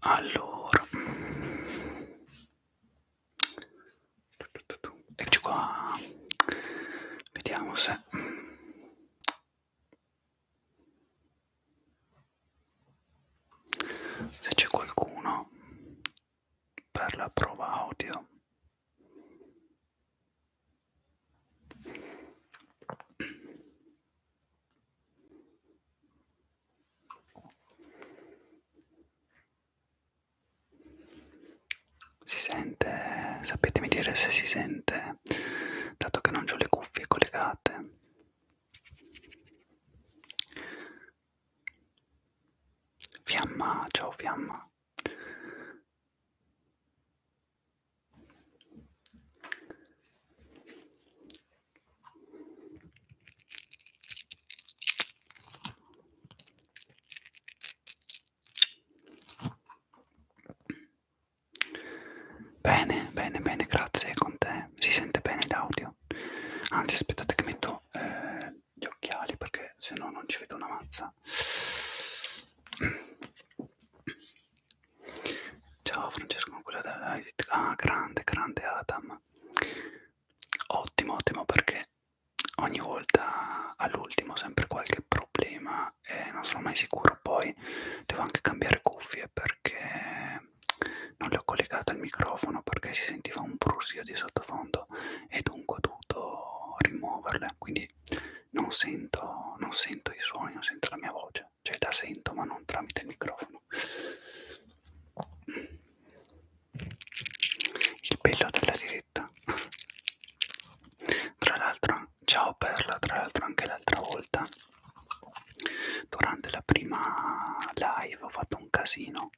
Allora, eccoci qua. Vediamo se se c'è qualcuno per la prova audio. Si sente, sapetemi dire se si sente, dato che non ho le cuffie collegate. Fiamma, ciao Fiamma. Bene, bene, bene, grazie con te. Si sente bene l'audio. Anzi, aspettate che metto eh, gli occhiali perché se no non ci vedo una mazza. Ciao Francesco, quella della ah, grande, grande Adam. Ottimo, ottimo perché ogni volta all'ultimo sempre qualche problema e non sono mai sicuro. Poi devo anche cambiare cuffie perché non le ho collegate al microfono perché si sentiva un brusio di sottofondo e dunque ho dovuto rimuoverle. Quindi non sento, non sento i suoni, non sento la mia voce cioè la sento ma non tramite il microfono il bello della diretta tra l'altro ciao Perla tra l'altro anche l'altra volta durante la prima live ho fatto un casino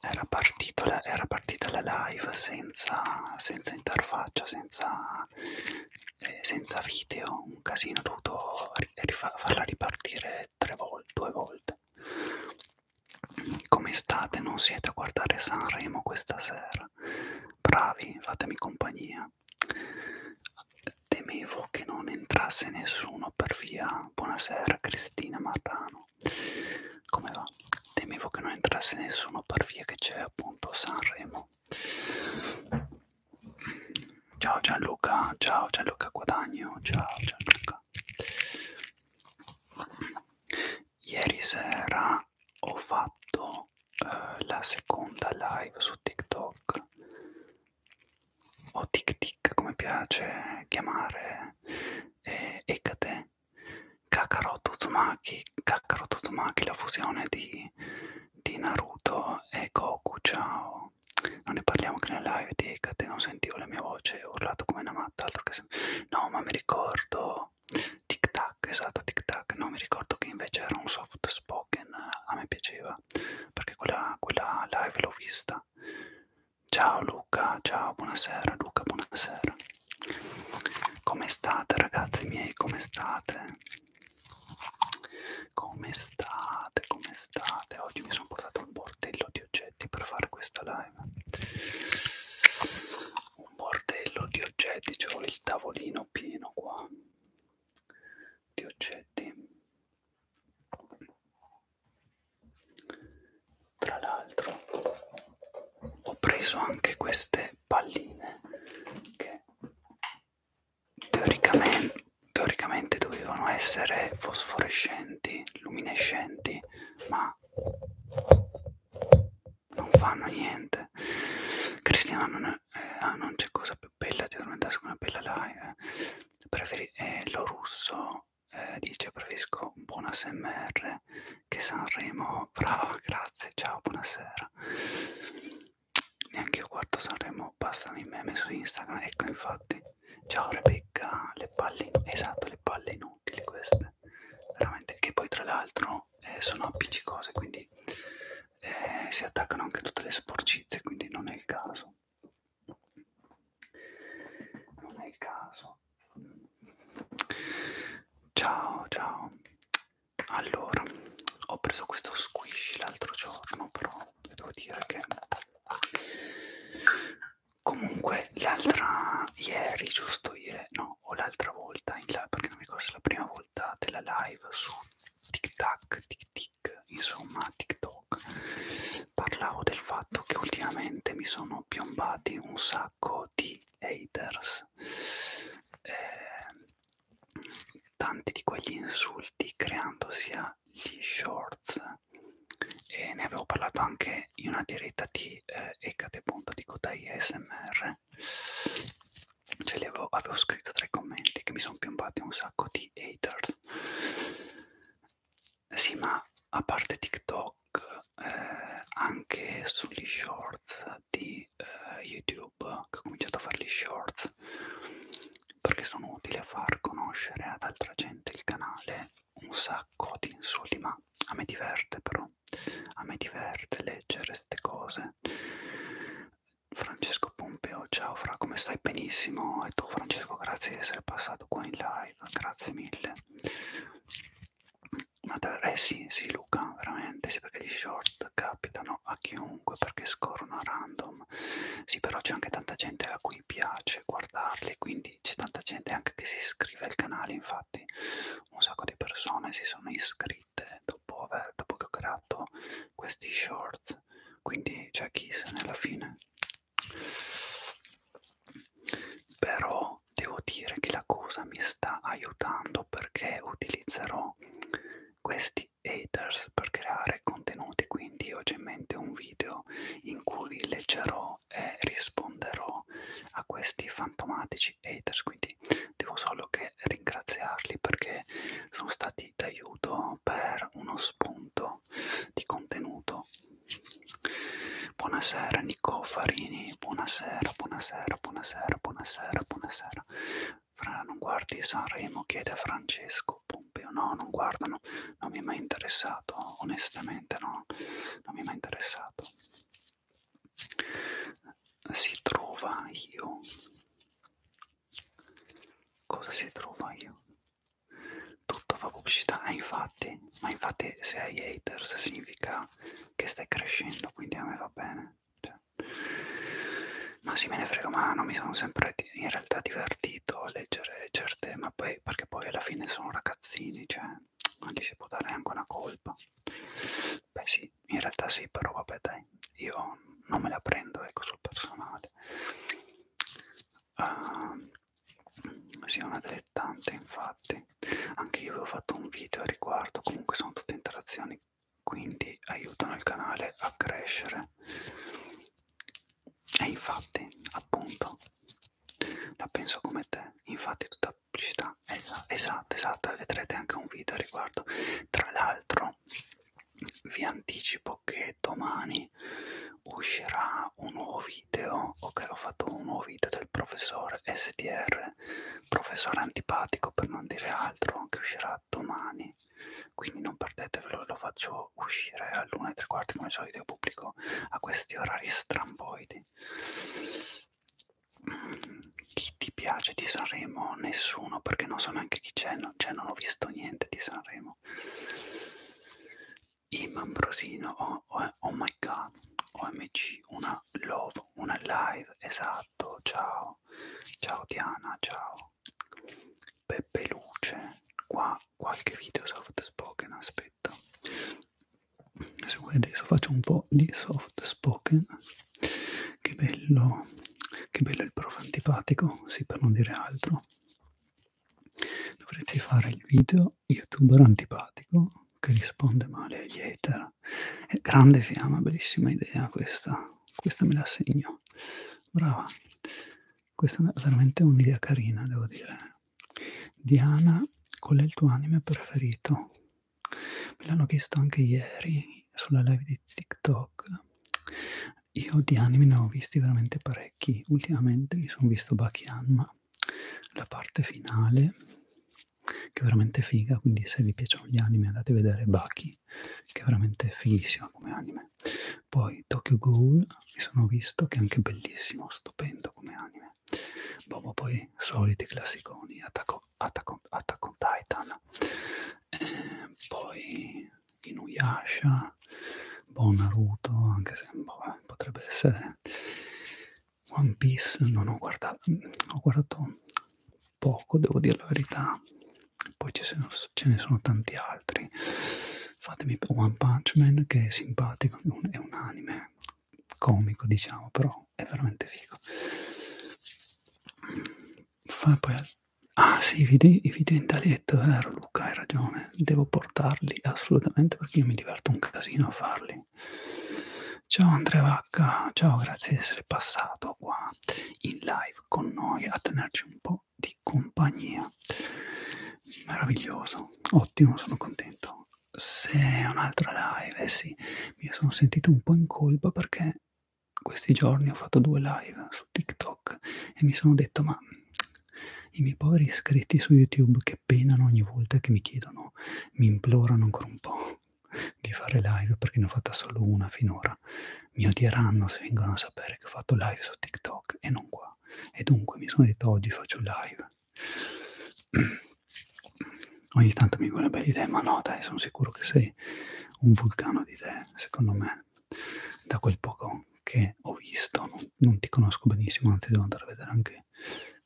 era, partito, era partita la live senza, senza interfaccia senza ma eh, senza video un casino ho dovuto farla ripartire tre volte due volte come state non siete a guardare Sanremo questa sera bravi fatemi compagnia temevo che non entrasse nessuno per via buonasera Cristina Marrano come va temevo che non entrasse nessuno per via che c'è appunto Sanremo Ciao Gianluca, ciao Gianluca Guadagno, ciao Gianluca. Ieri sera ho fatto eh, la seconda live su TikTok o TikTik come piace chiamare eh, Ekate Kakaroto Tsumaki, Kakaroto Tsumaki la fusione di di Naruto e Goku, ciao. Non ne parliamo che nelle live di Hecate non sentivo la mia voce, ho urlato come una matta, altro che... No, ma mi ricordo... Tic tac, esatto, tic tac. No, mi ricordo che invece era un soft spoken, a me piaceva, perché quella, quella live l'ho vista. Ciao Luca, ciao, buonasera Luca, buonasera. Come state ragazzi miei, come state? Come state? Come state? Oggi mi sono portato un bordello di oggetti per fare questa live. Un bordello di oggetti, c'ho il tavolino pieno qua di oggetti. Tra l'altro ho preso anche queste palline che teoricamente, teoricamente dovevano essere fosforescenti, luminescenti, ma non fanno niente. Cristiano ah, non, eh, ah, non c'è cosa più bella di addormentarsi con una bella live. Eh. Preferi, eh, lo russo eh, dice preferisco un buon ASMR che Sanremo. Brava, grazie, ciao, buonasera neanche io guardo Sanremo, bastano i meme su Instagram, ecco infatti. Ciao Rebecca, le palle, esatto, le palle inutili queste, veramente, che poi tra l'altro eh, sono appiccicose, quindi eh, si attaccano anche tutte le sporcizie, quindi non è il caso. Non è il caso. Ciao, ciao. Allora, ho preso questo squish l'altro giorno, però devo dire che comunque l'altra ieri giusto ieri no o l'altra volta in là perché non mi ricordo se la prima volta della live su tic tac tic tic insomma tiktok parlavo del fatto che ultimamente mi sono piombati un sacco di haters eh, tanti di quegli insulti creando sia gli shorts e ne avevo parlato anche in una diretta di eh, Ecate.dicotai ASMR ce li avevo, avevo scritto tra i commenti che mi sono piombati un sacco di haters sì ma a parte TikTok eh, anche sugli shorts di eh, YouTube che ho cominciato a fare gli shorts perché sono utili a far conoscere ad altra gente il canale un sacco di insulti, ma a me diverte però, a me diverte leggere queste cose. Francesco Pompeo, ciao Fra, come stai? Benissimo, e tu Francesco, grazie di essere passato qua in live, grazie mille. Ma eh sì, sì Luca, veramente, sì perché gli short capitano a chiunque perché scorrono a random insomma sì però c'è anche tanta gente a cui piace guardarli quindi c'è tanta gente anche che si iscrive al canale infatti un sacco di persone si sono iscritte dopo, aver, dopo che ho creato questi short quindi c'è chi se ne alla fine però devo dire che la cosa mi sta aiutando perché utilizzerò questi di haters per creare contenuti quindi oggi in mente un video in cui leggerò e risponderò a questi fantomatici haters quindi devo solo che ringraziarli perché sono stati d'aiuto per uno spunto di contenuto buonasera Nico Farini buonasera buonasera buonasera buonasera buonasera fra non guardi Sanremo, chiede a Francesco Pompeo. No, non guardano, non mi è mai interessato, onestamente no, non mi è mai interessato. Si trova io. Cosa si trova io? Tutto fa pubblicità, ah, infatti, ma infatti se hai haters significa che stai crescendo, quindi a me va bene. Cioè. No, sì, me ne frego, ma non mi sono sempre in realtà divertito a leggere certe, ma poi perché poi alla fine sono ragazzini, cioè non gli si può dare neanche una colpa. Beh sì, in realtà sì, però vabbè dai, io non me la prendo ecco sul personale. Uh, sì, una dilettante infatti. Anche io avevo fatto un video a riguardo, comunque sono tutte interazioni, quindi aiutano il canale a crescere. E infatti, appunto, la penso come te, infatti tutta la pubblicità è esatta, esatta, vedrete anche un video a riguardo. Tra l'altro vi anticipo che domani uscirà un nuovo video, ok ho fatto un nuovo video del professore SDR, professore antipatico per non dire altro, che uscirà domani quindi non perdetevelo, lo faccio uscire all'1 e tre quarti come solito io pubblico a questi orari stramboidi. Chi ti piace di Sanremo? Nessuno, perché non so neanche chi c'è, non, cioè non ho visto niente di Sanremo. Im Ambrosino, oh, oh, oh my god, OMG, una love, una live, esatto, ciao, ciao Diana, ciao. Peppe Luce qua qualche video soft spoken aspetta se vuoi adesso faccio un po' di soft spoken che bello che bello il prof antipatico sì per non dire altro dovresti fare il video youtuber antipatico che risponde male agli hater è grande fiamma bellissima idea questa questa me la segno brava questa è veramente un'idea carina, devo dire. Diana, qual è il tuo anime preferito? Me l'hanno chiesto anche ieri sulla live di TikTok. Io di anime ne ho visti veramente parecchi. Ultimamente mi sono visto Bakianma, la parte finale, che è veramente figa. Quindi, se vi piacciono gli anime, andate a vedere Baki, che è veramente fighissima come anime anime. Poi Tokyo Ghoul, mi sono visto che è anche bellissimo, stupendo come anime. Boh, poi soliti classiconi, Attack on Titan, eh, poi Inuyasha, Bon Naruto, anche se boh, potrebbe essere One Piece, non ho guardato, ho guardato poco, devo dire la verità, poi ce, sono, ce ne sono tanti altri fatemi One Punch Man che è simpatico è un anime comico diciamo però è veramente figo fa poi ah sì i video, i video in taglietto vero Luca hai ragione devo portarli assolutamente perché io mi diverto un casino a farli ciao Andrea Vacca ciao grazie di essere passato qua in live con noi a tenerci un po' di compagnia meraviglioso ottimo sono contento se è un'altra live eh sì mi sono sentito un po' in colpa perché questi giorni ho fatto due live su tiktok e mi sono detto ma i miei poveri iscritti su youtube che penano ogni volta che mi chiedono mi implorano ancora un po' di fare live perché ne ho fatta solo una finora mi odieranno se vengono a sapere che ho fatto live su TikTok e non qua qua. E dunque mi sono detto oggi faccio live. Ogni tanto mi viene bella idea, ma no dai, sono sicuro che sei un vulcano di idee, secondo me, da quel poco che ho visto, non, non ti conosco benissimo, anzi devo andare a vedere anche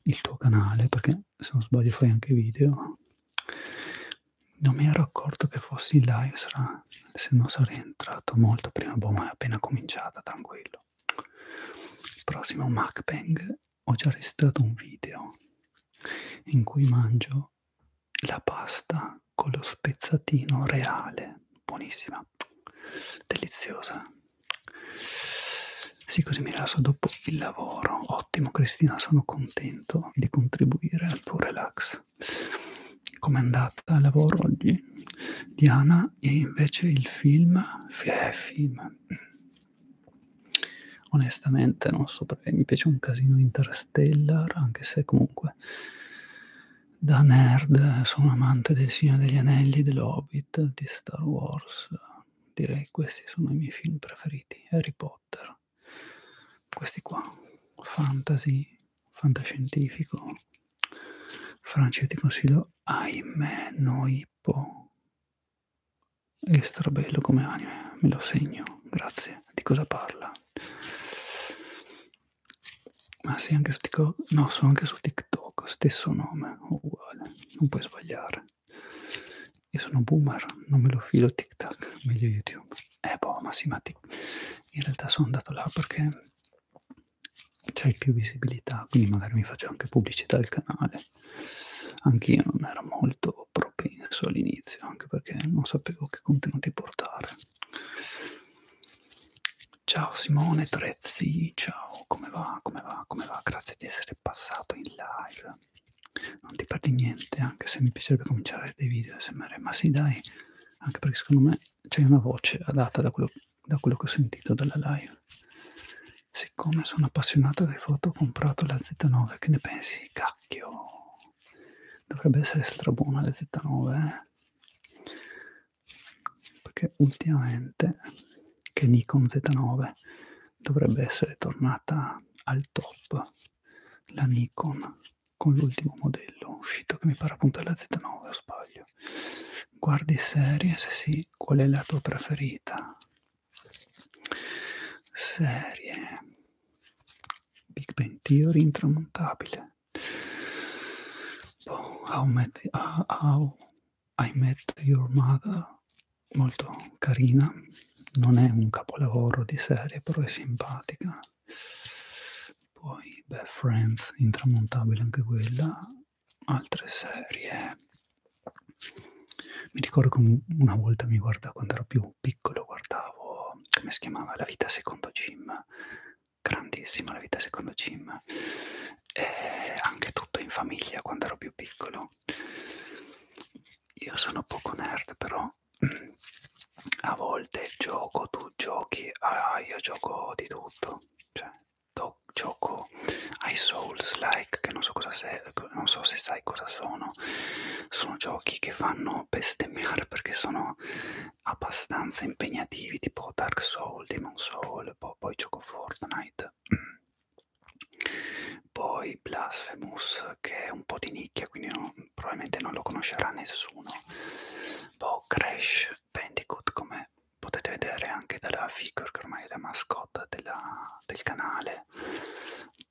il tuo canale, perché se non sbaglio fai anche video. Non mi ero accorto che fossi in live, sarà se no sarei entrato molto prima, boh, ma è appena cominciata, tranquillo. Il prossimo mukbang ho già registrato un video in cui mangio la pasta con lo spezzatino reale, buonissima, deliziosa. Sì, così mi rilasso dopo il lavoro. Ottimo Cristina, sono contento di contribuire al tuo relax. Mac. Com'è andata il lavoro oggi? Diana e invece il film, eh, film. Onestamente non so perché mi piace un casino Interstellar, anche se comunque da nerd sono amante del Signore degli Anelli, dell'Hobbit, di Star Wars. Direi questi sono i miei film preferiti. Harry Potter. Questi qua. Fantasy fantascientifico. Francia, ti consiglio Ahimè Noipo. È strabello come anime, me lo segno, grazie. Di cosa parla? Ma sì, anche su TikTok. No, sono anche su TikTok, stesso nome, uguale, non puoi sbagliare. Io sono boomer, non me lo filo TikTok, meglio YouTube. Eh boh, ma sì, ma in realtà sono andato là perché c'hai più visibilità, quindi magari mi faccio anche pubblicità del canale. Anch'io non ero molto propenso all'inizio, anche perché non sapevo che contenuti portare. Ciao Simone Trezzi, ciao, come va, come va, come va? Grazie di essere passato in live. Non ti perdi niente, anche se mi piacerebbe cominciare dei video SMR, ma sì dai, anche perché secondo me c'è una voce adatta da quello da quello che ho sentito dalla live. Siccome sono appassionato di foto, ho comprato la Z9. Che ne pensi? Cacchio! Dovrebbe essere strabuona la Z9, eh? Perché ultimamente che Nikon Z9 dovrebbe essere tornata al top la Nikon con l'ultimo modello uscito che mi pare appunto è la Z9 o sbaglio Guardi serie? Se sì, qual è la tua preferita? Serie Big Bang Theory intramontabile. Boh, how, met, uh, how I Met Your Mother, molto carina. Non è un capolavoro di serie, però è simpatica poi beh, Friends, intramontabile anche quella, altre serie. Mi ricordo che una volta mi guardavo, quando ero più piccolo, guardavo, come si chiamava, La vita secondo Jim, grandissima La vita secondo Jim, e anche tutto in famiglia quando ero più piccolo. Io sono poco nerd, però mm, a volte gioco, tu giochi, ah, io gioco di tutto cioè, gioco, cioè do, gioco ai Souls like, che non so, cosa sei, non so se sai cosa sono, sono giochi che fanno bestemmiare perché sono abbastanza impegnativi, tipo Dark Souls, Demon Soul, poi, poi gioco Fortnite. Mm. Poi Blasphemous, che è un po' di nicchia, quindi non, probabilmente non lo conoscerà nessuno. Poi Crash Bandicoot, come potete vedere anche dalla figure che ormai è la mascotte della, del canale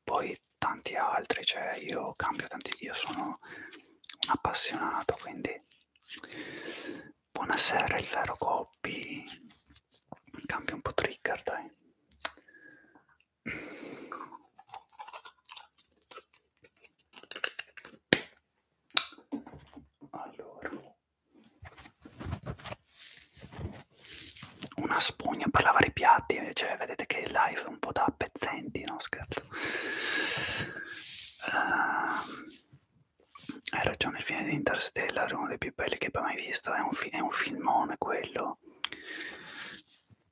poi tanti altri cioè io cambio tanti io sono un appassionato quindi buonasera il vero copy cambio un po' trigger dai allora, una spugna per lavare i piatti, cioè vedete che il live è un po' da pezzenti, no scherzo. Uh, hai ragione, il fine di Interstellar è uno dei più belli che abbia mai visto, è un, è un filmone quello.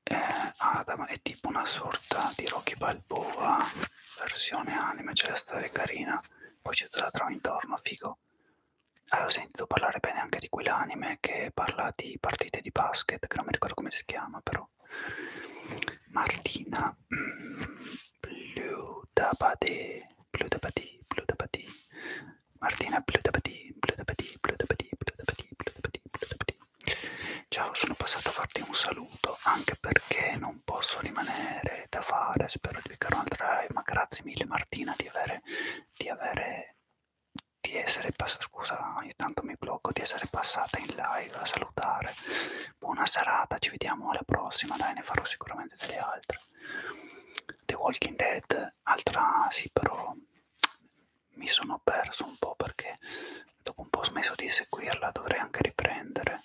Eh, Adam è tipo una sorta di Rocky Balboa versione anime, cioè la storia è carina poi ci te la trovi intorno, figo. Avevo sentito parlare bene anche di quell'anime che parla di partite di basket, che non mi ricordo come si chiama però. Martina Bludabade, Bludabadi, Bludabadi, Martina Bludabadi, Bludabadi, Bludabadi, Bludabadi, Bludabadi, Ciao, sono passato a farti un saluto anche perché non non posso rimanere da fare, spero di beccare un'altra live, ma grazie mille Martina di avere, di avere, di essere passata, scusa ogni tanto mi blocco, di essere passata in live a salutare, buona serata, ci vediamo alla prossima, dai ne farò sicuramente delle altre. The Walking Dead, altra sì però mi sono perso un po' perché dopo un po' ho smesso di seguirla, dovrei anche riprendere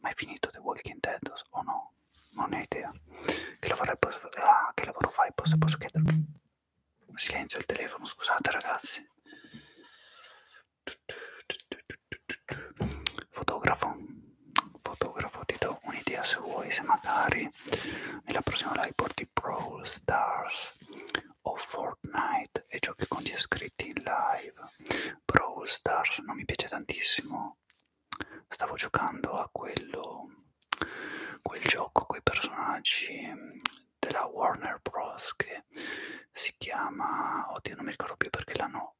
ma hai finito The Walking Dead o no? Non ne ho idea. Che lavoro, posso... ah, che lavoro fai? Posso, posso chiederlo? Silenzio il telefono, scusate ragazzi. Fotografo, fotografo, ti do un'idea se vuoi, se magari nella prossima live porti Brawl Stars o Fortnite e giochi con gli iscritti in live Brawl Stars non mi piace tantissimo stavo giocando a quello quel gioco quei personaggi mm, della Warner Bros che si chiama oddio non mi ricordo più perché l'hanno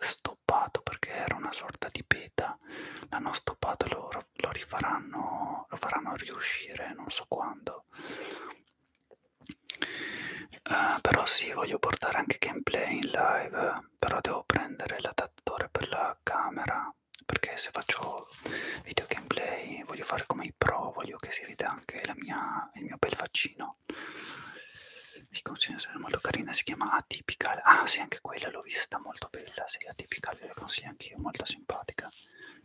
stoppato perché era una sorta di beta l'hanno stoppato lo, lo rifaranno lo faranno riuscire non so quando Uh, però sì, voglio portare anche gameplay in live, però devo prendere l'adattatore per la camera, perché se faccio video gameplay voglio fare come i pro, voglio che si veda anche la mia, il mio bel faccino. Vi consiglio se è molto carina, si chiama Atypical. Ah sì, anche quella l'ho vista, molto bella, sì, Atypical ve la consiglio anch'io, molto simpatica,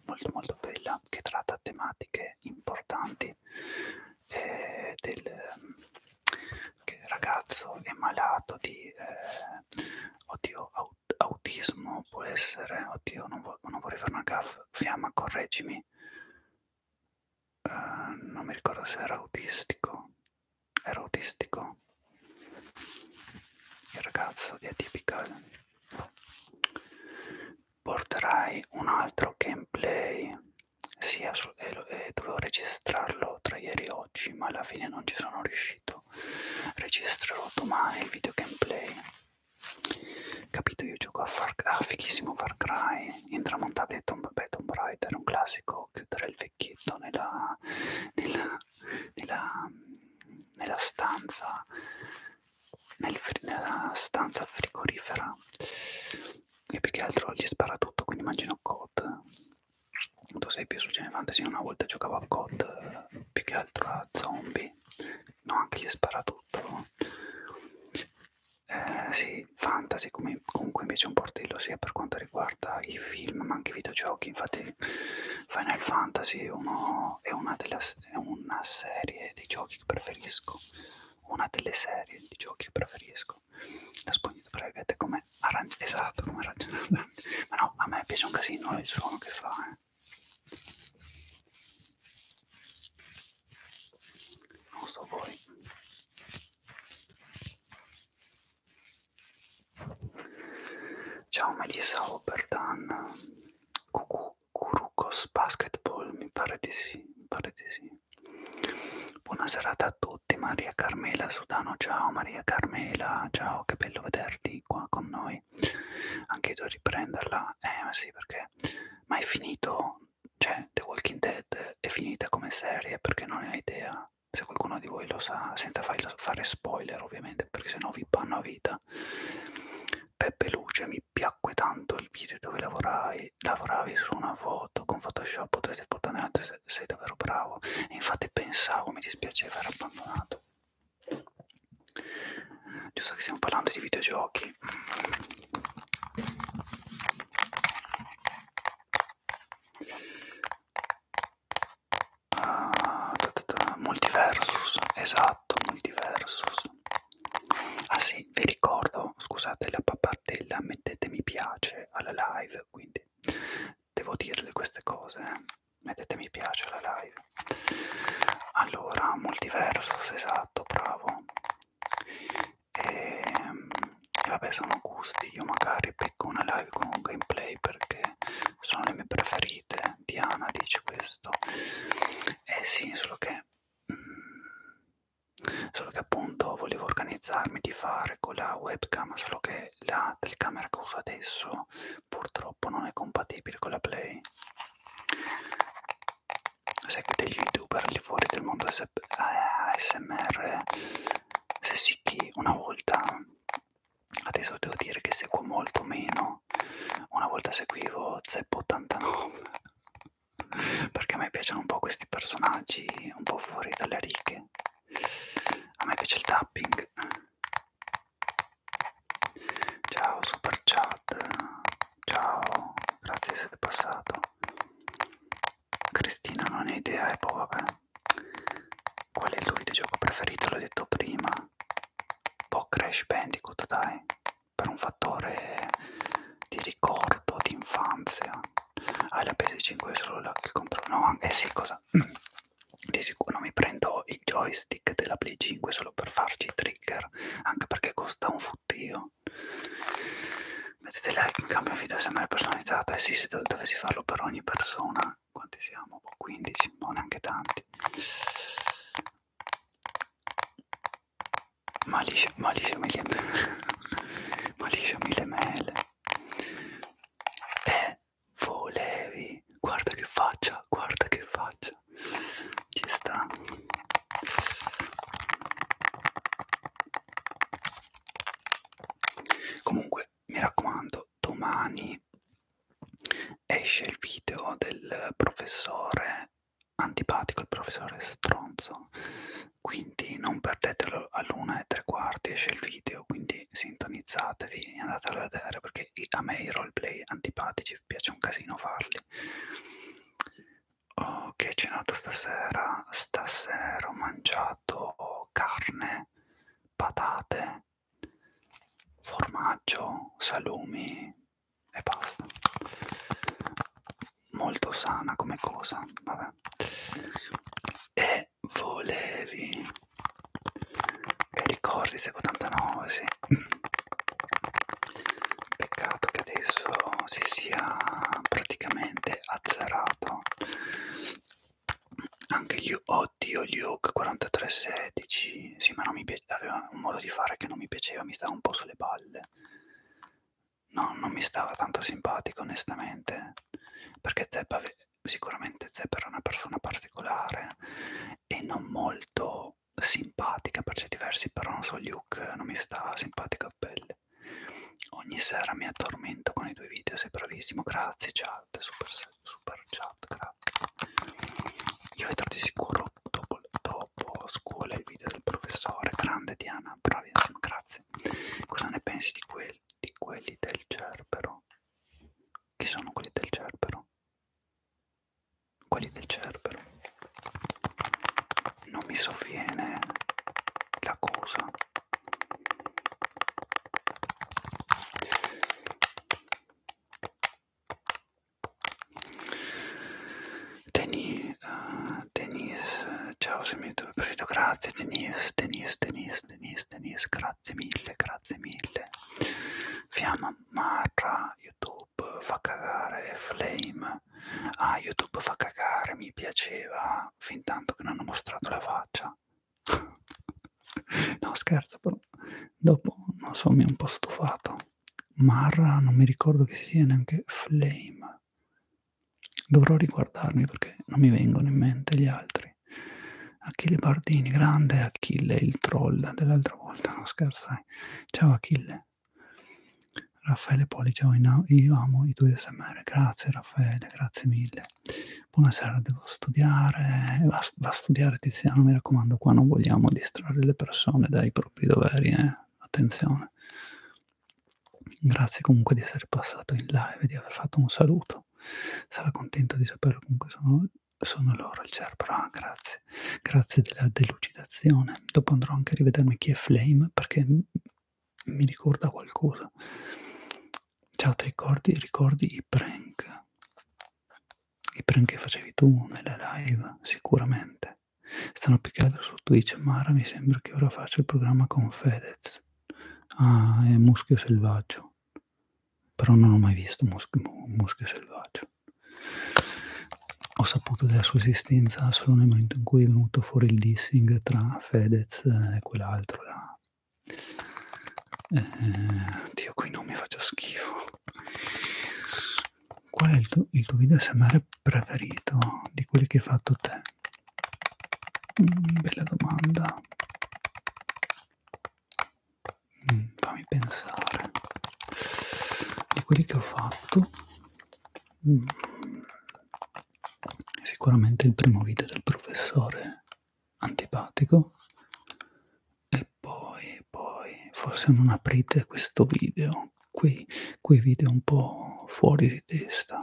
molto molto bella, che tratta tematiche importanti eh, del che il ragazzo è malato di eh, oddio, aut autismo, può essere, oddio, non, vo non vorrei fare una gaffa, fiamma, correggimi, uh, non mi ricordo se era autistico, era autistico, il ragazzo di Atypical, porterai un altro gameplay sì, e eh, eh, dovevo registrarlo tra ieri e oggi, ma alla fine non ci sono riuscito. Registrerò domani il video gameplay. Capito, io gioco a Far, ah, fighissimo Far Cry, intramontabile Tomb, beh, Tomb Raider, un classico, chiudere il vecchietto nella, nella, nella, nella stanza, nel, nella stanza frigorifera e più che altro gli spara tutto, quindi immagino COD. Tu sei più su Gene Fantasy, una volta giocavo a COD, più che altro a zombie, no anche gli spara tutto. Eh, sì, fantasy come, comunque invece è un portello sia per quanto riguarda i film ma anche i videogiochi, infatti Final Fantasy è, uno, è, una, della, è una serie di giochi che preferisco, una delle serie di giochi che preferisco esatto la spugnita private è come arancia esatto come arancia ma no a me piace un casino il suono che fa eh. non so voi ciao Melissa Oberdan Cucu Curucos Basketball mi pare di sì mi pare di sì Buona serata a tutti, Maria Carmela Sudano, ciao Maria Carmela, ciao, che bello vederti qua con noi. Anche tu riprenderla, eh ma sì perché, ma è finito, cioè The Walking Dead è finita come serie perché non ne ho idea, se qualcuno di voi lo sa, senza fare spoiler ovviamente perché sennò vi panno a vita. Peppe Luce, mi piacque tanto il video dove lavorai, lavoravi su una foto con Photoshop, potrete portare altre sei, sei davvero bravo e infatti pensavo mi dispiaceva aver abbandonato giusto che stiamo parlando di videogiochi ah, ta ta ta, multiversus esatto multiversus ah sì vi ricordo scusate la pappardella mettete mi piace alla live live, quindi devo dirle queste cose, eh. mettete mi piace alla live. Allora, multiversus, esatto, bravo. E, ehm, e vabbè, sono gusti, io magari picco una live con un gameplay perché sono le mie preferite, Diana dice questo. Eh sì, solo che... Mm, solo che appunto volevo organizzarmi di fare con la webcam solo che la telecamera che uso adesso purtroppo non è compatibile con la play seguite gli youtuber lì fuori del mondo ASMR se sì che una volta adesso devo dire che seguo molto meno una volta seguivo Zepp89 perché a me piacciono un po' questi personaggi un po' fuori dalle righe a me piace il tapping ciao super chat ciao grazie di essere passato Cristina non hai idea e eh, poi boh, vabbè qual è il tuo videogioco preferito l'ho detto prima po' boh, Crash Bandicoot dai per un fattore di ricordo giocato d'infanzia. Ah, la PS5 è solo la che compro. No, anche sì, cosa? Di sicuro mi prendo il joystick della Play 5 solo per farci i trigger, anche perché costa un fottio. Mettete like in cambio video sempre personalizzata. Eh sì, se dov dovessi farlo per ogni persona. Quanti siamo? 15, boh, non boh, neanche tanti. Malisha, Malisha, mille ml. Malisha, mille ml e volevi guarda che faccia guarda che faccia ci sta comunque mi raccomando domani esce il video del professore antipatico il professore stronzo quindi non perdetelo all'una e tre quarti esce il video quindi sintonizzatevi e andate a vedere perché a me i roleplay antipatici piace un casino farli oh, che cenato stasera stasera ho mangiato carne patate formaggio salumi e basta molto sana come cosa vabbè e volevi e ricordi se 89 sì. peccato che adesso si sia praticamente azzerato anche gli oddio gli Hawk 4316 sì ma non mi piaceva aveva un modo di fare che non mi piaceva mi stava un po' sulle palle no non mi stava tanto simpatico onestamente perché Zeppa sicuramente Zeppa era una persona particolare e non molto simpatica per certi versi, però non so, Luke non mi sta simpatica a pelle. Ogni sera mi addormento con i tuoi video, sei bravissimo, grazie chat, super, super chat, grazie. Io vedrò di sicuro dopo, dopo scuola il video del professore, grande Diana, bravissima, grazie. Cosa ne pensi di quel di quelli del Cerbero. Chi sono quelli del Cerbero? Quelli del Cerbero. Non mi sovviene la cosa. Denise, uh, Denise, ciao se mi dovete, grazie Denise, Denise, Denise. Denise, Denise, Denise, grazie mille, grazie mille. Fiamma Marra, YouTube fa cagare, Flame. Ah, YouTube fa cagare, mi piaceva, fin tanto che non hanno mostrato la faccia. no, scherzo, però dopo, non so, mi è un po' stufato. Marra, non mi ricordo che sia neanche Flame. Dovrò riguardarmi perché non mi vengono in mente gli altri. Achille Bardini, grande Achille, il troll dell'altra volta, non scherzai. Ciao Achille. Raffaele Poli, ciao, io amo i tuoi SMR. Grazie Raffaele, grazie mille. Buonasera, devo studiare. Va, va a studiare Tiziano, mi raccomando, qua non vogliamo distrarre le persone dai propri doveri, eh? attenzione. Grazie comunque di essere passato in live e di aver fatto un saluto contento, sarà contento di saperlo comunque sono, sono loro il Cerbero, ah, grazie, grazie della delucidazione, dopo andrò anche a rivedermi chi è Flame perché mi ricorda qualcosa, ciao ti ricordi, ricordi i prank, i prank che facevi tu nelle live sicuramente, stanno più che altro su Twitch, Mara mi sembra che ora faccia il programma con Fedez, Ah, è muschio selvaggio. Però non ho mai visto muschio, muschio selvaggio. Ho saputo della sua esistenza solo nel momento in cui è venuto fuori il dissing tra Fedez e quell'altro là. Eh, Dio, qui non mi faccio schifo. Qual è il tuo, il tuo video SMR preferito di quelli che hai fatto te? Mm, bella domanda. Mm, fammi pensare. Di quelli che ho fatto, mm, sicuramente il primo video del professore antipatico. E poi, poi, forse non aprite questo video. Qui, qui video un po' fuori di testa.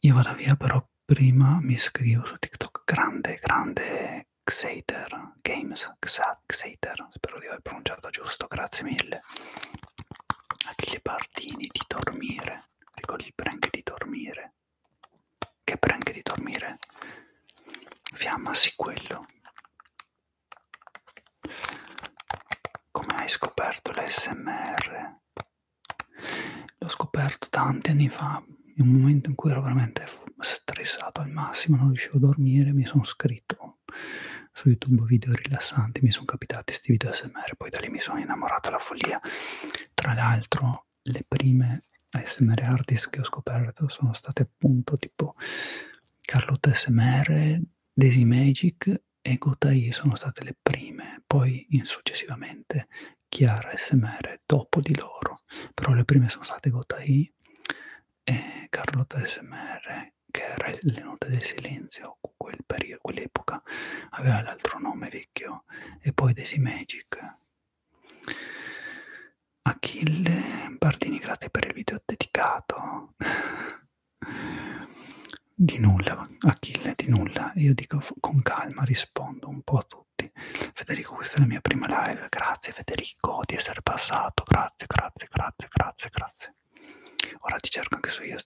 Io vado via però prima mi scrivo su TikTok grande, grande Xater Games, Xa, Xater, spero di aver pronunciato giusto, grazie mille. Achille Partini di dormire, ricordo il prank di dormire. Che prank di dormire? Fiamma, sì quello. Come hai scoperto l'SMR? L'ho scoperto tanti anni fa, in un momento in cui ero veramente stressato al massimo, non riuscivo a dormire, mi sono scritto su YouTube video rilassanti, mi sono capitati questi video ASMR, poi da lì mi sono innamorato alla follia. Tra l'altro le prime ASMR artist che ho scoperto sono state appunto tipo Carlotta ASMR, Desi Magic e Gotai, sono state le le prime, poi in successivamente Chiara e Semere dopo di loro, però le prime sono state Gotai e Carlotta SMR, che era le note del silenzio, quel periodo, quell'epoca aveva l'altro nome vecchio, e poi Desi Magic. Achille Bardini, grazie per il video dedicato. Di nulla, Achille di nulla, io dico con calma, rispondo un po' a tutti. Federico, questa è la mia prima live, grazie Federico di essere passato, grazie, grazie, grazie, grazie, grazie. Ora ti cerco anche su io,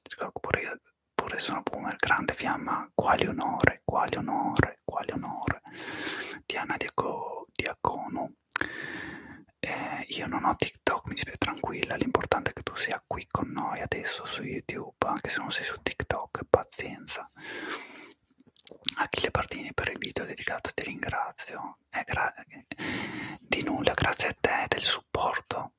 pure, io, pure sono boomer, grande fiamma, quale onore, quale onore, quale onore. Diana Diaco, Diacono, eh, io non ho TikTok, mi spiego tranquilla, l'importante è che tu sia qui con noi adesso su YouTube, anche se non sei su TikTok, pazienza. Achille Bardini per il video dedicato ti ringrazio, eh, di nulla, grazie a te del supporto.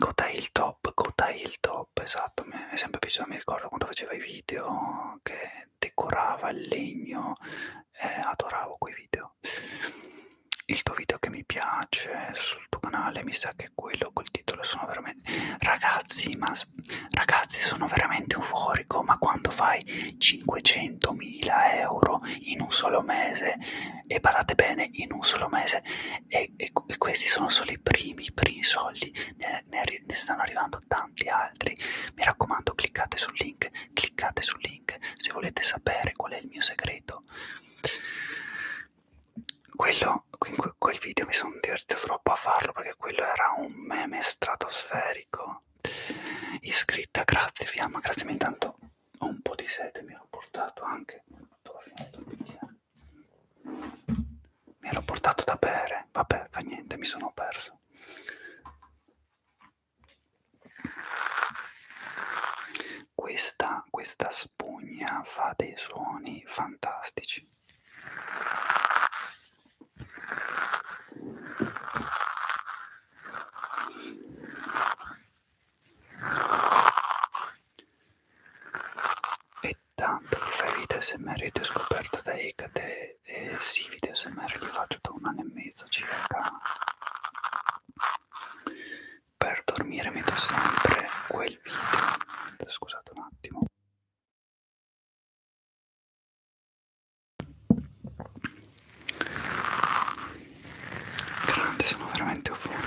Cotai il top, cotai il top, esatto, mi è sempre piaciuto, mi ricordo quando faceva i video che decorava il legno, eh, adoravo quei video. Il tuo video che mi piace su sul tuo canale, mi sa che quello col titolo sono veramente... Ragazzi, ma... Ragazzi, sono veramente euforico, ma quando fai 500.000 euro in un solo mese, e parlate bene, in un solo mese, e, e, e questi sono solo i primi, i primi soldi, ne, ne, ne stanno arrivando tanti altri. Mi raccomando, cliccate sul link, cliccate sul link se volete sapere qual è il mio segreto quello in quel video mi sono divertito troppo a farlo perché quello era un meme stratosferico iscritta grazie fiamma grazie ma intanto ho un po' di sete mi ero portato anche mi ero portato da bere vabbè fa niente mi sono perso questa, questa spugna fa dei suoni fantastici. E tanto di ferite SMR io ti ho scoperto da Ecate e sì, video SMR li faccio da un anno e mezzo circa. Per dormire metto sempre quel video. Scusate un attimo grande sono veramente buoni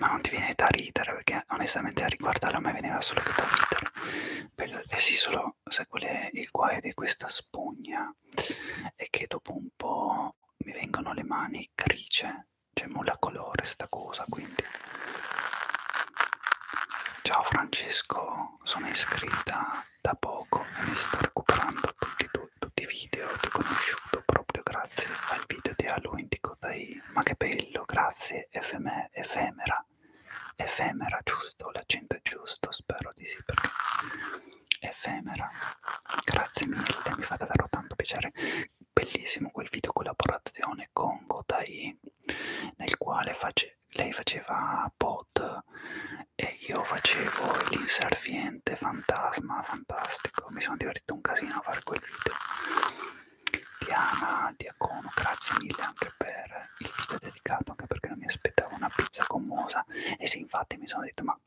ma non ti viene da ridere perché onestamente a riguardarla a me veniva solo che da ridere eh sì solo sai qual è il guaio di questa spugna è che dopo un po' mi vengono le mani grigie c'è nulla colore sta cosa quindi ciao Francesco sono iscritta da poco e mi sto recuperando tutti, tu, tutti i video ti ho conosciuto proprio grazie al video di Halloween di Kodai ma che bello grazie FM, efemera efemera giusto l'accento è giusto spero di sì perché efemera grazie mille mi fa davvero tanto piacere bellissimo quel video collaborazione con Godai nel quale face, lei faceva pod e io facevo l'inserviente fantasma fantastico mi sono divertito un casino a fare quel video Diana Diacono grazie mille anche per il video dedicato anche perché non mi aspettavo una pizza commosa e sì infatti mi sono detto ma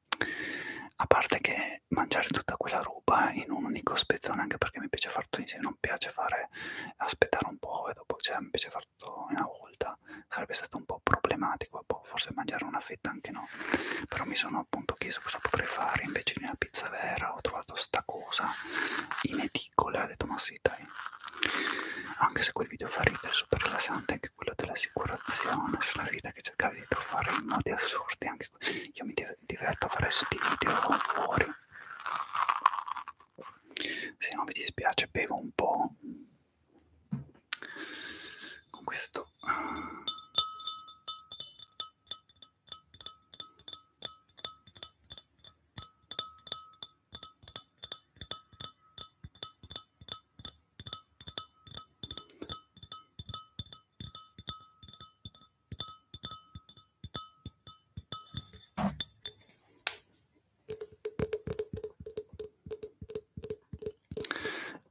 a parte che e mangiare tutta quella roba in un unico spezzone anche perché mi piace fare tutto insieme, non piace fare aspettare un po' e dopo cioè, mi piace fare tutto in una volta, sarebbe stato un po' problematico, boh, forse mangiare una fetta anche no, però mi sono appunto chiesto cosa potrei fare invece di una pizza vera, ho trovato sta cosa in edicola e ho detto ma sì dai, anche se quel video fa ridere, super rilassante, anche quello dell'assicurazione, sulla vita che cercavi di trovare in modi assurdi, anche io mi diverto a fare sti video fuori se non vi dispiace bevo un po' con questo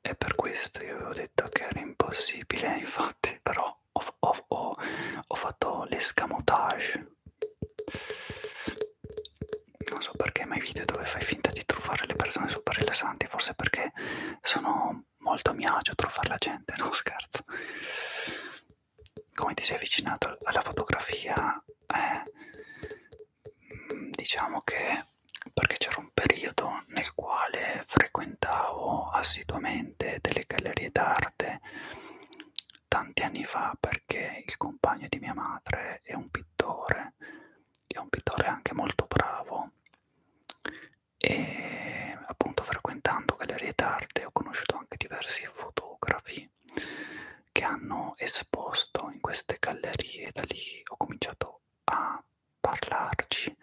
e per questo io avevo detto che era impossibile, infatti, però ho, ho, ho, ho fatto l'escamotage. Non so perché, ma i video dove fai finta di truffare le persone super rilassanti, forse perché sono molto a mio agio truffare la gente, no scherzo. Come ti sei avvicinato alla fotografia? Eh, diciamo che perché c'era un periodo nel quale frequentavo assiduamente delle gallerie d'arte tanti anni fa perché il compagno di mia madre è un pittore, è un pittore anche molto bravo e appunto frequentando gallerie d'arte ho conosciuto anche diversi fotografi che hanno esposto in queste gallerie da lì ho cominciato a parlarci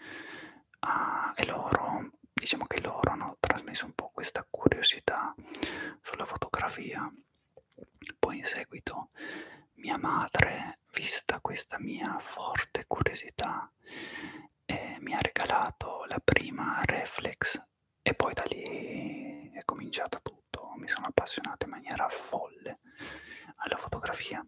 a, e loro diciamo che loro hanno trasmesso un po' questa curiosità sulla fotografia poi in seguito mia madre vista questa mia forte curiosità prima eh, mi ha regalato la prima reflex e poi da lì è cominciato tutto, mi sono appassionato in maniera folle alla fotografia.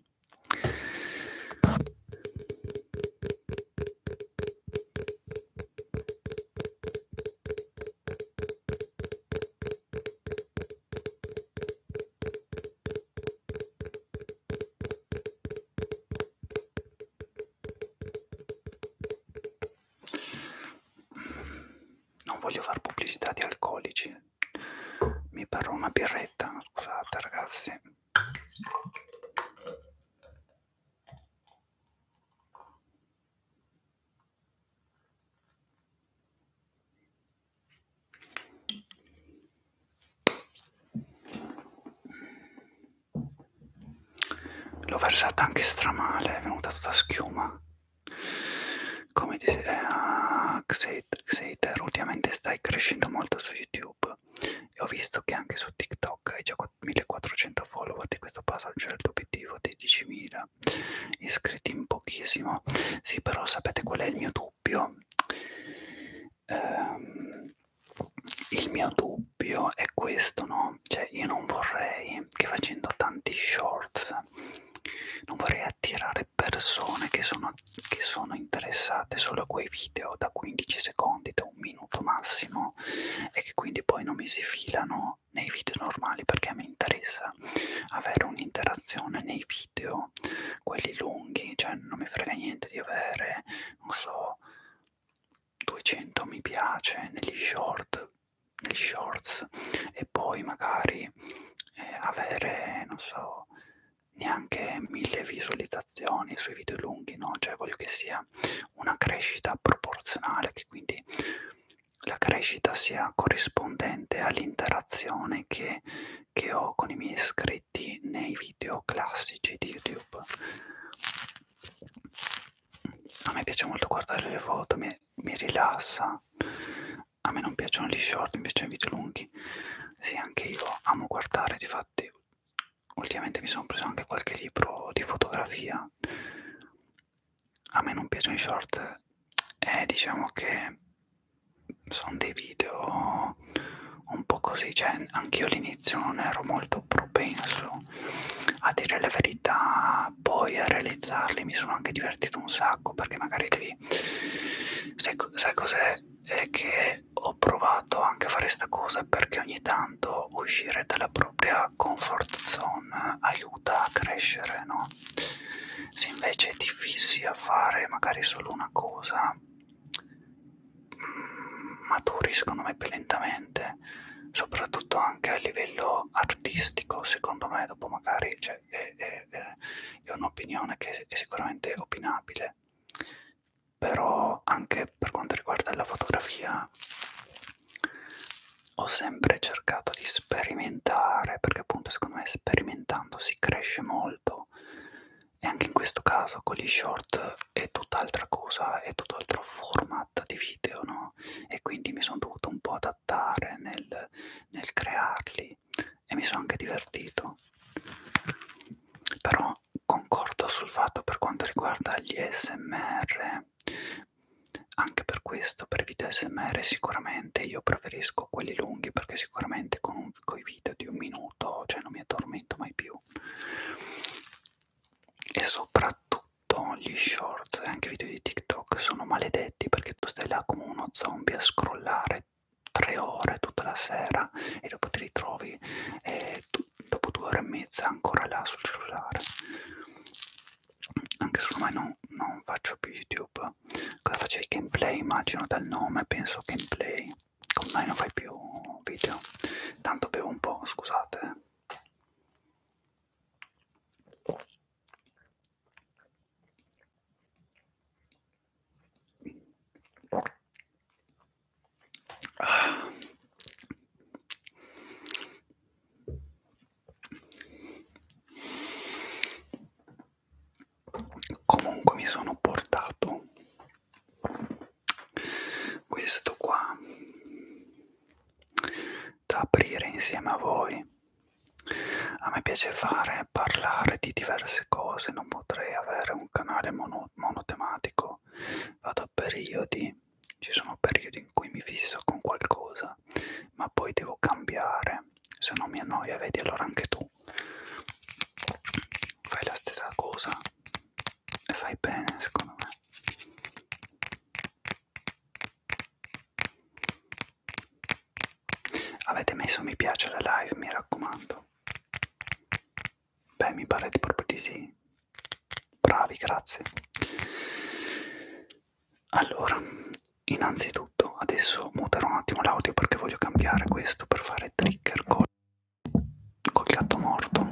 Non voglio fare pubblicità di alcolici. Mi parrò una birretta, scusate ragazzi. L'ho versata anche stramale, è venuta tutta schiuma. Come dice eh, Xater, Xater, ultimamente stai crescendo molto su YouTube e ho visto che anche su TikTok hai già 1400 follower di questo passaggio è il tuo certo obiettivo dei 10.000 iscritti in pochissimo. Sì, però sapete qual è il mio dubbio? Ehm, il mio dubbio è questo, no? Cioè io non vorrei che facendo tanti shorts non vorrei attirare persone che sono, che sono interessate solo a quei video da 15 secondi, da un minuto massimo e che quindi poi non mi si filano nei video normali perché a me interessa avere un'interazione nei video, quelli lunghi, cioè non mi frega niente di avere, non so, 200 mi piace negli short negli shorts e poi magari eh, avere non so neanche mille visualizzazioni sui video lunghi no cioè voglio che sia una crescita proporzionale che quindi la crescita sia corrispondente all'interazione che, che ho con i miei iscritti nei video classici di youtube a me piace molto guardare le foto, mi, mi rilassa. A me non piacciono gli short, mi piacciono i video lunghi. Sì, anche io amo guardare, difatti ultimamente mi sono preso anche qualche libro di fotografia. A me non piacciono i short, eh, diciamo che sono dei video un po' così, cioè anch'io all'inizio non ero molto propenso a dire la verità poi a realizzarli mi sono anche divertito un sacco perché magari devi sai, sai cos'è è che ho provato anche a fare sta cosa perché ogni tanto uscire dalla propria comfort zone aiuta a crescere no se invece ti fissi a fare magari solo una cosa maturi secondo me più lentamente soprattutto anche a livello artistico secondo me dopo magari cioè, è, è, è un'opinione che è sicuramente opinabile però anche per quanto riguarda la fotografia ho sempre cercato di sperimentare perché appunto secondo me sperimentando si cresce molto e anche in questo caso con gli show short è tutt'altra cosa, è tutt'altro format di video, no? E quindi mi sono dovuto un po' adattare nel, nel crearli e mi sono anche divertito. Però concordo sul fatto per quanto riguarda gli SMR, anche per questo, per i video SMR sicuramente io preferisco quelli lunghi perché sicuramente con, un, con i video di un minuto, cioè non mi addormento mai più. E soprattutto gli short e anche i video di TikTok sono maledetti perché tu stai là come uno zombie a scrollare tre ore tutta la sera e dopo ti ritrovi eh, tu, dopo due ore e mezza ancora là sul cellulare. Anche se ormai non, non faccio più YouTube, cosa facevi? Gameplay, immagino dal nome, penso gameplay. Ormai non fai più video. Tanto bevo un po', scusate. Comunque mi sono portato questo qua da aprire insieme a voi a me piace fare parlare di diverse cose non potrei avere un canale mono, monotematico vado a periodi ci sono periodi in cui mi fisso con qualcosa ma poi devo cambiare se no mi annoia vedi allora anche tu fai la stessa cosa e fai bene secondo me Avete messo mi piace alla live, mi raccomando. Beh, mi pare di proprio di sì. Bravi, grazie. Allora, innanzitutto adesso muterò un attimo l'audio perché voglio cambiare questo per fare trigger col, col gatto morto.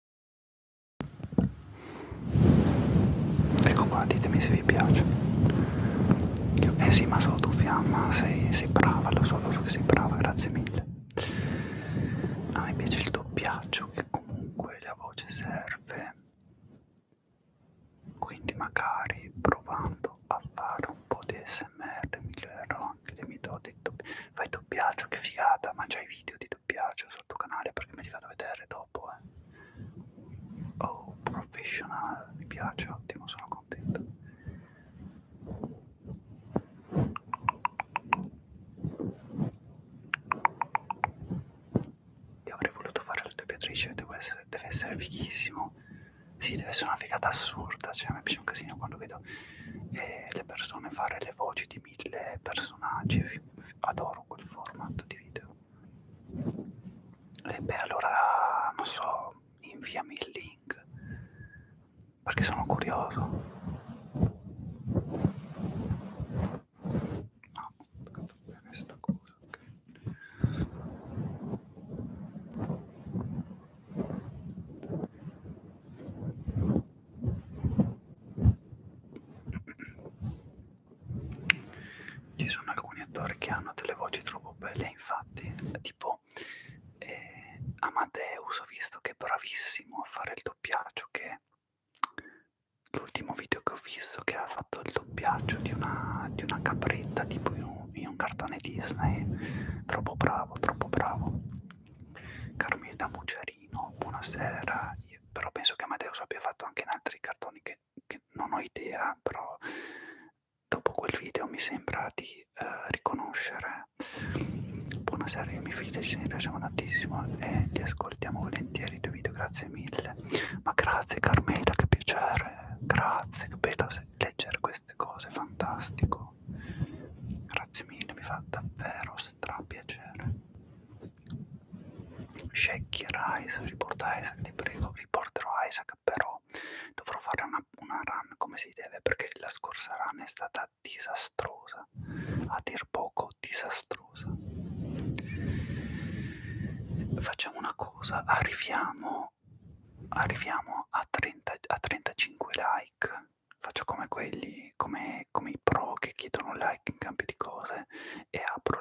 Ecco qua, ditemi se vi piace. Io, eh sì, ma solo tu fiamma, sei, sei brava, lo so, lo so che sei brava, grazie mille. A me piace il doppiaggio che comunque la voce serve. Quindi magari provando a fare un po' di smr migliorerò anche le mie doti. Fai doppiaggio, che figata, ma c'hai video di doppiaggio sul tuo canale perché mi ti vado a vedere dopo eh. oh professional mi piace ottimo sono contento io avrei voluto fare la doppiatrice deve essere, deve essere fighissimo sì, deve essere una figata assurda, cioè a me piace un casino quando vedo eh, le persone fare le voci di mille personaggi, adoro quel format di video. E beh, allora non so, inviami il link perché sono curioso. No, ho toccato bene sta cosa, ok. Ci sono alcuni attori che hanno delle voci troppo belle, infatti, tipo eh, Amadeus, ho visto che è bravissimo a fare il doppiaggio, che l'ultimo video che ho visto che ha fatto il doppiaggio di una, di una capretta tipo in un, in un cartone Disney, troppo bravo, troppo bravo. Carmina Mucerino, buonasera, Io, però penso che Amadeus abbia fatto anche in altri cartoni che che non ho idea, però dopo quel video mi sembra di uh, riconoscere. Buonasera, io mi fido, ci piaceva tantissimo e li ascoltiamo volentieri i tuoi video, grazie mille. Ma grazie Carmela, che piacere, grazie, che bello leggere queste cose, fantastico. Grazie mille, mi fa davvero strapiacere. Shaggy era Isaac, riporta Isaac, ti prego, riporterò Isaac, però dovrò fare una, una run come si deve perché la scorsa run è stata disastrosa, a dir poco disastrosa. Facciamo una cosa, arriviamo, arriviamo a, 30, a 35 like, faccio come quelli, come, come i pro che chiedono like in cambio di cose e apro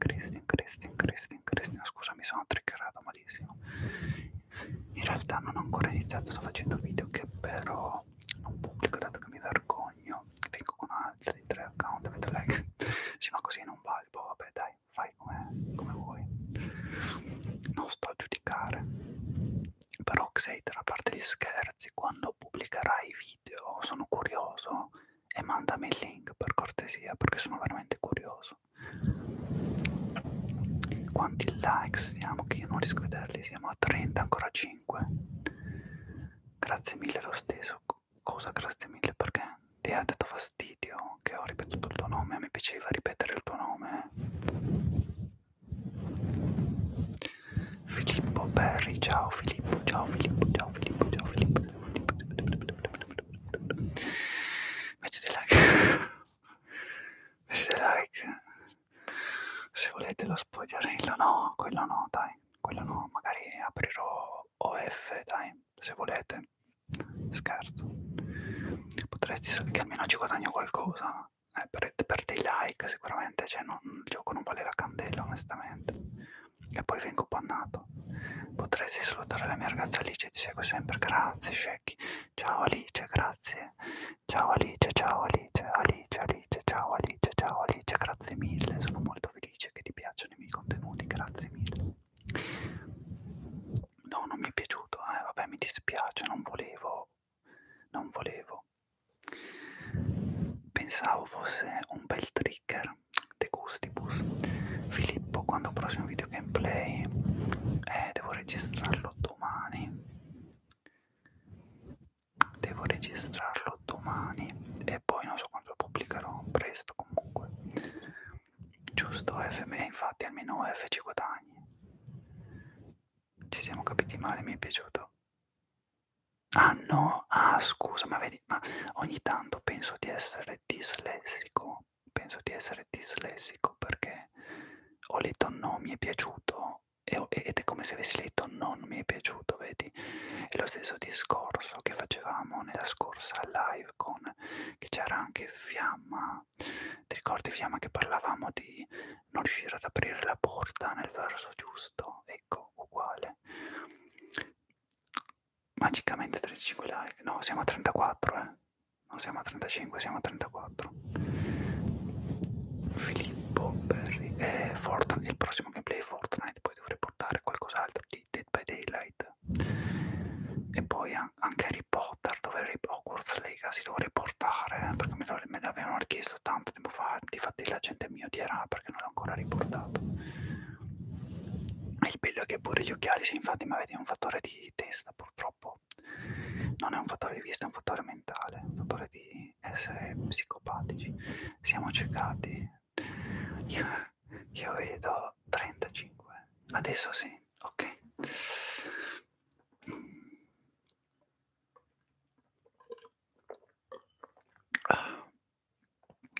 Christian Christian Christian Christian Christian scusa mi sono triggerato malissimo in realtà non ho ancora iniziato sto facendo video che però non pubblico dato che mi vergogno vengo con altri tre account vedo lei sì ma così non valgo vabbè dai fai come, come vuoi non sto a giudicare però Xate a parte gli scherzi quando pubblicherai video video, sono curioso e mandami il link per cortesia perché sono veramente curioso. Quanti like siamo? Che io non riesco a vederli, siamo a 30, ancora 5. Grazie mille lo stesso. Cosa grazie mille? Perché ti ha detto fastidio che ho ripetuto il tuo nome, mi piaceva ripetere il tuo nome. Filippo Berry, ciao Filippo, ciao Filippo, ciao Filippo, ciao Filippo. Mettete like, mettete like. Se volete lo spogliarello, no, quello no, dai, quello no, magari aprirò OF, dai, se volete. Scherzo. Potresti che almeno ci guadagno qualcosa. Eh, per, per dei like sicuramente, cioè non, il gioco non vale la candela onestamente e poi vengo bannato. Potresti salutare la mia ragazza Alice, ti seguo sempre, grazie Shaggy. Ciao Alice, grazie. Ciao Alice, ciao Alice, Alice, Alice, ciao Alice, ciao Alice, grazie mille. Sono molto felice che ti piacciono i miei contenuti, grazie mille. No, non mi è piaciuto, eh, vabbè mi dispiace, non volevo, non volevo. Pensavo fosse un bel trigger De Gustibus Filippo quando il prossimo video gameplay eh, devo registrarlo domani devo registrarlo domani e poi non so quando lo pubblicherò presto comunque giusto FM infatti almeno F ci guadagni ci siamo capiti male mi è piaciuto Ah no, ah scusa, ma vedi, ma ogni tanto penso di essere dislessico, penso di essere dislessico perché ho letto no mi è piaciuto e, ed è come se avessi letto non mi è piaciuto, vedi? È lo stesso discorso che facevamo nella scorsa live con, che c'era anche Fiamma, ti ricordi Fiamma che parlavamo di non riuscire ad aprire la porta nel verso giusto? Ecco, uguale magicamente 35 like no siamo a 34 eh non siamo a 35 siamo a 34 Filippo Berry e eh, Fortnite il prossimo gameplay Fortnite poi dovrei portare qualcos'altro di Dead by Daylight e poi anche Harry Potter dovrei, Hogwarts Legacy dovrei portare eh, perché me, lo, me l'avevano richiesto tanto tempo fa difatti la gente mi odierà perché non l'ho ancora riportato e il bello è che pure gli occhiali, sì, infatti, ma vedi, è un fattore di testa, purtroppo. Non è un fattore di vista, è un fattore mentale, è un fattore di essere psicopatici. Siamo ciecati. Io, io vedo 35. Adesso sì, ok. Ah.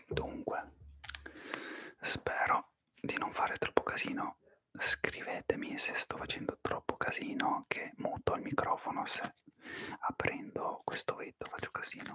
Dunque, spero di non fare troppo casino. Scrivetemi se sto facendo troppo casino, che muto il microfono se aprendo questo vetro faccio casino.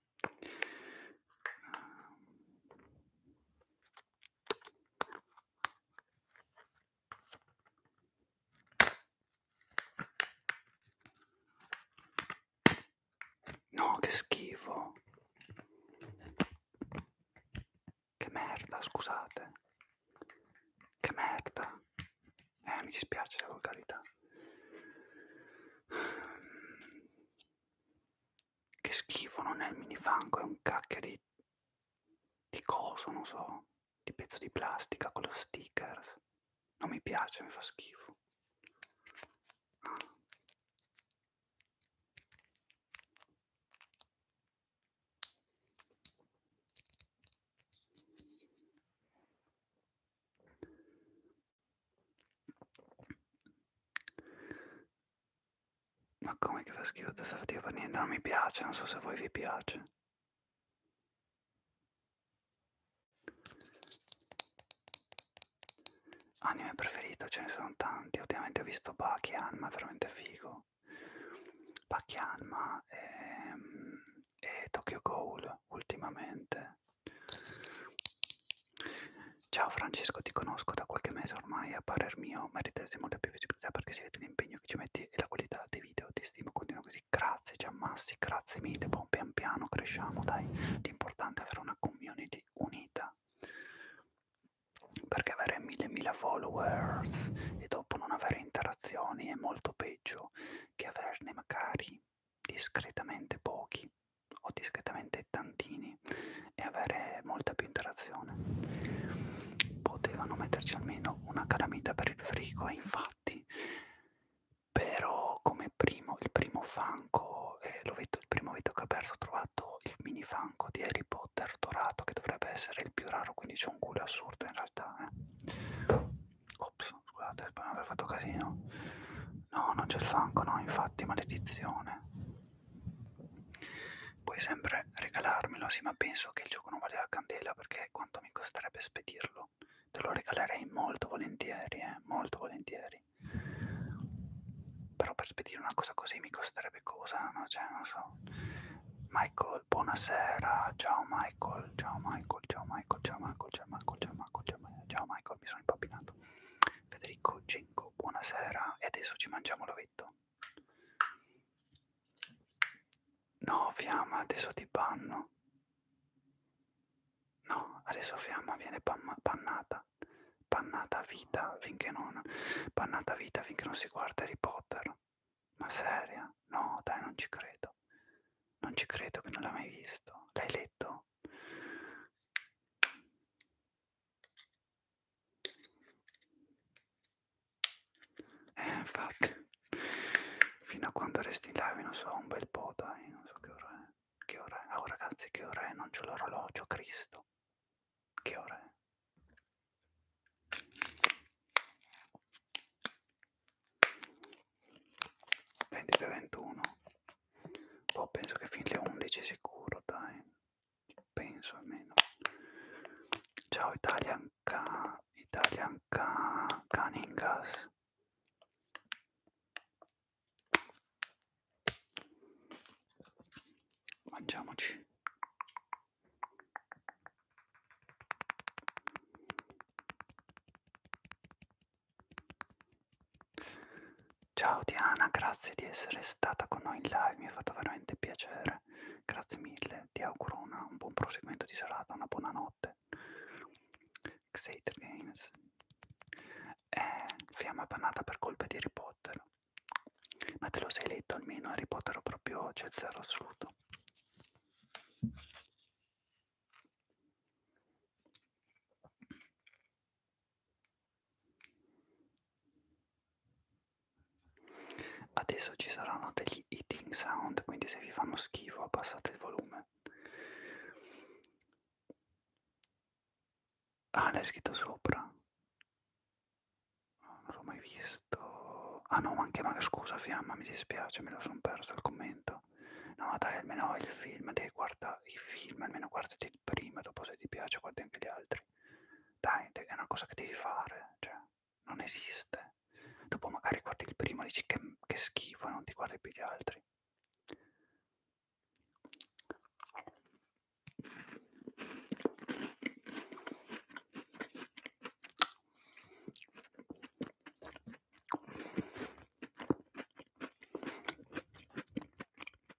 No, che schifo. Che merda, scusate. Che merda. Eh, mi dispiace la volgarità. Che schifo, non è il minifango, è un cacchio di... di coso, non so, di pezzo di plastica con lo stickers. Non mi piace, mi fa schifo. Ma come che fa schifo testa fatica per niente? Non mi piace, non so se a voi vi piace. Anime preferito, ce ne sono tanti. Ultimamente ho visto Bakian, ma è veramente figo. Bakian, ma e, ehm, e Tokyo Ghoul ultimamente. Ciao Francesco, ti conosco da qualche mese ormai, a parer mio meriteresti molta più visibilità perché si vede l'impegno che ci metti e la qualità dei video, ti stimo, continua così, grazie Giammassi, grazie mille, buon pian piano, cresciamo, dai, l'importante è avere una community unita, perché avere mille mila followers e dopo non avere interazioni è molto peggio che averne magari discretamente pochi o discretamente tantini e avere molta più interazione. Potevano metterci almeno una calamita per il frigo, e eh, infatti, però come primo, il primo fanco, eh, il primo veto che ho aperto ho trovato il mini fanco di Harry Potter dorato, che dovrebbe essere il più raro, quindi c'è un culo assurdo in realtà. Eh. Ops, scusate, spero di aver fatto casino. No, non c'è il fanco, no, infatti, maledizione. Puoi sempre regalarmelo, sì, ma penso che il gioco non vale la candela perché quanto mi costerebbe spedirlo. Te lo regalerei molto volentieri, eh, molto volentieri. Però per spedire una cosa così mi costerebbe cosa, no? Cioè, non so. Michael, buonasera. Ciao Michael, ciao Michael, ciao Michael, ciao Michael, ciao Michael, ciao Michael, ciao Michael, ciao Michael, ciao Michael. mi sono impappinato. Federico Genco, buonasera e adesso ci mangiamo l'ovetto. No, fiamma, adesso ti banno. No, adesso fiamma viene pannata. Pannata vita finché non. Pannata vita finché non si guarda Harry Potter. Ma seria? No, dai, non ci credo. Non ci credo che non l'ha mai visto. L'hai letto? Eh, infatti, fino a quando resti in live, non so, un bel po', dai, non so che ora è. Che ora è? Oh ragazzi, che ora è? Non c'ho l'orologio, Cristo. Che ora è? Vendite 21. Boh, penso che fin le 11 sicuro, dai penso almeno ciao Italian, Ca Italian Ca Caningas mangiamoci Ciao Diana, grazie di essere stata con noi in live, mi ha fatto veramente piacere. Grazie mille, ti auguro una, un buon proseguimento di serata, una buona notte. Xater Games. Eh, fiamma bannata per colpa di Harry Potter. Ma te lo sei letto almeno, Harry Potter proprio c'è zero assoluto. Adesso ci saranno degli eating sound, quindi se vi fanno schifo abbassate il volume. Ah, l'hai scritto sopra. Non l'ho mai visto. Ah no, ma anche ma scusa fiamma, mi dispiace, me lo sono perso il commento. No, dai, almeno il film, devi guardare i film, almeno guardati il primo, dopo se ti piace guardi anche gli altri dai, è una cosa che devi fare, cioè, non esiste. Dopo magari guardi il primo e dici che, che schifo e non ti guardi più gli altri.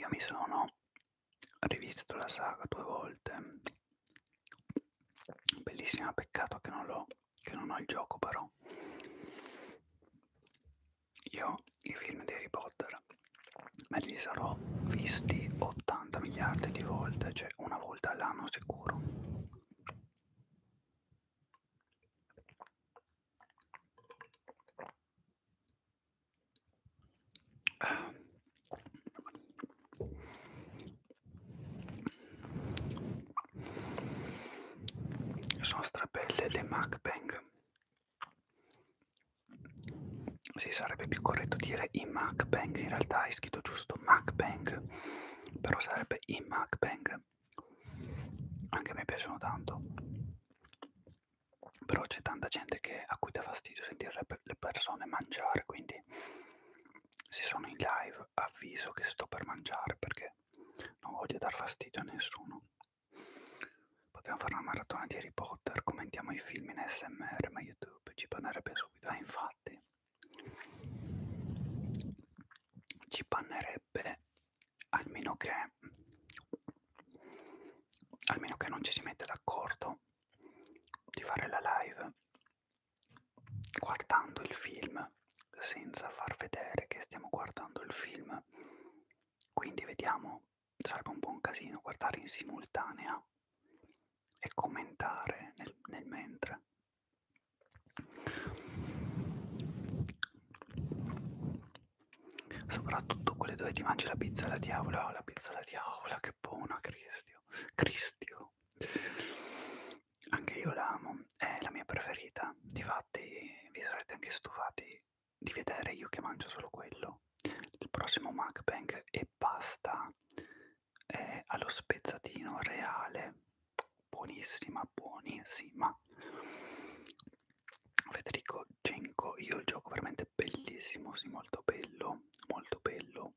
Io mi sono rivisto la saga due volte. Bellissima, peccato che non, l'ho, che non ho il gioco però. Io i film di Harry Potter me li sarò visti 80 miliardi di volte, cioè una volta all'anno sicuro. Sono strabelle le MacBang. Si sì, sarebbe più corretto dire i MacBang, in realtà hai scritto giusto MacBang, però sarebbe i MacBang che anche a me piacciono tanto però c'è tanta gente che, a cui dà fastidio sentire le persone mangiare quindi se sono in live avviso che sto per mangiare perché non voglio dar fastidio a nessuno potremmo fare una maratona di Harry Potter commentiamo i film in smr ma youtube ci bannerebbe subito ah infatti ci bannerebbe piacerebbe almeno che almeno che non ci si mette d'accordo di fare la live guardando il film senza far vedere che stiamo guardando il film quindi vediamo sarebbe un buon casino guardare in simultanea e commentare nel, nel mentre Soprattutto quelle dove ti mangi la pizza alla diavola, oh, la pizza alla diavola, che buona, Cristio. Cristio. Anche io la amo, è la mia preferita. Difatti vi sarete anche stufati di vedere io che mangio solo quello. Il prossimo mukbang e pasta è allo spezzatino reale buonissima, buonissima. Federico Genco, io il gioco veramente bellissimo, sì, molto bello, molto bello.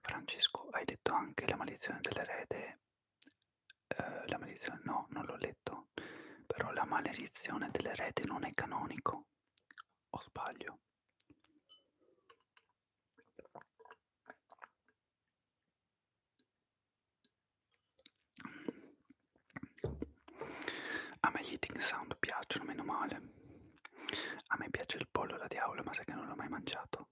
Francesco, hai detto anche la maledizione dell'erede? Eh, la maledizione, no, non l'ho letto. Però la maledizione dell'erede non è canonico. O sbaglio? A me gli eating sound piacciono, meno male. A me piace il pollo alla diavola, ma sai che non l'ho mai mangiato.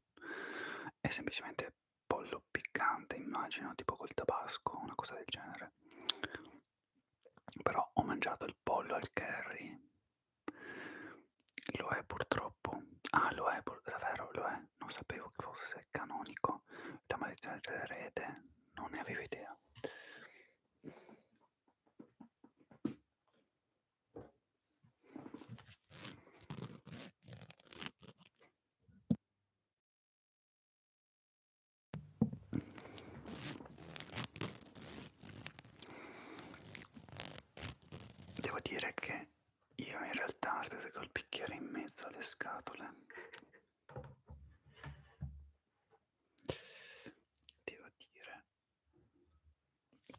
È semplicemente pollo piccante, immagino, tipo col tabasco, una cosa del genere. Però ho mangiato il pollo al curry. Lo è purtroppo. Ah, lo è, davvero lo è. Non sapevo che fosse è canonico, la maledizione dell'erede non ne avevo idea. Devo dire che io in realtà aspetta col bicchiere in mezzo alle scatole. Devo dire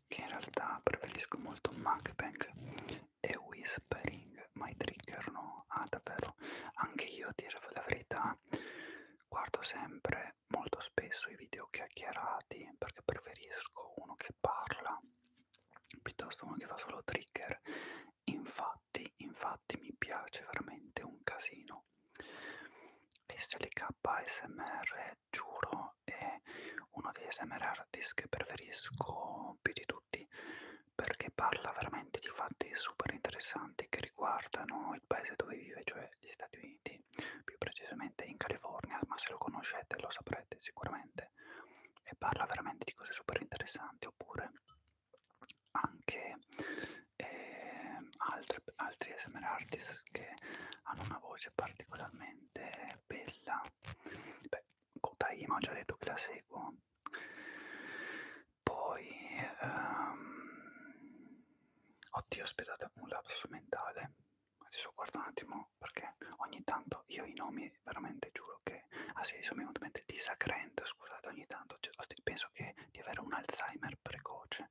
che in realtà preferisco molto Macbank e Whispering, ma i trigger no. Ah davvero, anche io a dire la verità guardo sempre molto spesso i video chiacchierati perché preferisco uno che parla piuttosto uno che fa solo trigger Infatti, infatti mi piace veramente un casino. E se l'IKSMR, giuro, è uno dei SMR artist che preferisco più di tutti perché parla veramente di fatti super interessanti che riguardano il paese dove vive, cioè gli Stati Uniti, più precisamente in California, ma se lo conoscete lo saprete sicuramente, e parla veramente di cose super interessanti, oppure anche eh, altre, altri ASMR artist che hanno una voce particolarmente bella. Beh, Kotaima ho già detto che la seguo. Poi um, oddio aspettate un lapso mentale adesso guarda un attimo perché ogni tanto io i nomi quindi veramente giuro che ah sì, sono venuto disacrente, scusate ogni tanto, cioè, penso che di avere un Alzheimer precoce.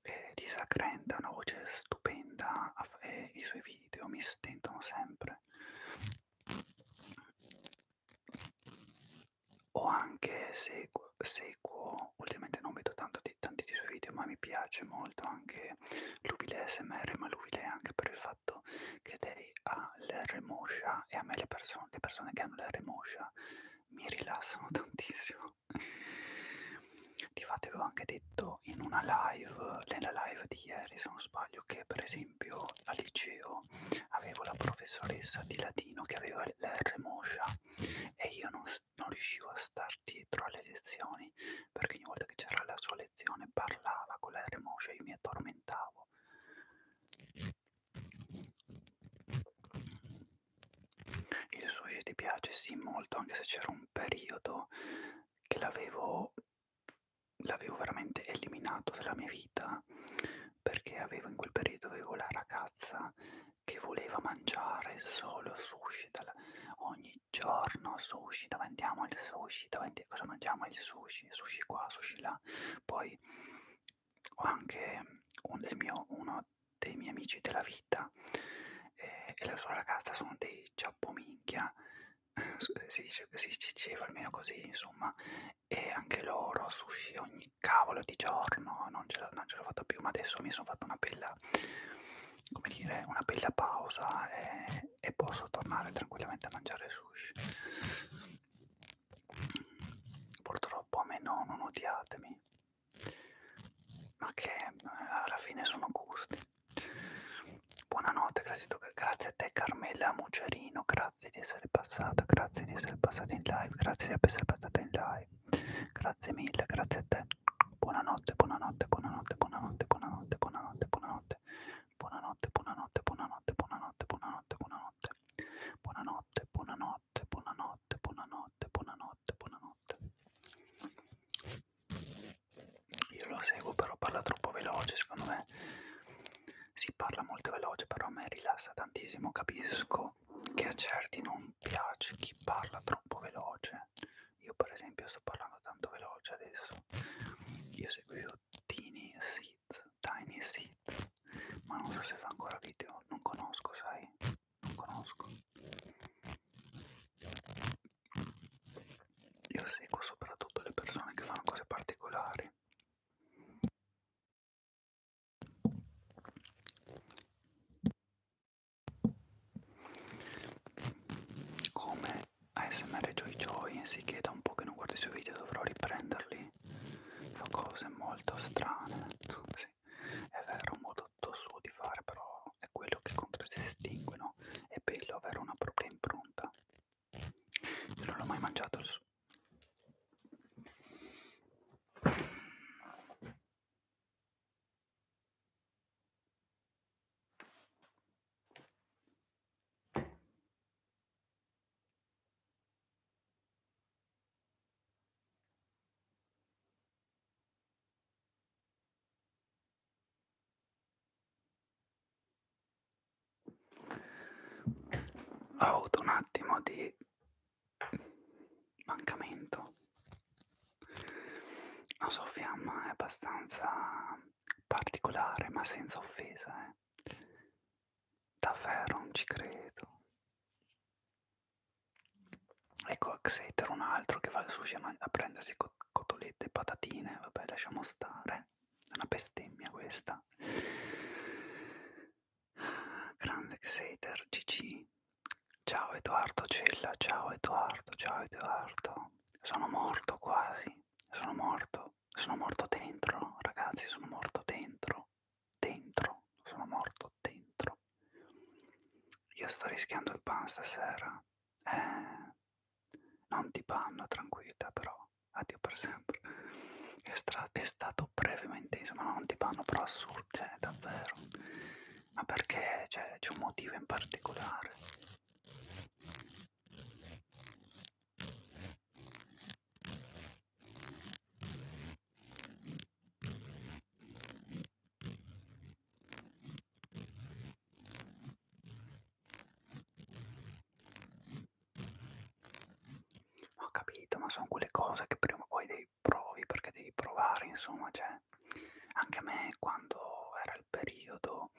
E disacrente, ha una voce stupenda e i suoi video mi stentano sempre. O anche seguo, seguo ultimamente non vedo tanto di, tanti dei suoi video, ma mi piace molto anche Luvile SMR, ma Luvile anche per il fatto fatto che lei ha l'R moscia e a me le persone, le persone che hanno l'R moscia mi rilassano tantissimo. Di fatto avevo anche detto in una live, nella live di ieri se non sbaglio, che per esempio al liceo avevo la professoressa di latino che aveva l'R moscia e io non, non riuscivo a star dietro alle lezioni perché ogni volta che c'era la sua lezione parlava con l'R moscia e io mi addormentavo il sushi ti piace? Sì, molto, anche se c'era un periodo che l'avevo l'avevo veramente eliminato dalla mia vita perché avevo in quel periodo avevo la ragazza che voleva mangiare solo sushi dal, ogni giorno sushi, dove andiamo il sushi, dove andiamo, cosa mangiamo il sushi sushi, sushi qua, sushi là. Poi ho anche un, mio, uno dei miei amici della vita eh, e la sua ragazza sono dei giappominchia, si, si, si diceva almeno così, insomma, e anche loro sushi ogni cavolo di giorno, non ce l'ho fatta più, ma adesso mi sono fatta una bella come dire, una bella pausa, eh, bene e posso tornare tranquillamente a mangiare sushi. Purtroppo a me no, non odiatemi, ma che eh, alla fine sono gusti. Buonanotte, grazie a te Carmela Mucerino, grazie di essere passata, grazie di essere passata in live, grazie di essere passata in live, grazie mille, grazie a te. Buonanotte, buonanotte, buonanotte, buonanotte, buonanotte, buonanotte, buonanotte. Buonanotte, buonanotte, buonanotte, buonanotte, buonanotte, buonanotte. Buonanotte, buonanotte, buonanotte, buonanotte, buonanotte, buonanotte. Io lo seguo, però parla troppo veloce, secondo me. Si parla molto veloce, però a me rilassa tantissimo. Capisco che a certi non piace chi parla troppo veloce. Io per esempio sto parlando tanto veloce adesso. Io seguo Tini, sì, Seat, Tiny Seat, ma non so se fa ancora video, non conosco, sai, non conosco. Io seguo soprattutto le persone che fanno cose particolari. Come ASMR Joy Joy, sì che da un po' che non guardo i suoi video dovrò riprenderli, fa cose molto strane, sì, è vero un modo suo di fare però è quello che contraddistingue, no? È bello avere una propria impronta, io non l'ho mai mangiato il suo. Ho avuto un attimo di mancamento. La sua fiamma è abbastanza particolare ma senza offesa. Eh. Davvero non ci credo. Ecco Xater un altro che va al sushi a prendersi cotolette e patatine, vabbè lasciamo stare, è una bestemmia questa. Grande Xater, GG. Ciao Edoardo Cella, ciao Edoardo, ciao Edoardo. Sono morto quasi, sono morto sono morto dentro, ragazzi, sono morto dentro, dentro, sono morto dentro. Io sto rischiando il pan stasera. Eh, non ti panno, tranquilla, però, addio per sempre. È, è stato brevemente, insomma, non ti panno, però assurdo, cioè, davvero. Ma perché? Cioè, c'è un motivo in particolare. Ho capito, ma sono quelle cose che prima o poi devi provi perché devi provare, insomma, cioè, anche a me quando era il periodo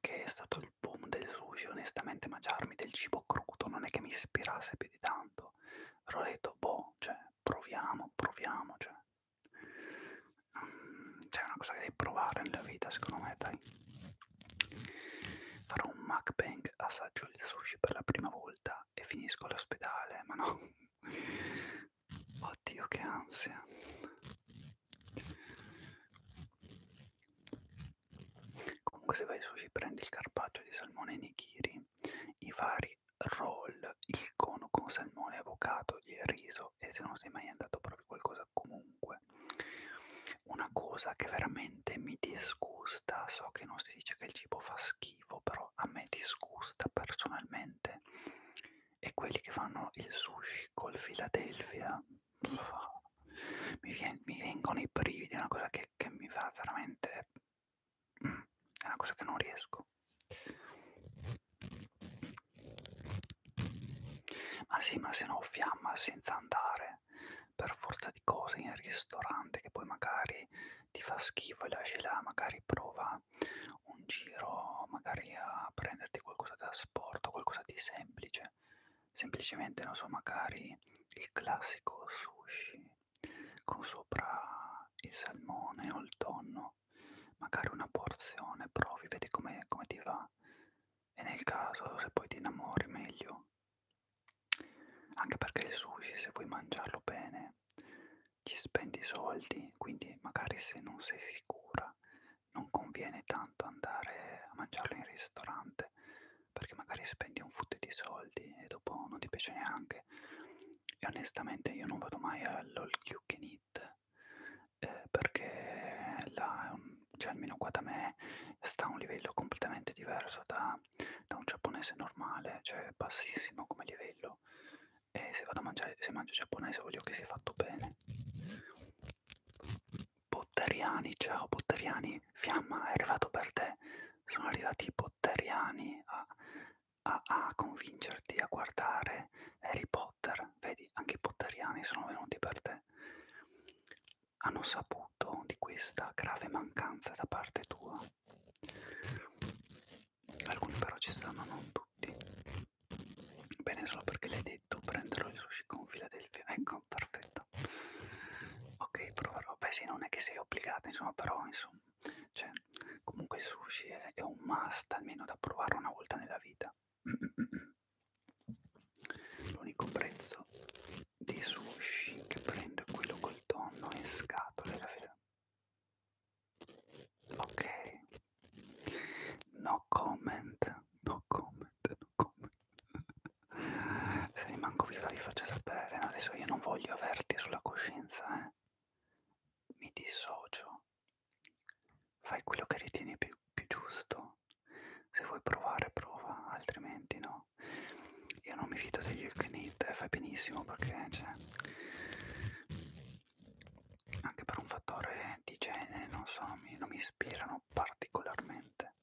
che è stato il boom del sushi, onestamente mangiarmi del cibo crudo non è che mi ispirasse più di tanto. Però ho detto, boh, cioè, proviamo, proviamo, cioè. Mm, cioè, è una cosa che devi provare nella vita, secondo me, dai. Farò un mukbang, assaggio il sushi per la prima volta e finisco all'ospedale, ma no. Oddio, che ansia. Comunque se vai sushi prendi il carpaccio di salmone nigiri, i vari roll, il cono con salmone, avocado e riso e se non sei mai andato proprio qualcosa comunque. Una cosa che veramente mi disgusta, so che non si dice che il cibo fa schifo, però a me disgusta personalmente, è quelli che fanno il sushi col Philadelphia mi, vien, mi vengono i brividi, è una cosa che, che mi fa veramente... Mm, è una cosa che non riesco. Ma sì, ma se no fiamma senza andare per forza di cose in ristorante che poi magari ti fa schifo e lasci là, magari prova un giro, magari a prenderti qualcosa da sport o qualcosa di semplice, semplicemente non so magari il classico sushi con sopra il salmone o il tonno magari una porzione provi vedi come com ti va e nel caso se poi ti innamori meglio anche perché il sushi se vuoi mangiarlo bene ci spendi soldi quindi magari se non sei sicura non conviene tanto andare a mangiarlo in ristorante perché magari spendi un fotte di soldi e dopo non ti piace neanche e onestamente io non vado mai all'all you can eat eh, perché là, cioè almeno qua da me sta a un livello completamente diverso da, da un giapponese normale cioè bassissimo come livello e se vado a mangiare se mangio giapponese voglio che sia fatto bene Botteriani, ciao Botteriani, fiamma è arrivato per te. Sono arrivati i Botteriani a, a, a convincerti a guardare Harry Potter. Vedi, anche i Botteriani sono venuti per te. Hanno saputo di questa grave mancanza da parte tua. Alcuni però ci stanno, non tutti. Bene, solo perché l'hai detto, prenderò il sushi con fila del Ecco, perfetto puntata. Ok, proverò. Beh, sì, non è che sei obbligato, insomma, però, insomma, cioè, comunque il sushi è, è un must almeno da provare una volta nella vita. L'unico prezzo di sushi che prendo è quello col tonno in scatole, la fila. Ok, no comment, no comment, no comment. se rimango viva vi faccio sapere, adesso io non voglio averti sulla coscienza, eh. mi dissocio, fai quello che ritieni più, più giusto, se vuoi provare prova, altrimenti no. Io non mi fido degli Eucanid, eh, fai benissimo perché cioè, anche per un fattore di genere, non so, mi, non mi ispirano piacciono particolarmente.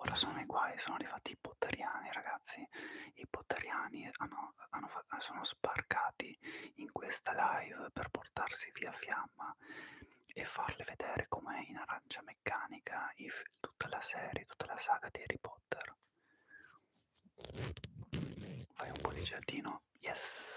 Ora sono i guai, sono arrivati i potteriani ragazzi, i potteriani hanno, hanno, sono sbarcati in questa live per portarsi via fiamma e farle vedere com'è in arancia meccanica if, tutta la serie, tutta la saga di Harry Potter. Fai un po' di giardino, yes!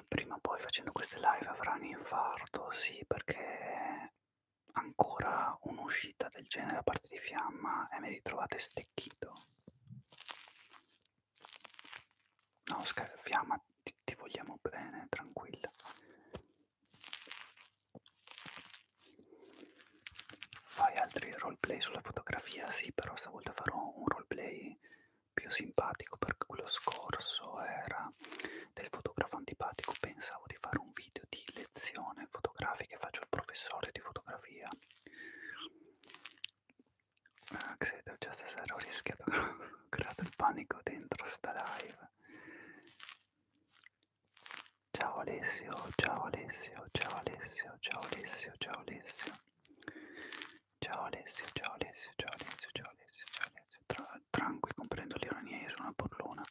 prima o poi facendo queste live avrà un infarto, sì, perché ancora un'uscita del genere a parte di fiamma e mi ritrovate stecchito. No, Scar fiamma, ti, ti vogliamo bene, tranquilla. Fai altri roleplay sulla fotografia? Sì, però stavolta farò un roleplay più simpatico perché quello scorso era della, del fotografo antipatico pensavo di fare un video di lezione fotografica, faccio il professore di fotografia. Uh, ah, Xeter, già stasera ho rischiato, ho creato il panico dentro sta live. Ciao Alessio, ciao Alessio, ciao Alessio, ciao Alessio, ciao Alessio. Ciao Alessio, ciao Alessio, ciao Alessio, ciao Alessio, ciao Alessio tra, tranqui, comprendo l'ironia, io sono una burlona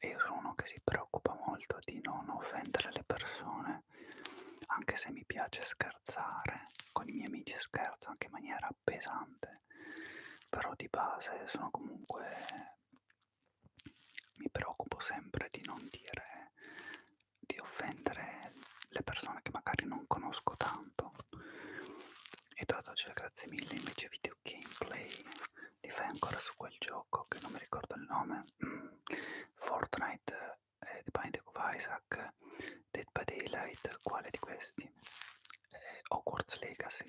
e io sono uno che si preoccupa molto di non offendere le persone, anche se mi piace scherzare, con i miei amici scherzo anche in maniera pesante, però di base sono comunque... Mi preoccupo sempre di non dire, di offendere le persone che magari non conosco tanto e tu ad oggi la grazie mille invece video gameplay li fai ancora su quel gioco che non mi ricordo il nome mm. Fortnite eh, The Binding of Isaac Dead by Daylight quale di questi? Eh, Hogwarts Legacy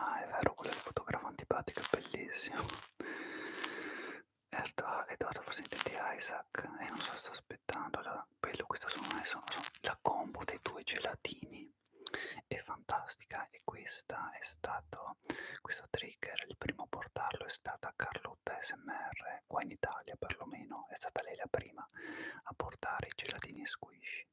Ah, è vero, quello del fotografo antipatico è bellissimo. Edoardo forse intendi Isaac e eh, non so sto aspettando allora bello questa sono, eh, sono, sono la combo dei due gelatini è fantastica e questa è stato questo trigger il primo a portarlo è stata Carlotta SMR qua in Italia perlomeno è stata lei la prima a portare i gelatini squishy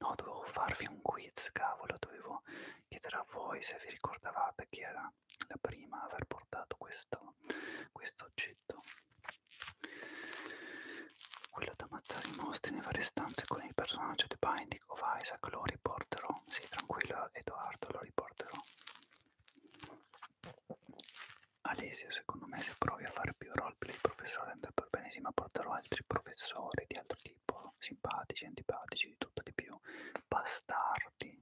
no dovevo farvi un quiz cavolo dovevo Chiederò a voi se vi ricordavate chi era la prima a aver portato questo, questo oggetto. Quello da ammazzare i mostri nelle varie stanze con il personaggio The Binding of Isaac lo riporterò. Sì, tranquillo Edoardo, lo riporterò. Alesio, secondo me se provi a fare più roleplay il professore andrà per benissimo, porterò altri professori di altro tipo tipo simpatici, antipatici, di tutto di più, bastardi.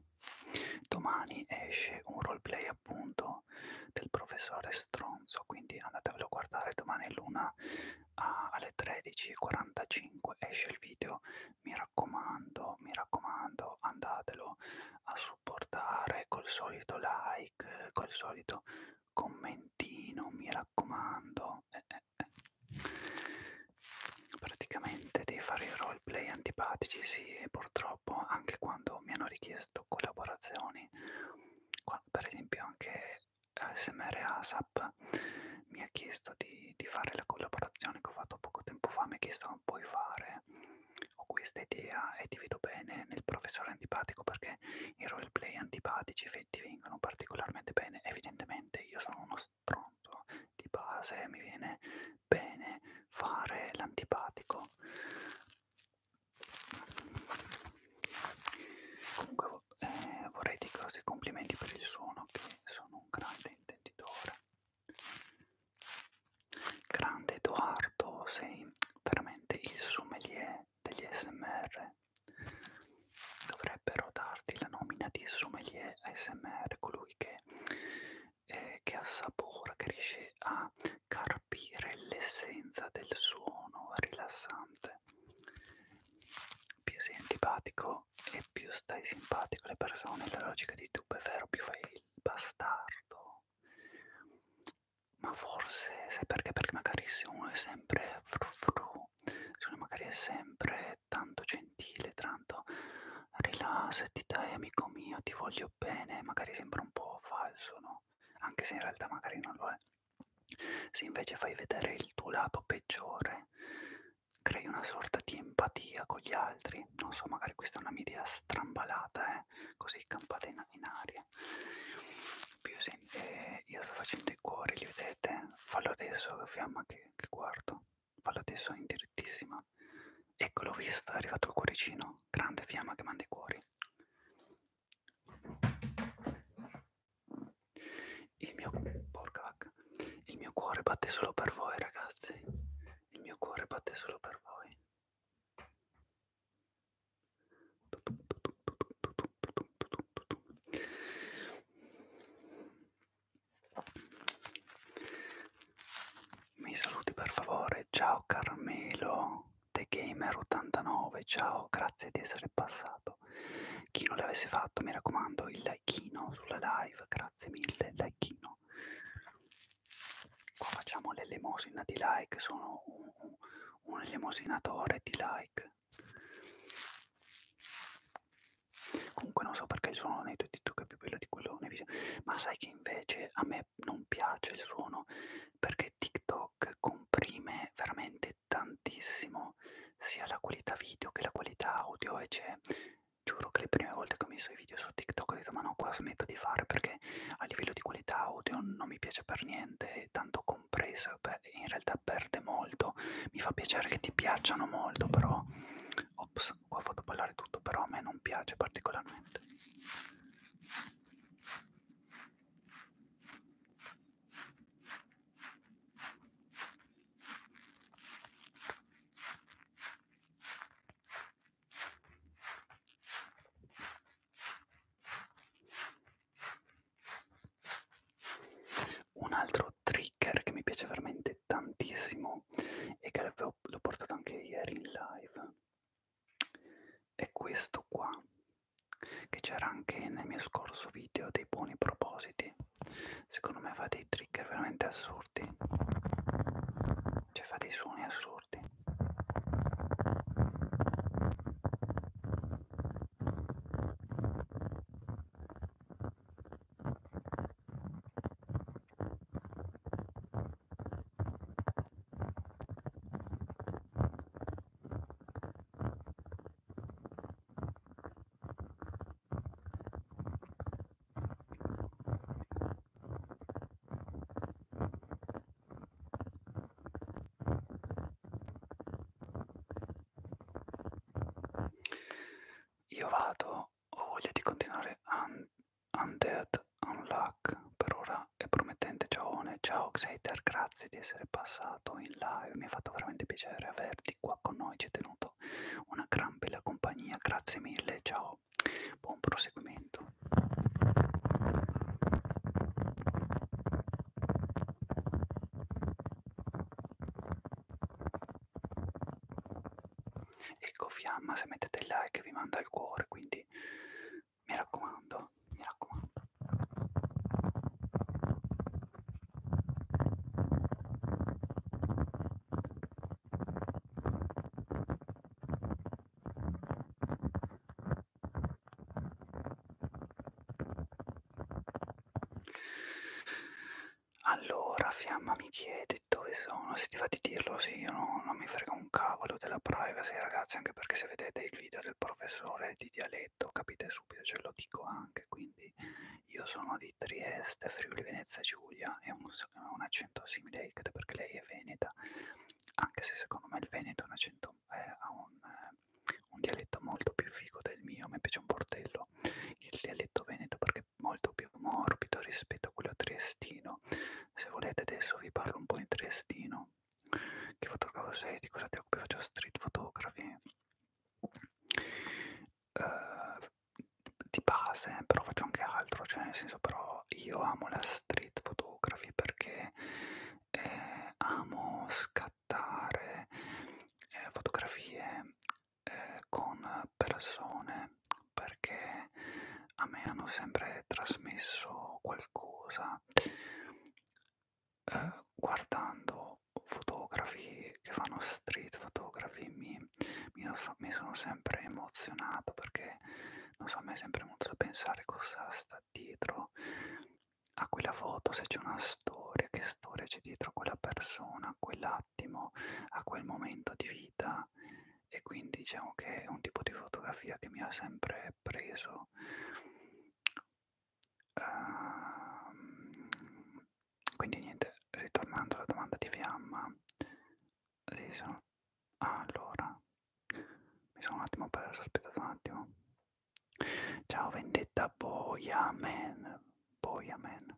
Domani esce un roleplay appunto del professore Stronzo, quindi andatevelo a guardare domani l'una alle 13.45 esce il video, mi raccomando, mi raccomando, andatelo a supportare col solito like, col solito commentino, mi raccomando. Eh, eh praticamente devi fare i roleplay antipatici, sì, e purtroppo anche quando mi hanno richiesto collaborazioni, per esempio anche ASMR ASAP mi ha chiesto di, di fare la collaborazione che ho fatto poco tempo fa, mi ha chiesto puoi fare, ho questa idea e ti vedo bene nel professore antipatico perché i roleplay antipatici ti vengono particolarmente bene, evidentemente io sono uno stronzo di base mi viene bene fare l'antipatico comunque eh, vorrei dire i complimenti per il suono che sono un grande intenditore grande Edoardo sei veramente il sommelier degli smr dovrebbero darti la nomina di sommelier ASMR, colui che, eh, che assapora, che riesce a carpire l'essenza del suono rilassante. Più sei antipatico e più stai simpatico alle persone, la logica di YouTube è vero, più fai il bastardo. Ma forse, sai perché? Perché magari se uno è sempre fru fru, se uno magari è sempre è tanto gentile, tanto rilassati dai amico mio, ti voglio bene, magari sembra un po' falso, no? Anche se in realtà magari non lo è. Se invece fai vedere il tuo lato peggiore, crei una sorta di empatia con gli altri. Non so, magari questa è una mia idea strambalata, eh? così campata in, in aria. Più se, eh, io sto facendo i cuori, li vedete? Fallo adesso, fiamma che, che guardo. Fallo adesso in direttissima. Ecco, l'ho vista, è arrivato il cuoricino. Grande fiamma che manda i cuori. Il mio, porca vacca. Il mio cuore batte solo per voi, ragazzi. Il mio cuore batte solo per voi. Mi saluti per favore, ciao Carmelo, The Gamer 89, ciao, grazie di essere passato. Chi non l'avesse fatto, mi raccomando, il likeino sulla live, grazie mille, likeino. Qua facciamo l'elemosina di like, sono un, un elemosinatore di like. Comunque non so perché il suono nei tuoi TikTok è più bello di quello nei video. Ma sai che invece a me non piace il suono perché TikTok comprime veramente tantissimo sia la qualità video che la qualità audio e c'è giuro che le prime volte che ho messo i video su TikTok ho detto ma no qua smetto di fare perché a livello di qualità audio non mi piace per niente, tanto compreso, beh, in realtà perde molto, mi fa piacere che ti piacciono molto però ops Box, qua fatto ballare tutto, però a me non piace particolarmente. Un altro tri speaker che mi piace veramente tantissimo e che l'ho portato anche ieri in live è questo qua che c'era anche nel mio scorso video dei buoni propositi secondo me fa dei trigger veramente assurdi cioè fa dei suoni assurdi io vado ho voglia di continuare un Undead Unluck, per ora è promettente giovane. Ciao Xater, grazie di essere passato in live, mi ha fatto veramente piacere averti qua con noi, ci hai tenuto una gran bella compagnia, grazie mille, ciao, buon proseguimento. Ecco fiamma, se mettete il like vi manda il cuore, quindi mi raccomando, mi raccomando. Allora, Fiamma mi chiede dove sono, se ti va di dirlo, sì, io no, non mi frega un cavolo della privacy, ragazzi, anche perché se vedete il video del professore di dialetto capite subito, ce lo dico anche, quindi io sono di Trieste, Friuli Venezia Giulia, e un, un accento simile a Icte perché lei è veneta, anche se secondo me il Veneto un accento, eh, ha un, eh, un dialetto molto più figo del mio, mi piace un bordello il dialetto veneto perché che è molto più morbido rispetto a quello triestino. Se volete adesso vi parlo un po' in triestino. Che fotografo sei? Di cosa ti occupi? Faccio street photography. Uh, di base, però faccio anche altro, cioè nel senso però io amo la street photography perché eh, amo scattare eh, fotografie eh, con persone perché a me hanno sempre trasmesso qualcosa eh, guardando fotografi che fanno street photography mi, mi, so, mi sono sempre emozionato perché non so, a me è sempre molto da pensare cosa sta dietro a quella foto, se c'è una storia, che storia c'è dietro a quella persona, a quell'attimo, a quel momento di vita vita e quindi diciamo che è un tipo di fotografia che mi ha sempre preso uh, quindi niente ritornando alla domanda di fiamma sì, sono... ah, allora mi sono un attimo perso aspettate un attimo ciao vendetta boia man boia man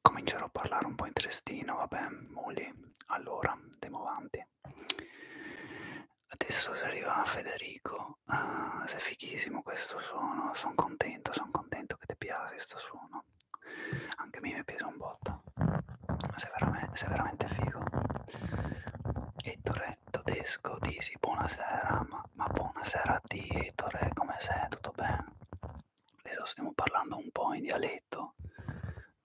comincerò a parlare un po' in trestino, vabbè, muli, allora, andiamo avanti. Adesso si arriva Federico, ah, sei fighissimo questo suono, sono contento, sono contento che ti piace questo suono. Anche a me mi piace un botto, sei veramente, sei veramente figo. Ettore Tedesco, Disi, buonasera, ma, ma buonasera a te Ettore, come sei, tutto bene? adesso stiamo parlando un po' in dialetto,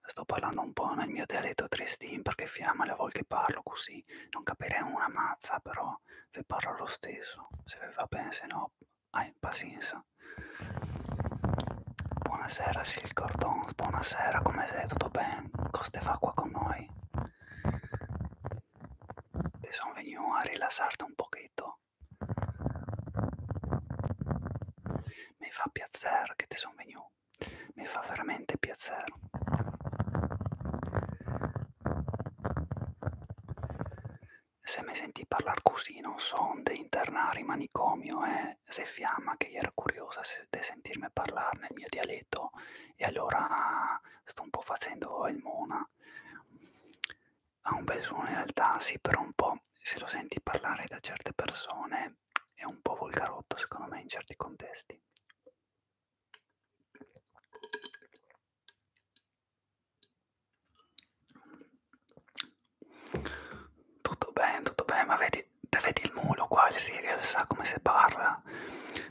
sto parlando un po' nel mio dialetto tristin perché fiamma le volte che parlo così, non capirei una mazza però vi parlo lo stesso, se vi va bene se no hai pazienza. Buonasera Sil Cordons, buonasera, come sei? Tutto bene? Cosa fa qua con noi? Ti sono venuto a rilassarti un pochetto mi fa piacere che ti sono venuto, mi fa veramente piacere. Se mi senti parlare così, non so onde internare in manicomio e eh? se fiamma che era curiosa di sentirmi parlare nel mio dialetto e allora ah, sto un po' facendo il mona. Ha un bel suono in realtà, sì, però un po' però se lo senti parlare da certe persone è un po' volgarotto secondo me in certi contesti. Tutto bene, tutto bene, ma vedi, te vedi il mulo qua, il Serial sa come si parla.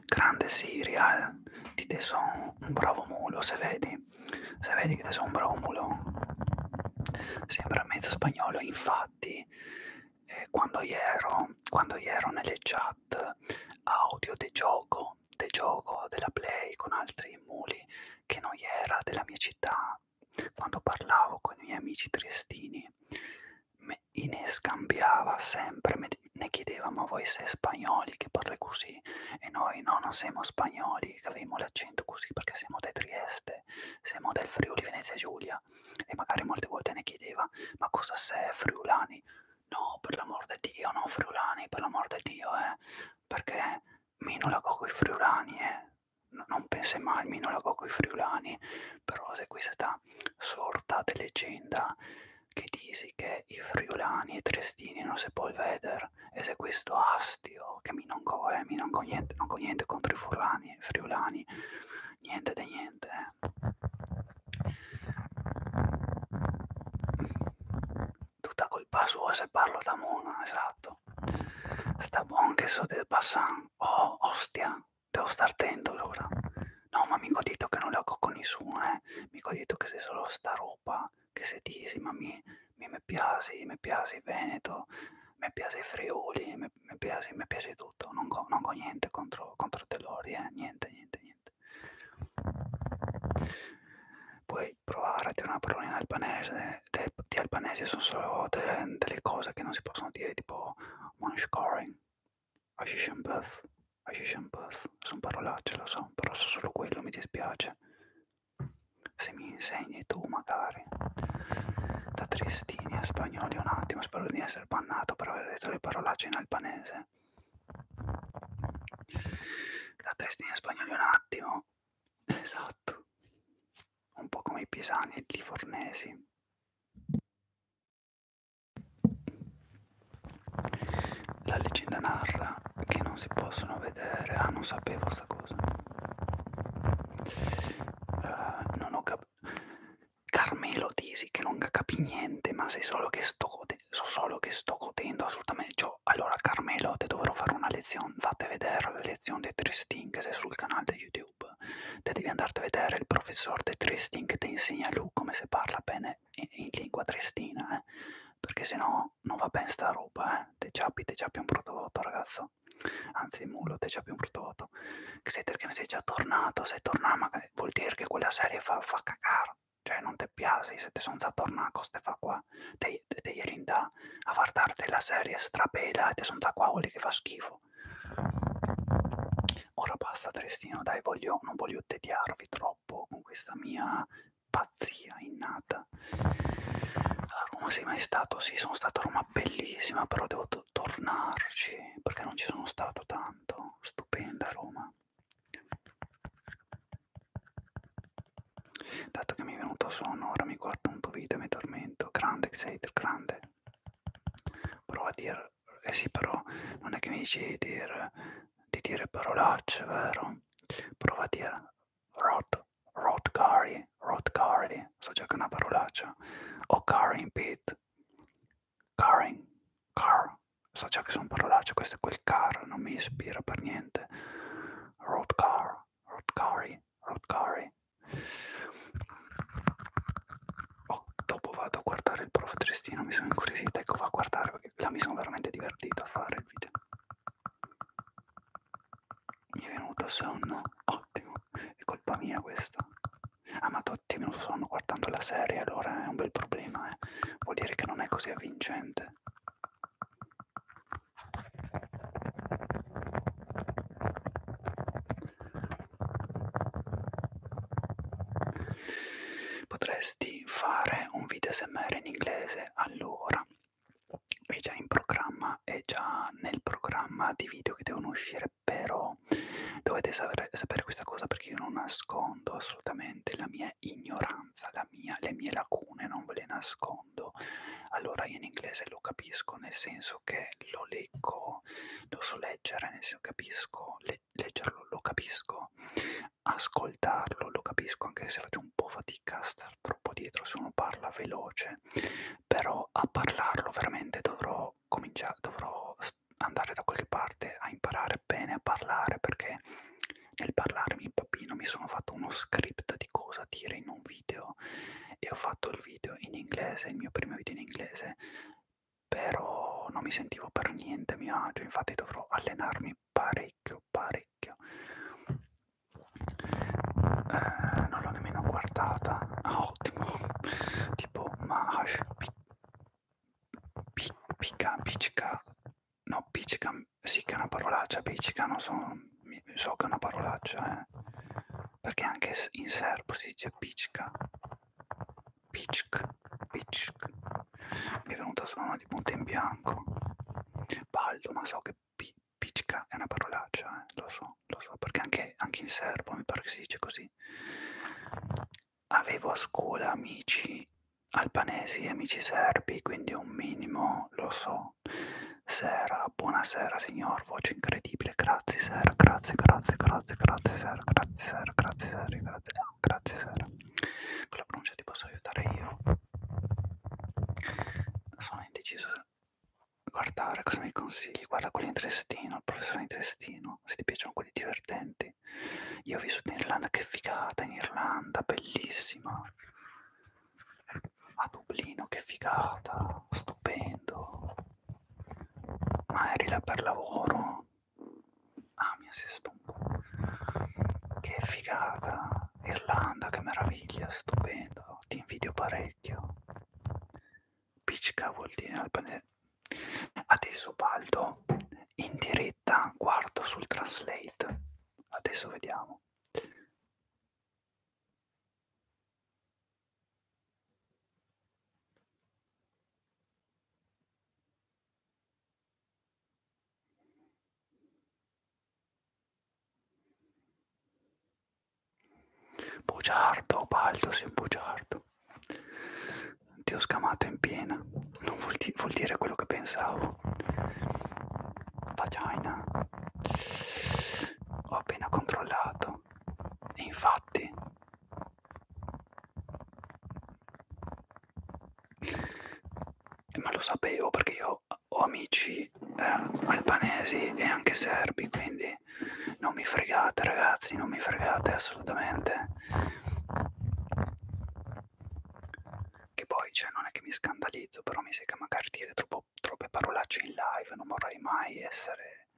Grande Serial, di te sono un bravo mulo, se vedi. Se vedi che te sono un bravo mulo. Sembra mezzo spagnolo, infatti, eh, quando, io ero, quando io ero nelle chat audio di gioco, de gioco della Play con altri muli che non era della mia città, quando parlavo con i miei amici triestini, me ne scambiava sempre, me ne chiedeva ma voi siete spagnoli che parlate così? E noi no, non siamo spagnoli, che avevamo l'accento così perché siamo di Trieste se, siamo del Friuli Venezia Giulia e magari molte volte ne chiedeva ma cosa sei friulani? No, per l'amor di Dio, no friulani, per l'amor di Dio, eh, perché minolago con i friulani, eh. Non pensi mai al minolago con i friulani, però se qui questa sorta di leggenda che dici che i friulani e i trestini non si può vedere e se questo ha astio, che mi non co, eh, mi non co niente, non co niente contro i furlani, friulani, niente di niente. Eh. Tutta colpa sua se parlo da mona, esatto. Sta buon che so del passan. Oh, ostia, devo star attento allora. No, ma mi ho detto che non le ho con nessuno, eh. Mi ho detto che se solo sta roba che se dici, ma mi mi, mi piace, mi piace il Veneto, mi piace il Friuli, mi, mi, piace, mi piace tutto, non ho co, co niente contro, contro Telori, eh. niente, niente, niente. Puoi provare a dire una parola in albanese, de, di albanese sono solo de, delle cose che non si possono dire, tipo Monshcoring, Ashishenbuff, Ashishenbuff, sono parolacce, lo so, però so solo quello, mi dispiace se mi insegni tu magari da tristini a spagnoli un attimo spero di essere bannato per aver detto le parolacce in albanese da tristini a spagnoli un attimo esatto un po' come i pisani e i livornesi la leggenda narra che non si possono vedere ah non sapevo questa cosa uh, non ho capito Carmelo Tisi che non capi niente ma sei solo che sto godendo so solo che sto godendo assolutamente cioè, allora Carmelo te dovrò fare una lezione vate a vedere la lezione dei Tristin che sei sul canale di YouTube te devi andarti a vedere il professor dei Tristin che ti insegna lui come si parla bene in, in lingua tristina eh perché se no non va bene sta roba eh te ciappi te ciappi un prodotto ragazzo prodotto anzi Mulot è già più un prodotto che sei, perché sei già tornato sei tornato magari vuol dire che quella serie fa, fa cagare cioè non ti piace se ti sono già tornato queste fa qua te, te, te ieri da a guardarti la serie strapela e ti sono già qua vuol dire che fa schifo ora basta Trestino dai voglio, non voglio tediarvi troppo con questa mia pazzia innata come sei mai stato? Sì, sono stato a Roma bellissima, però devo tornarci perché non ci sono stato tanto. Stupenda Roma. Dato che mi è venuto sonno, ora mi guardo un tuo video e mi tormento. Grande, Xater, grande. Prova a dire... Eh sì, però non è che mi dici di dire, di dire parolacce, vero? Prova a dire rot Rod Curry, Rod Curry, so già che è una parolaccia, o Curry Pit, Curry, Car, so già che sono parolacce, questo è quel car, non mi ispira per niente, Rod Car, Rod Curry, Rod Curry. Oh, dopo vado a guardare il prof Tristino, mi sono incuriosita, ecco va a guardare perché là mi sono veramente divertito a fare il video. Mi è venuto sonno, ottimo, è colpa mia questo. Ah ma tutti non sono guardando la serie, allora è un bel problema, eh. Vuol dire che non è così avvincente. Potresti fare un video SMR in inglese allora è già in programma, è già nel programma di video che devono uscire, però dovete sapere, sapere questa cosa perché io non nascondo assolutamente la mia ignoranza, la mia, le mie lacune, non ve le nascondo. Allora io in inglese lo capisco, nel senso che lo leggo, lo so leggere, nel senso capisco, le, leggerlo lo capisco, ascoltarlo lo capisco, anche se faccio un po' fatica a star troppo dietro se uno parla veloce, però a parlarlo veramente dovrò cominciare, dovrò andare da qualche parte a imparare bene a parlare perché nel parlarmi in papino mi sono fatto uno script di cosa dire in un video e ho fatto il video in inglese, il mio primo video in inglese, però non mi sentivo per niente a mio agio, infatti dovrò allenarmi parecchio, parecchio eh, non l'ho nemmeno guardata ah ottimo tipo Mahash picca piccica no piccica sì che è una parolaccia piccica non so, so che è una parolaccia eh. perché anche in serbo si dice piccica piccica piccica mi è venuta solo una di punto in bianco baldo ma so che Picca è una parolaccia, eh? lo so, lo so, perché anche, anche in serbo mi pare che si dice così. Avevo a scuola amici albanesi e amici serbi, quindi un minimo, lo so. Sera, buonasera signor, voce incredibile, grazie sera, grazie, grazie, grazie, grazie sera, grazie sera, grazie sera, grazie, grazie, grazie sera. Con la pronuncia ti posso aiutare io? Sono indeciso guardare cosa mi consigli guarda quelli in Trestino il professore in Trestino se ti piacciono quelli divertenti io ho vissuto in Irlanda che figata in Irlanda bellissima a Dublino che figata stupendo ma eri là per lavoro ah mi assisto un po' che figata Irlanda che meraviglia stupendo ti invidio parecchio Picca vuol dire in albanese. Adesso Baldo in diretta guardo sul translate. Adesso vediamo. Bugiardo, Baldo, sei un bugiardo. Ti ho scamato in piena, non vuol, di vuol dire quello che pensavo. Vagina. Ho appena controllato. E infatti... Ma lo sapevo perché io ho amici eh, albanesi e anche serbi, quindi non mi fregate ragazzi non mi fregate assolutamente che poi cioè non è che mi scandalizzo però mi sembra magari dire troppo, troppe parolacce in live non vorrei mai essere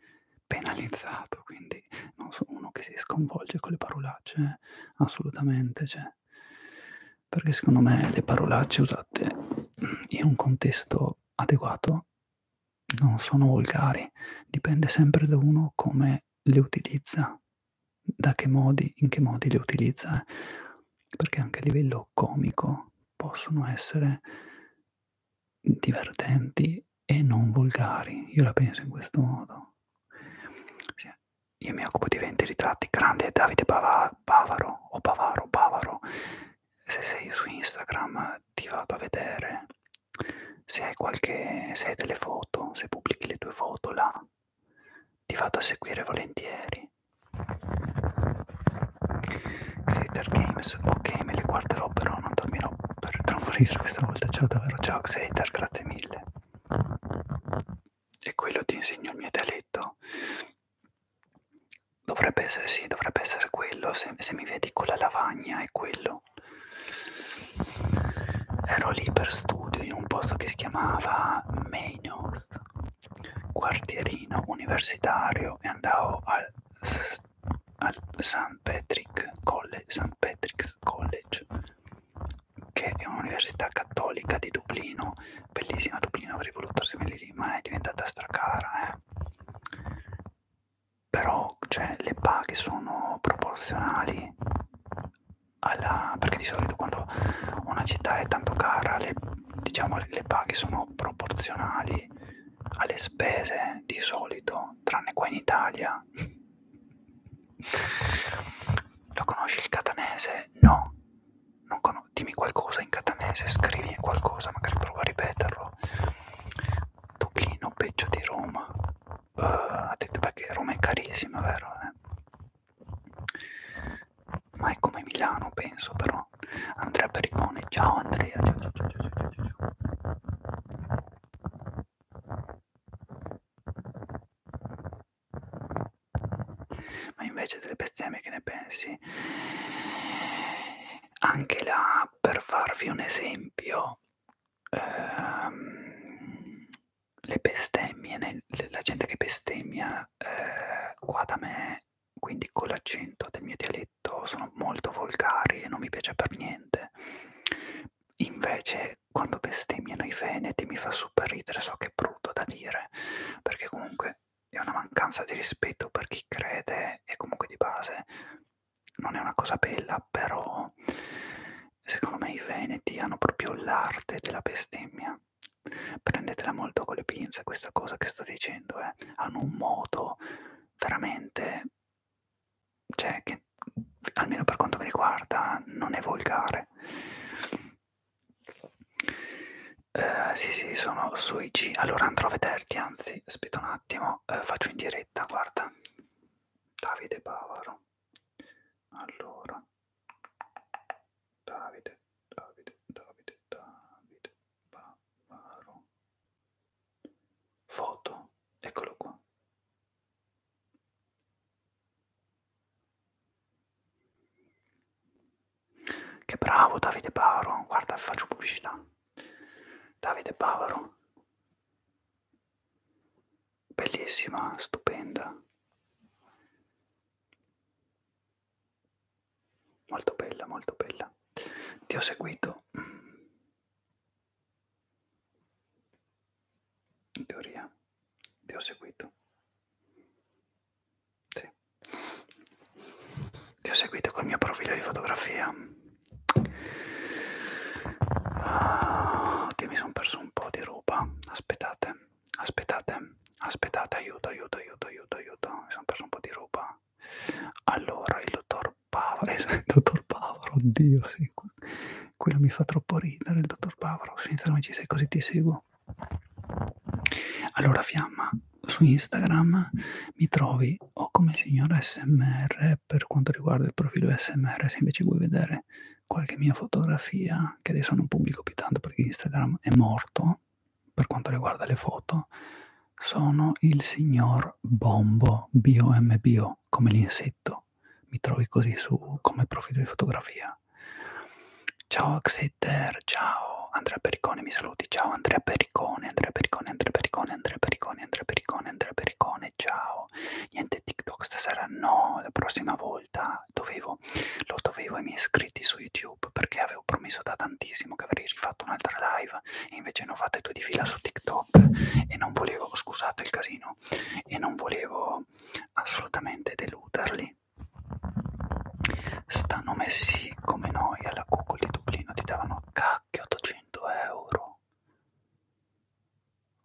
penalizzato quindi non sono uno che si sconvolge con le parolacce assolutamente cioè perché secondo me le parolacce usate in un contesto adeguato non sono volgari, dipende sempre da uno come le utilizza, da che modi, in che modi le utilizza, eh. perché anche a livello comico possono essere divertenti e non volgari, io la penso in questo modo. Sì, io mi occupo di 20 ritratti, grande Davide Bava, Bavaro o Bavaro Bavaro, se sei su Instagram ti vado a vedere se hai qualche se hai delle foto, se pubblichi le tue foto là, ti vado a seguire volentieri. Xater Games, ok, me le guarderò però non dormirò per trampolino questa volta. Ciao davvero, ciao Xater, grazie mille. E quello ti insegno il mio dialetto. Dovrebbe essere sì, dovrebbe essere quello, se se, se mi vedi con la lavagna è quello. Ero lì per studio in un posto che si chiamava Meinos, quartierino universitario, e andavo al, al St. Patrick Patrick's College, che è un'università cattolica di Dublino, bellissima Dublino, avrei voluto seguire lì, ma è diventata stracara. Eh però cioè, le paghe sono proporzionali alla, perché di solito quando una città è tanto cara le, diciamo, le paghe sono proporzionali alle spese di solito tranne qua in Italia lo conosci il catanese? no non dimmi qualcosa in catanese scrivi qualcosa magari prova a ripeterlo pochino peggio di Roma uh, ha detto perché Roma è carissima vero eh? ma è come Milano penso però Andrea Pericone ciao Andrea ciao ciao ciao ciao ciao, ciao. ma invece delle bestemmie che ne pensi anche la per farvi un esempio, ehm, le bestemmie, nel, la gente che bestemmia eh, qua da me, quindi con l'accento del mio dialetto, sono molto volgari e non mi piace per niente. Invece, quando bestemmiano i veneti mi fa super ridere, so che è brutto da dire, perché comunque è una mancanza di rispetto per chi crede e comunque di base non è una cosa bella, però secondo me i veneti hanno proprio l'arte della bestemmia. Prendetela molto con le pinze questa cosa che sto dicendo, eh. hanno un modo veramente, cioè che almeno per quanto mi riguarda non è volgare. Uh, sì, sì, sono sui G. Allora andrò a vederti, anzi, aspetta un attimo, uh, faccio in diretta, guarda. Allora, Davide Bavaro. Allora, Davide, Davide, Davide, Davide Bavaro. Foto, eccolo qua. Che bravo Davide Bavaro, guarda, faccio pubblicità. Davide Bavaro, bellissima, stupenda, molto bella, molto bella. Ti ho seguito, in teoria, ti ho seguito. Sì. Ti ho seguito col mio profilo di fotografia ah, che mi sono perso un po' di roba aspettate aspettate aspettate aiuto aiuto aiuto aiuto aiuto mi sono perso un po' di roba allora il dottor Pavaro il dottor Pavaro oddio sì quello mi fa troppo ridere il dottor Pavaro su Instagram ci sei così ti seguo allora fiamma su Instagram mi trovi o come signor SMR per quanto riguarda il profilo SMR, se invece vuoi vedere qualche mia fotografia, che adesso non pubblico più tanto perché Instagram è morto per quanto riguarda le foto, sono il signor Bombo, B-O-M-B-O, come l'insetto. Mi trovi così su come profilo di fotografia. Ciao Xeter, ciao Andrea Pericone, mi saluti, ciao Andrea Pericone, Andrea Pericone, Andrea Pericone. Pericone, Andrea Pericone, Andrea Pericone, Andrea Pericone, ciao. Niente TikTok stasera, no, la prossima volta dovevo, lo dovevo ai miei iscritti su YouTube perché avevo promesso da tantissimo che avrei rifatto un'altra live e invece ne ho fatte due di fila su TikTok e non volevo, scusate il casino, e non volevo assolutamente deluderli. Stanno messi come noi alla Google di Dublino, ti davano cacchio 800 euro.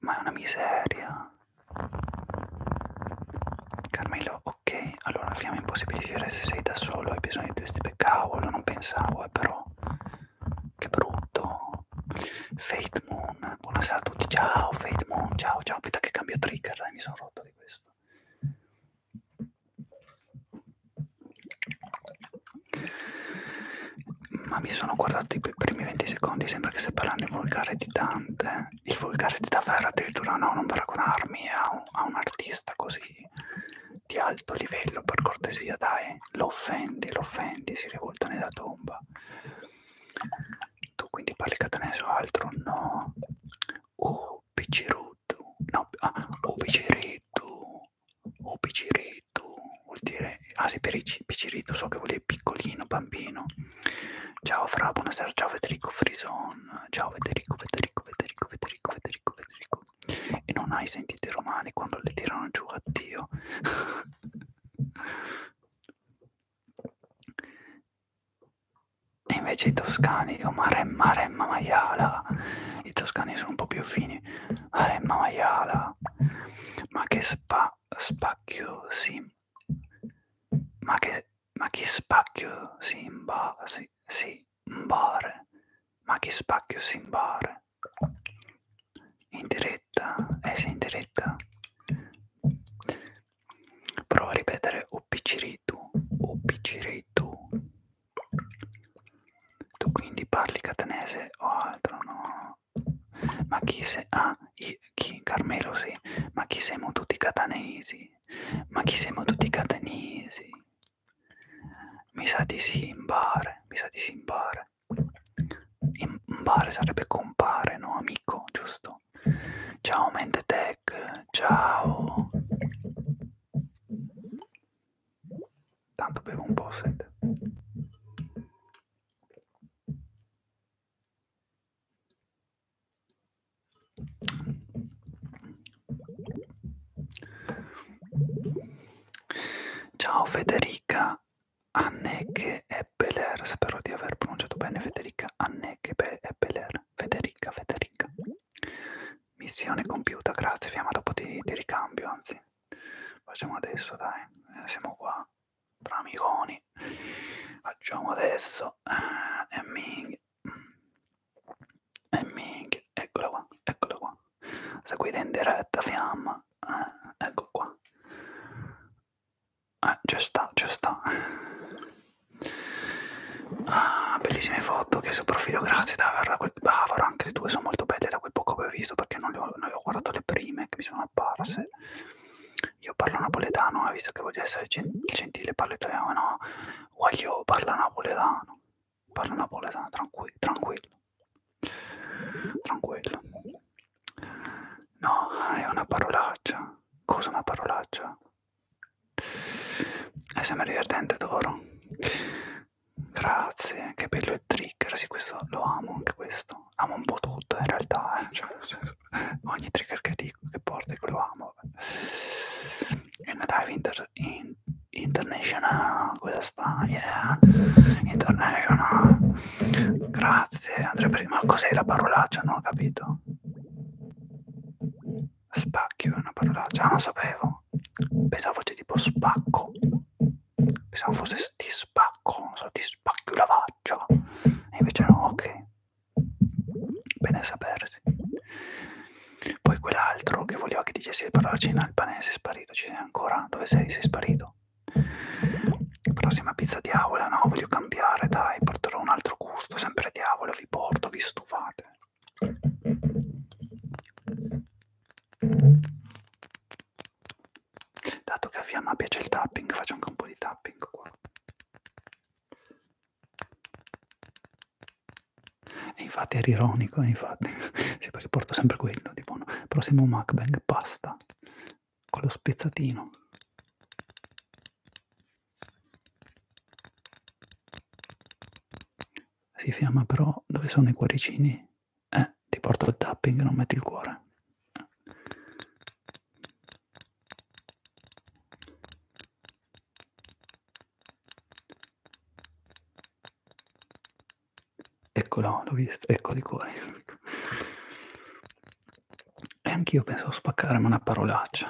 Ma è una miseria. Carmelo, ok, allora fiamma impossibile vivere se sei da solo, hai bisogno di due stipe. Cavolo, non pensavo, eh, però. Che brutto. Fate Moon, buonasera a tutti, ciao Fate Moon, ciao, ciao, aspetta che cambio trigger, dai, mi sono rotto di questo. Ma mi sono guardato i primi 20 secondi, sembra che stia parlando il volgare di Dante, il volgare di Tavera addirittura no, non paragonarmi a un, a un artista così di alto livello, per cortesia dai, lo offendi, lo offendi, si rivolta nella tomba. Tu quindi parli catanese o altro? No. Oh, Piccirutu, no, ah, oh, Piccirutu, o piccirito vuol dire ah sì per piccirito so che vuol dire piccolino bambino ciao fra buonasera ciao Federico Frison ciao Federico Federico Federico Federico Federico Federico e non hai sentito i romani quando le tirano giù a Dio e invece i toscani dicono maremma maremma maiala i toscani sono un po' più fini aremna maiala, ma che spa, spacchio si, ma che, ma chi spacchio si imba, si, si imbare, ma chi spacchio si imbare, in diretta, eh sì, in diretta, prova a ripetere uppiciritu, uppiciritu, tu quindi parli catanese o altro, no? Ma chi se... Ah, chi? Carmelo sì. Ma chi siamo tutti catanesi? Ma chi siamo tutti catanesi? Mi sa di sì, imbare. Mi sa di sì, imbare. Imbare sarebbe compare, no? Amico, giusto? Ciao Mente Tech, ciao. Tanto bevo un po' sete. Ciao Federica Anneke Eppeler, spero di aver pronunciato bene Federica Anneke Eppeler, Federica, Federica. Missione compiuta, grazie, fiamma dopo ti, ti ricambio, anzi. Facciamo adesso, dai, eh, siamo qua tra amiconi. Facciamo adesso eh, e Ming. E Ming, eccola qua, eccola qua. Seguite in diretta, fiamma. Eh, ecco qua. Eh, c'è sta, c'è sta. Ah, bellissime foto che sul profilo, grazie Davvero. Bavaro, anche le tue sono molto belle da quel poco che ho visto perché non le ho, non le ho guardato le prime che mi sono apparse. Io parlo napoletano, eh, visto che voglio essere gentile, parlo italiano, no, voglio parla napoletano, parlo napoletano, tranquillo, tranquillo, tranquillo. No, è una parolaccia, cosa una parolaccia? È sempre divertente, Toro. Grazie, che bello il trigger, sì, questo lo amo, anche questo amo un po' tutto in realtà, eh. cioè, ogni trigger che dico che porto lo amo. And I've inter in international, questa yeah, international. Grazie, Andrea prima, cos'è la parolaccia? Non ho capito. Spacchio è una parolaccia, ah, non sapevo. Pensavo fosse tipo spacco pensavo fosse ti spacco, non so, ti spacco la faccia, e invece no, ok, bene sapersi. Poi quell'altro che voleva che dicessi la parola cina albanese è sparito, ci sei ancora? Dove sei? Sei sparito? Prossima pizza diavola, no, voglio cambiare, dai, porterò un altro gusto, sempre diavola, vi porto, vi stufate. Dato che a Fiamma piace il tapping, faccio anche un po' di tapping qua. E infatti era ironico, eh, infatti, sì, perché porto sempre quello, tipo, no. prossimo mukbang pasta, con lo spezzatino. Si fiamma però, dove sono i cuoricini? Eh, ti porto il tapping, non metti il cuore. Eccolo, l'ho visto, eccolo i cuori. E anch'io pensavo spaccarmi una parolaccia.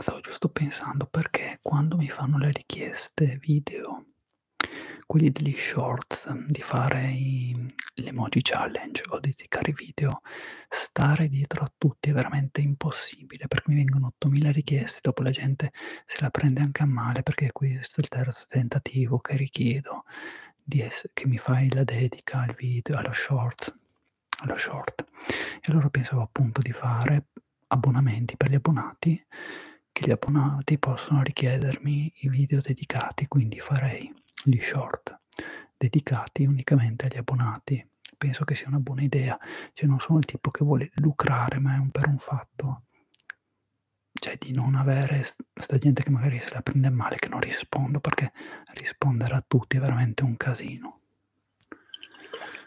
stavo giusto pensando perché quando mi fanno le richieste video quelli degli shorts di fare i, l'emoji challenge o di dedicare video stare dietro a tutti è veramente impossibile perché mi vengono 8000 richieste dopo la gente se la prende anche a male perché questo è il terzo tentativo che richiedo di essere, che mi fai la dedica al video allo short lo short. E allora pensavo appunto di fare abbonamenti per gli abbonati, che gli abbonati possono richiedermi i video dedicati, quindi farei gli short dedicati unicamente agli abbonati. Penso che sia una buona idea, cioè non sono il tipo che vuole lucrare, ma è un per un fatto cioè di non avere sta gente che magari se la prende male, che non rispondo, perché rispondere a tutti è veramente un casino no.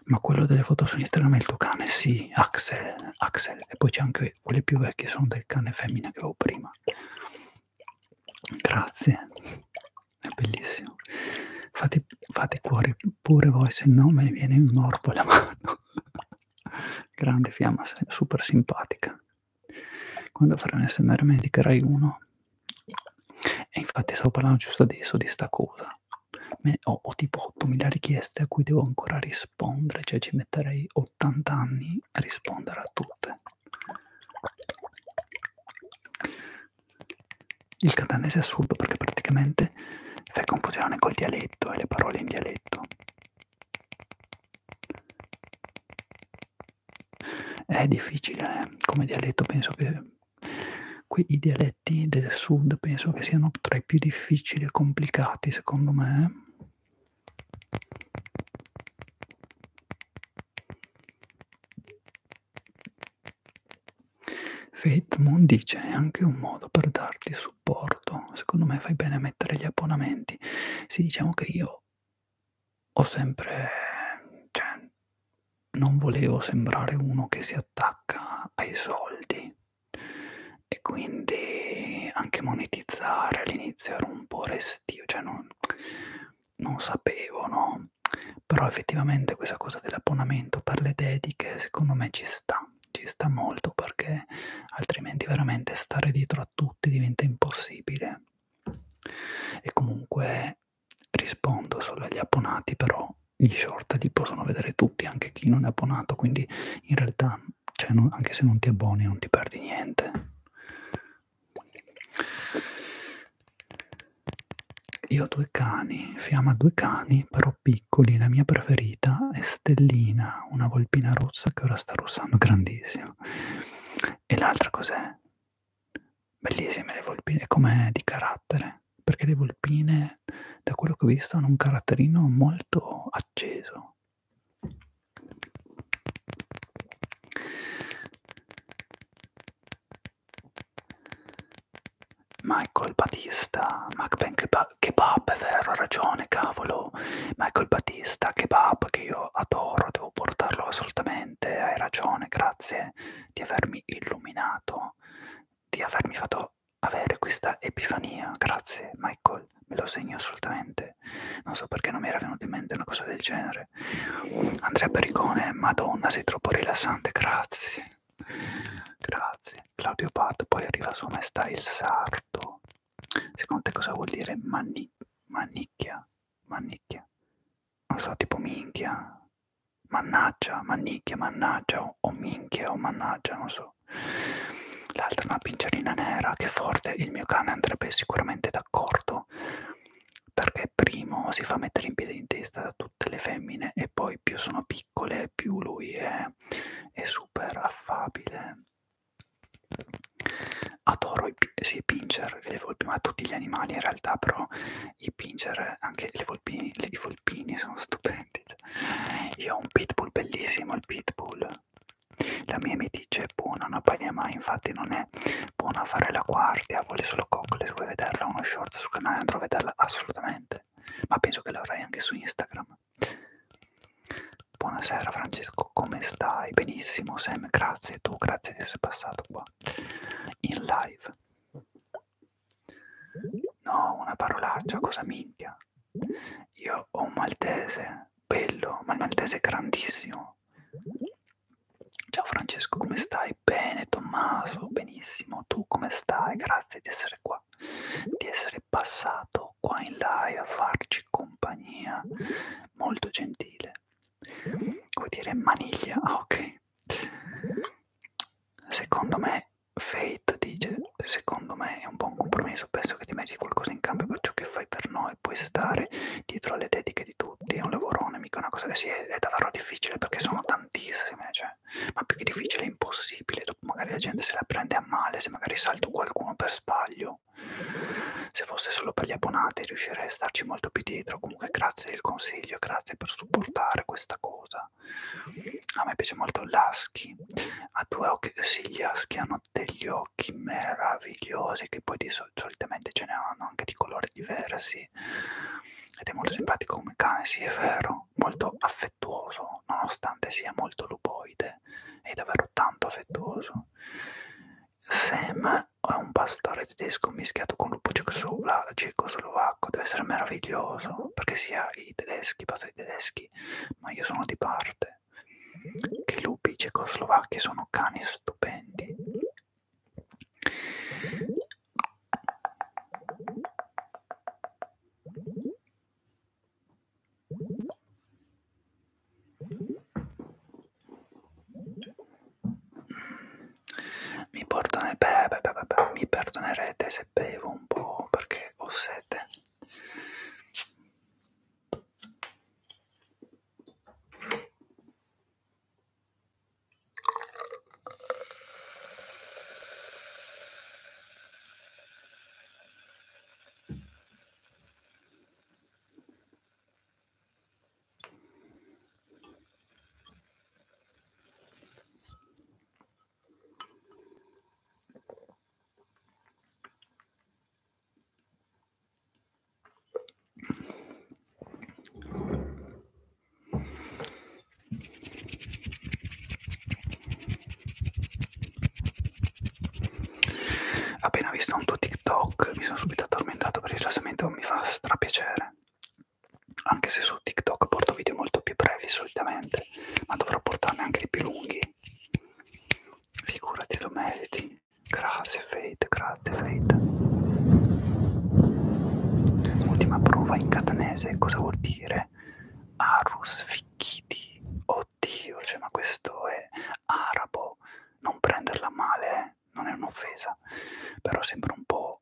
Ma quello delle foto su Instagram è il tuo cane? Sì, Axel. Axel. E poi c'è anche quelle più vecchie, sono del cane femmina che avevo prima. Grazie, è bellissimo. Fate, fate cuore pure voi, se no mi viene un morbo alla mano. Grande fiamma, super simpatica. Quando farai un SMR mi indicherai uno e infatti stavo parlando giusto adesso di sta cosa. Me, ho, ho tipo 8.000 richieste a cui devo ancora rispondere, cioè ci metterei 80 anni a rispondere a tutte. Il catanese è assurdo perché praticamente fai confusione col dialetto e le parole in dialetto. È difficile, eh? come dialetto penso che qui i dialetti del sud penso che siano tra i più difficili e complicati secondo me. Fate Moon dice è anche un modo per darti supporto, secondo me fai bene a mettere gli abbonamenti. Sì, diciamo che io ho sempre, cioè, non volevo sembrare uno che si attacca ai soldi e quindi anche monetizzare all'inizio ero un po' restio, cioè non, non sapevo, no? Però effettivamente questa cosa dell'abbonamento per le dediche secondo me ci sta, ci sta molto perché altrimenti veramente stare dietro a tutti diventa impossibile. E comunque rispondo solo agli abbonati, però gli short li possono vedere tutti, anche chi non è abbonato, quindi in realtà cioè, non, anche se non ti abboni non ti perdi niente. Io ho due cani, Fiamma ha due cani, però piccoli, la mia preferita è Stellina, una volpina rossa che ora sta russando grandissima. E l'altra cos'è? Bellissime le volpine, come di carattere, perché le volpine, da quello che ho visto, hanno un caratterino molto acceso. Michael Batista, ma kebab, è vero, ha ragione, cavolo. Michael Batista, kebab che io adoro, devo portarlo assolutamente, hai ragione, grazie te, di avermi illuminato, di avermi fatto avere questa epifania. Grazie Michael, me lo segno assolutamente. Non so perché non mi era venuta in mente una cosa del genere. Andrea Pericone, Madonna, sei troppo rilassante, grazie. Grazie. Claudio Pat, poi arriva Sua Maestà il Sarto. Secondo te cosa vuol dire mani, manicchia? Manicchia? Non so, tipo minchia? mannaggia, mannicchia, mannaggia o, o minchia o mannaggia, non so. L'altra è una pincerina nera, che forte, il mio cane andrebbe sicuramente d'accordo, perché primo si fa mettere in piedi in testa da tutte le femmine e poi più sono piccole più lui è, è super affabile. Adoro i, sì, pincher, ma tutti gli animali in realtà, però i pinger, anche le volpini, le, i volpini sono stupendi. Cioè, io ho un pitbull bellissimo, il pitbull. La mia mi dice buona, non bagna mai, infatti non è buona a fare la guardia, vuole solo coccole, se vuoi vederla uno short sul canale andrò a vederla assolutamente, ma penso che l'avrai anche su Instagram. Buonasera Francesco, come stai? Benissimo Sam, grazie tu, grazie di essere passato qua in live. No, una parolaccia, cosa minchia. Io ho un maltese, bello, ma il maltese è grandissimo. Ciao Francesco, come stai? Bene, Tommaso, benissimo. Tu come stai? Grazie di essere qua, di essere passato qua in live a farci compagnia. Molto gentile. Vuol dire maniglia, ah ok. Secondo me, Fate dice, secondo me è un buon compromesso, penso che ti meriti qualcosa in cambio per ciò che fai per noi, puoi stare dietro alle dediche di tutti, è un lavorone, mica una cosa che sì, è, è davvero difficile perché sono tantissime, cioè, ma più che difficile è impossibile, dopo magari la gente se la prende a male, se magari salto qualcuno per sbaglio, se fosse solo per gli abbonati riuscirei a starci molto più dietro, comunque grazie del consiglio, grazie per supportare questa cosa. A me piace molto l'aschi, ha due occhi, sì gli aschi hanno degli occhi meravigliosi che poi di sol solitamente ce ne hanno anche di colori diversi ed è molto simpatico come cane, sì è vero, molto affettuoso nonostante sia molto lupoide, è davvero tanto affettuoso. Sam è un pastore tedesco mischiato con lupo cecoslovacco deve essere meraviglioso perché sia i tedeschi, basta i tedeschi, ma io sono di parte. Che lupi cecoslovacchi sono cani stupendi. Mi, portone... beh, beh, beh, beh, mi perdonerete se bevo un po' perché ho sete. Appena visto un tuo TikTok mi sono subito addormentato per il rilassamento, mi fa strapiacere anche se su TikTok porto video molto più brevi solitamente, ma dovrò portarne anche di più lunghi. Figurati, lo meriti. Grazie, Fate, grazie, Fate. Ultima prova in catanese, cosa vuol dire? Arus ficchiti. Oddio, cioè, ma questo è arabo. Non prenderla male, eh? non è un'offesa, però sembra un po'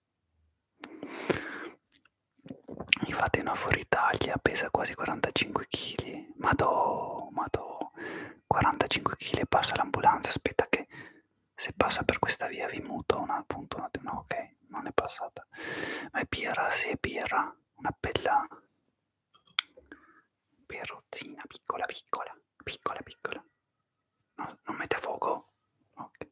Infatti una fuori Italia pesa quasi 45 kg. Madò, madò, 45 kg passa l'ambulanza, aspetta che se passa per questa via vi muto un appunto, una, no ok, non è passata. Ma è birra, sì è birra, una bella birrozzina, piccola, piccola, piccola, piccola. No, non mette a fuoco? Ok.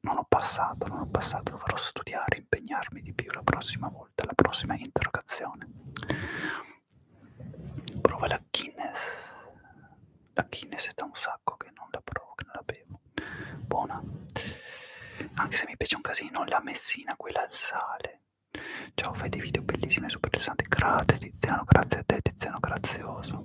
non ho passato, non ho passato, dovrò studiare, impegnarmi di più la prossima volta, la prossima interrogazione. Prova la Guinness, la Guinness è da un sacco che non la provo, che non la bevo. Buona, anche se mi piace un casino, la Messina, quella al sale. Ciao, fai dei video bellissimi e super interessanti. Grazie Tiziano, grazie a te Tiziano, grazioso.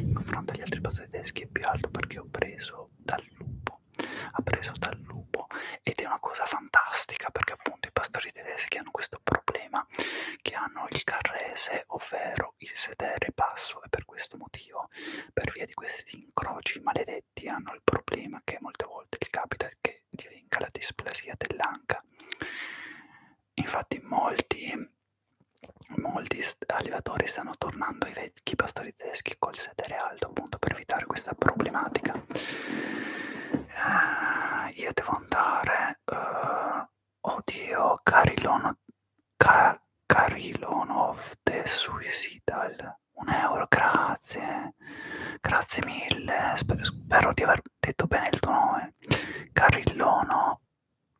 In confronto agli altri posti tedeschi è più alto perché ho preso dal lupo. Ha preso dal lupo ed è una cosa fantastica perché appunto i pastori tedeschi hanno questo problema che hanno il carrese, ovvero il sedere basso e per questo motivo, per via di questi incroci maledetti, hanno il problema che molte volte gli capita che divenga la displasia dell'anca. Infatti molti Molti allevatori stanno tornando ai vecchi pastori tedeschi col sedere alto appunto per evitare questa problematica. Eh, io devo andare. Eh, oddio, Carilonov Ka, de Suicidal. Un euro, grazie. Grazie mille. Spero, spero di aver detto bene il tuo nome. Carillono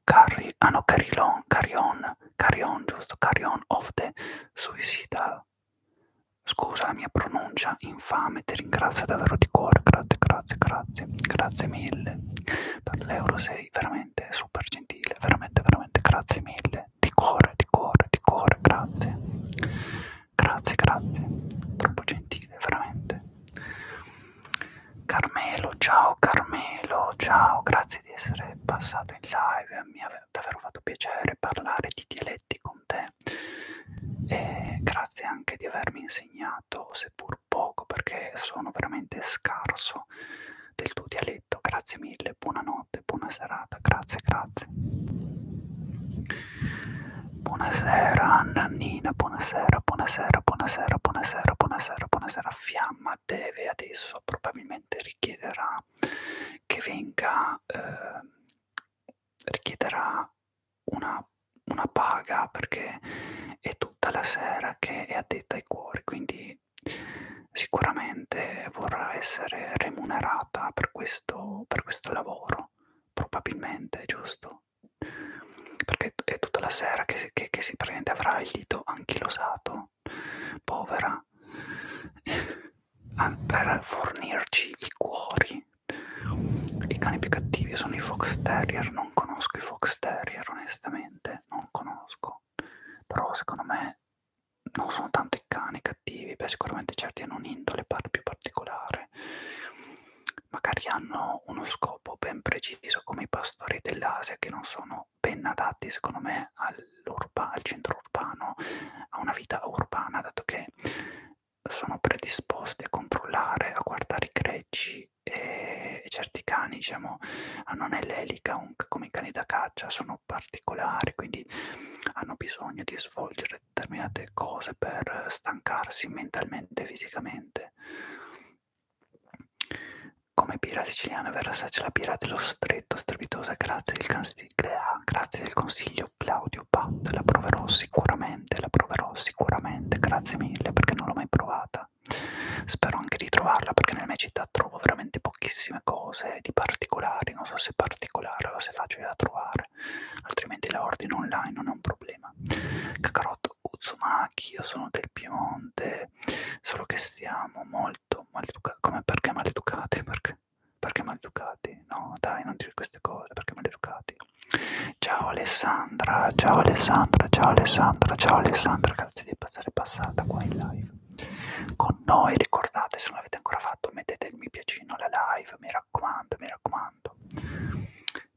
Carry, ah no, carry on, carry on, carry on, giusto, carry on of the suicidal. Scusa la mia pronuncia infame, ti ringrazio davvero di cuore, grazie, grazie, grazie, grazie mille. Per l'euro sei veramente super gentile, veramente, veramente, grazie mille. Di cuore, di cuore, di cuore, grazie. Grazie, grazie, troppo gentile, veramente. Carmelo, ciao Carmelo, ciao, grazie di essere passato in live, mi ha davvero fatto piacere parlare di dialetti con te e grazie anche di avermi insegnato, seppur poco, perché sono veramente scarso del tuo dialetto, grazie mille, buonanotte, buona serata, grazie, grazie. Buonasera Nannina, buonasera, buonasera, buonasera, buonasera, buonasera, buonasera, buonasera. Fiamma programma deve adesso probabilmente richiederà che venga eh, richiederà una, una paga perché è tutta la sera che è addetta ai cuori quindi sicuramente vorrà essere remunerata per questo, per questo lavoro probabilmente giusto perché è tutta la sera che, che, che si prende, avrà il dito anchilosato, povera, per fornirci i cuori. I cani più cattivi sono i Fox Terrier, non conosco i Fox Terrier onestamente, non conosco, però secondo me non sono tanto i cani cattivi, beh sicuramente certi hanno un'indole più particolare, magari hanno hanno uno scopo ben preciso come i pastori dell'Asia che non sono ben adatti secondo me al centro urbano, a una vita urbana, dato che sono predisposti a controllare, a guardare i greggi e, e certi cani, diciamo, hanno nell'elica un, come i cani da caccia, sono particolari, quindi hanno bisogno di svolgere determinate cose per stancarsi mentalmente e fisicamente. Come birra siciliana verrà assaggiata la birra dello stretto strepitosa grazie del, ah, grazie del consiglio Claudio Pat. La proverò sicuramente, la proverò sicuramente, grazie mille perché non l'ho mai provata. Spero anche di trovarla perché nella mia città trovo veramente pochissime cose di particolari, non so se particolare o se facile da trovare, altrimenti la ordino online, non è un problema. Cacarotto Uzumaki, io sono del Piemonte, cose, solo che stiamo molto maleducati. Come perché maleducati? Perché? Perché maleducati? No, dai, non dire queste cose, perché maleducati? Ciao Alessandra, ciao Alessandra, ciao Alessandra, ciao Alessandra, grazie di essere passata qua in live con noi. Ricordate, se non l'avete ancora fatto, mettete il mi piacino alla live, mi raccomando, mi raccomando.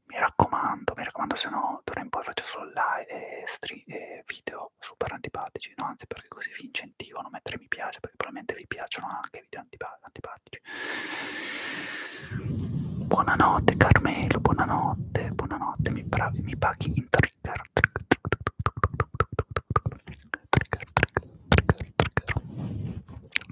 Mi raccomando, mi raccomando, se no d'ora in poi faccio solo live e stream eh, video super antipatici, no, anzi perché così vi incentivano a mettere mi piace, perché probabilmente vi piacciono anche i video antipa antipatici. Buonanotte Carmelo, buonanotte, buonanotte, mi, bravi, mi paghi in trigger. Trigger,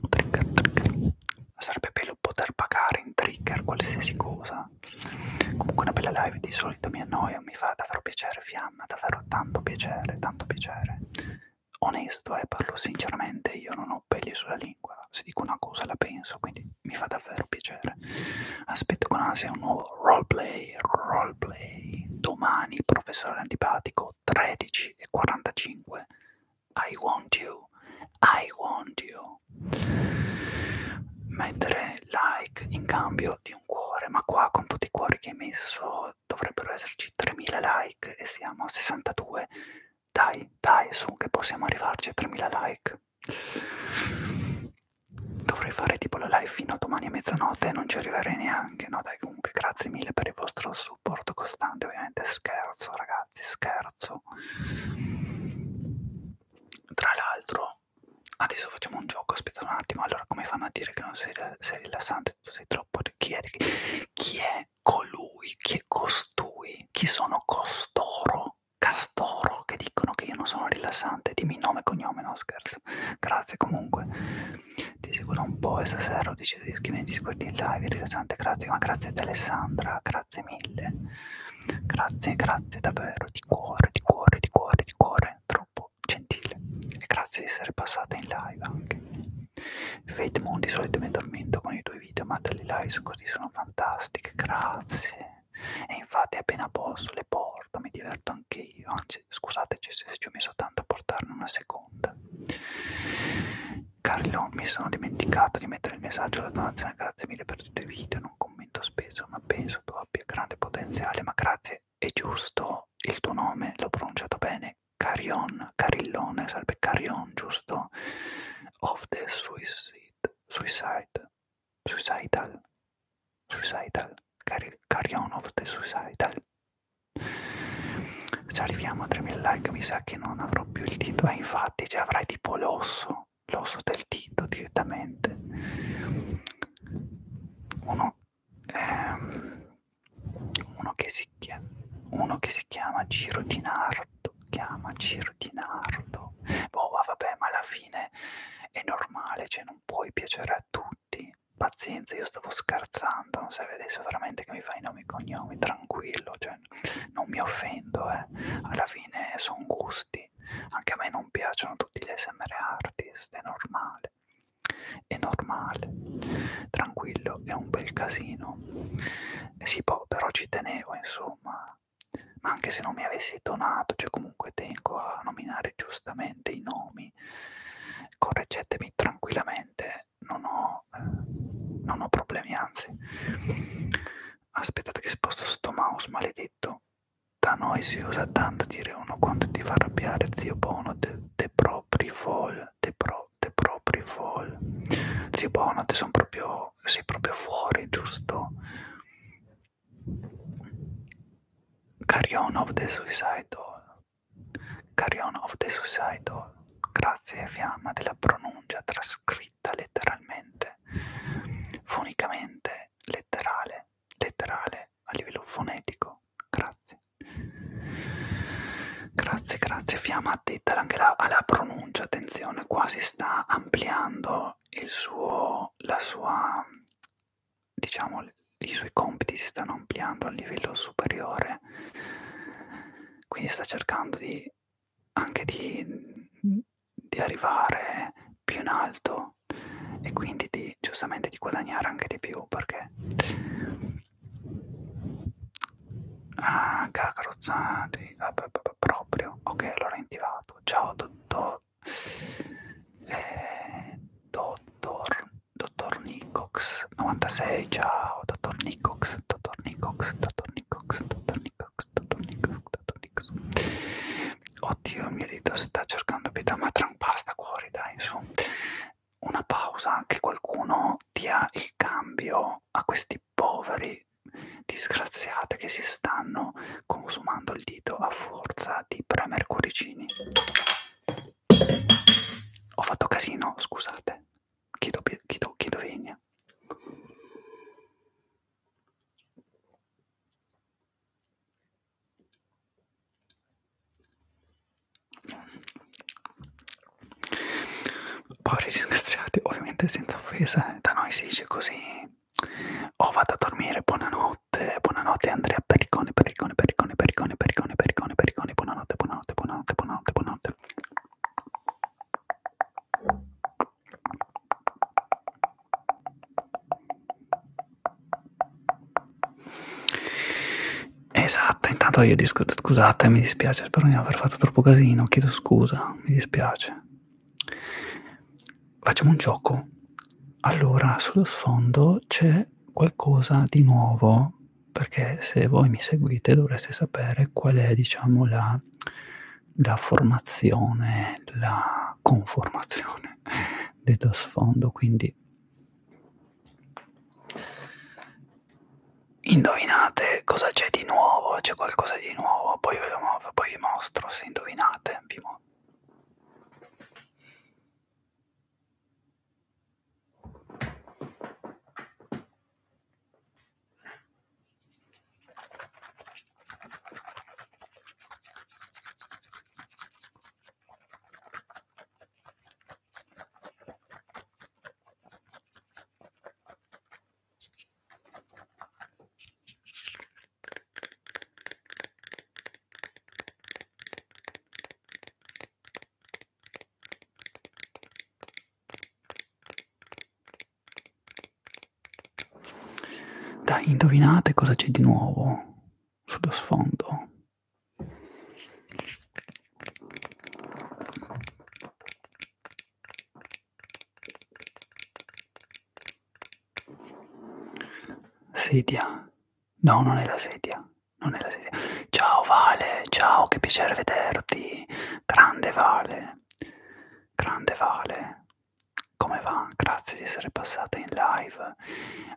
trigger, trigger. Sarebbe bello poter pagare in trigger qualsiasi cosa, ma comunque una bella live di solito mi annoia, mi fa davvero piacere, fiamma, davvero tanto piacere, tanto piacere. Onesto, eh, parlo sinceramente, io non ho peli sulla lingua, se dico una cosa la penso, quindi mi fa davvero piacere. Aspetto con ansia un nuovo roleplay, roleplay, domani, professore antipatico, 13.45, I want you, I want you mettere like in cambio di un cuore ma qua con tutti i cuori che hai messo dovrebbero esserci 3000 like e siamo a 62 dai dai su che possiamo arrivarci a 3000 like dovrei fare tipo la live fino a domani a mezzanotte e non ci arriverei neanche no dai comunque grazie mille per il vostro supporto costante ovviamente scherzo ragazzi scherzo tra l'altro Adesso facciamo un gioco, aspetta un attimo, allora come fanno a dire che non sei, sei rilassante, tu sei troppo... Chi è, chi è colui, chi è costui, chi sono costoro, castoro, che dicono che io non sono rilassante? Dimmi nome e cognome, no scherzo. Grazie comunque, ti seguo un po' e stasera ho deciso di iscrivermi, di seguirti in live, rilassante, grazie, ma grazie ad Alessandra, grazie mille. Grazie, grazie davvero di cuore, di cuore, di cuore, di cuore, troppo gentile. E grazie di essere passata in live anche. Fate Moon di solito mi addormento con i tuoi video, ma le live così sono fantastiche, grazie. E infatti appena posso le porto, mi diverto anche io, anzi scusateci se ci ho messo tanto a portarne una seconda. Carlo, mi sono dimenticato di mettere il messaggio alla donazione, grazie mille per tutti i video, non commento spesso, ma penso tu abbia grande potenziale, ma grazie, è giusto il tuo nome, l'ho pronunciato bene, Carion, Carillone, sarebbe Carion, giusto? Of the Suicide, Suicide, Suicidal, Suicidal, Cari, Carion of the Suicidal. Se arriviamo a 3000 like mi sa che non avrò più il titolo, eh, infatti, cioè avrai tipo l'osso mettono l'osso del dito direttamente uno, ehm, uno, che si chiama, uno che si chiama Giro di Nardo chiama Giro di Nardo boh vabbè ma alla fine è normale cioè non puoi piacere a tutti pazienza io stavo scherzando non serve adesso veramente che mi fai nomi e cognomi tranquillo cioè non mi offendo eh alla fine sono gusti così. Anche a me non piacciono tutti gli ASMR artist, è normale. È normale. Tranquillo, è un bel casino. E eh, si può, però ci tenevo, insomma. Ma anche se non mi avessi donato, cioè comunque tengo a nominare giustamente i nomi. Correggetemi tranquillamente, non ho, eh, non ho problemi, anzi. Aspettate che sposto sto mouse maledetto. Da noi si usa tanto dire uno quando ti fa arrabbiare, zio Bono, te, te propri fol, te, pro, te propri fol. Zio Bono, te sono proprio, sei proprio fuori, giusto? Carry on of the suicidal. Carry on of the suicidal. Grazie, fiamma, della pronuncia trascritta letteralmente, fonicamente, letterale letterale a livello fonetico. Grazie. Grazie, grazie. Fiamma Tettel anche la, alla pronuncia, attenzione, qua si sta ampliando il suo, la sua, diciamo, i suoi compiti si stanno ampliando a livello superiore. Quindi sta cercando di, anche di, di arrivare più in alto meno e quindi di, giustamente di guadagnare anche di più perché ah cacarozzati ah, proprio ok allora indivato ciao dottor eh, dottor dottor Nicox 96 ciao dottor Nicox dottor Nicox dottor Nicox dottor Nicox dottor Nicox dottor Nicox Oddio, il mio dito sta cercando pietà, ma trampasta cuori, dai, su. Una pausa, che qualcuno dia il cambio a questi poveri disgraziati che si stanno consumando il dito a forza di premer cuoricini. Ho fatto casino, scusate. Chiedo, chiedo, chiedo venia. Poi ringraziati, ovviamente senza offesa, eh. da noi si dice così. O oh, vado a dormire, buonanotte, buonanotte Andrea Pericone, Pericone, Pericone, Pericone, Pericone, Pericone, Pericone, buonanotte, buonanotte, buonanotte, buonanotte, buonanotte. Esatto, intanto io discuto, scusate, mi dispiace, spero di non aver fatto troppo casino, chiedo scusa, mi dispiace. Facciamo un gioco. Allora, sullo sfondo c'è qualcosa di nuovo, perché se voi mi seguite dovreste sapere qual è, diciamo, la, la formazione, la conformazione dello sfondo, quindi indovinate cosa c'è di nuovo, c'è qualcosa di nuovo, poi ve lo poi vi mostro se indovinate, vi mostro. Dai, indovinate cosa c'è di nuovo sullo sfondo. Sedia. No, non è la sedia. Non è la sedia. Ciao Vale, ciao, che piacere vederti. Grande Vale. Grande Vale come va? Grazie di essere passata in live.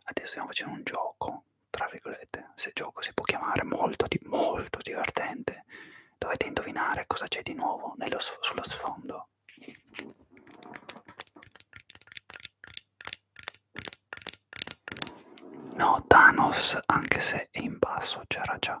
Adesso stiamo facendo un gioco, tra virgolette, se gioco si può chiamare, molto, di, molto divertente. Dovete indovinare cosa c'è di nuovo nello, sullo sfondo. No, Thanos, anche se è in basso, c'era già.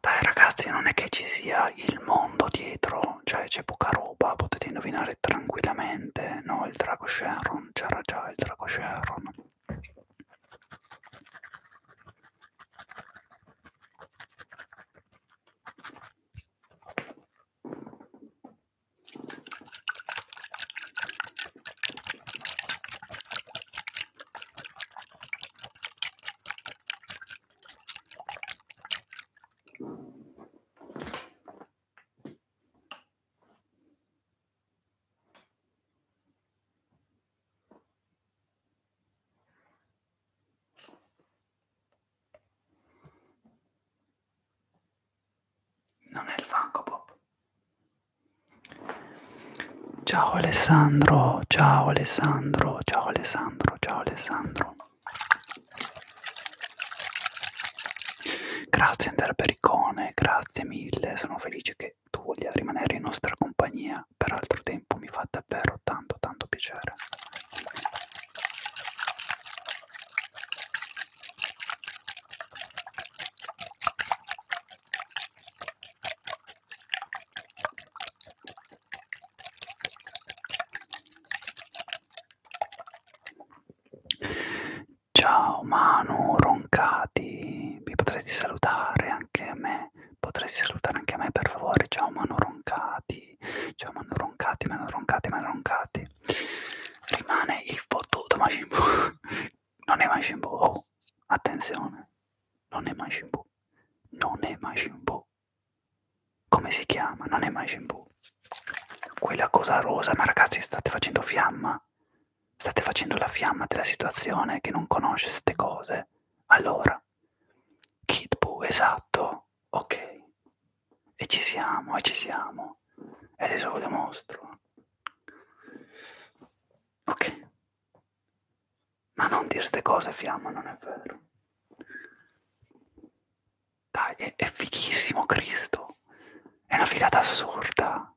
Dai ragazzi, non è che ci sia il mondo dietro, cioè c'è poca roba, potete indovinare tranquillamente. No, il Drago Sharon, c'era già il Drago Sharon. Non è il Funko Pop. Ciao Alessandro, ciao Alessandro, ciao Alessandro, ciao Alessandro. Grazie Andrea Pericone, grazie mille, sono felice che tu voglia rimanere in nostra compagnia per altro tempo, mi fa davvero tanto tanto piacere. Ciao Manu Roncati, mi potresti salutare anche a me, potresti salutare anche a me per favore, ciao Manu Roncati, ciao Manu Roncati, Manu Roncati, Manu Roncati. Rimane il fottuto Majin Buu, non è Majin Buu, oh, attenzione, non è Majin Buu, non è Majin Buu, come si chiama? Non è mai shampoo. Quella cosa rosa, ma ragazzi state facendo fiamma. State facendo la fiamma della situazione che non conosce queste cose. Allora, Kid Buu, esatto. Ok. E ci siamo, e ci siamo. E adesso lo dimostro. Ok. Ma non dire ste cose, Fiamma, non è vero. Dai, è, è fighissimo, Cristo. È una figata assurda.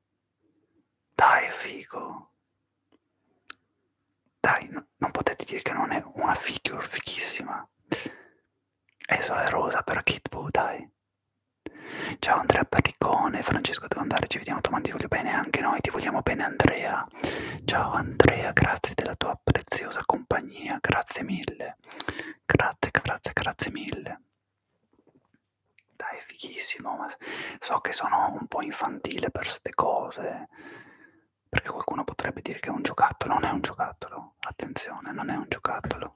Dai, è figo. Dai, no, non potete dire che non è una figure fighissima. Eso è rosa per Kitbu, dai. Ciao Andrea Perricone, Francesco devo andare, ci vediamo domani, ti voglio bene anche noi, ti vogliamo bene Andrea felicità. Ciao Andrea, grazie della tua preziosa compagnia, grazie mille. Grazie, grazie, grazie mille. Dai, fighissimo, ma so che sono un po' infantile per ste cose, perché qualcuno potrebbe dire che è un giocattolo, non è un giocattolo, attenzione, non è un giocattolo.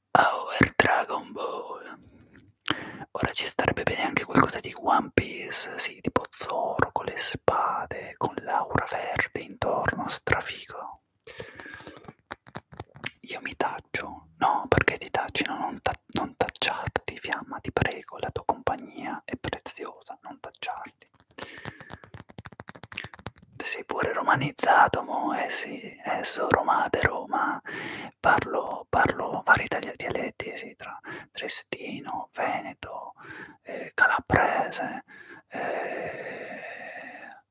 Our Dragon Ball. Ora ci starebbe bene anche qualcosa di One Piece, sì, tipo Zoro con le spade, con l'aura verde intorno, strafico. Io mi taccio, no, perché ti tacci, no, non, ta non tacciarti, fiamma, ti prego, la tua compagnia è preziosa, non tacciarti. Sei pure romanizzato, mo, eh sì, esso eh, Roma de Roma, parlo, parlo vari itali dialetti sì, tra Trestino, Veneto, eh, Calabrese, eh,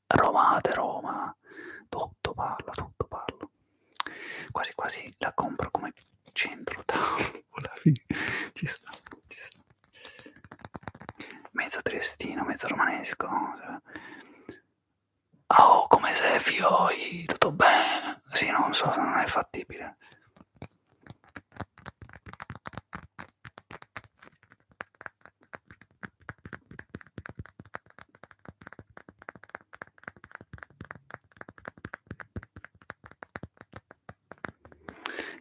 Romate, Roma, tutto parlo, tutto parlo. Quasi quasi la compro come centro tavola, ci sta, ci sta. Mezzo triestino, mezzo romanesco. Cioè. Oh, come sei, Fioi? Tutto bene? Sì, non so se non è fattibile.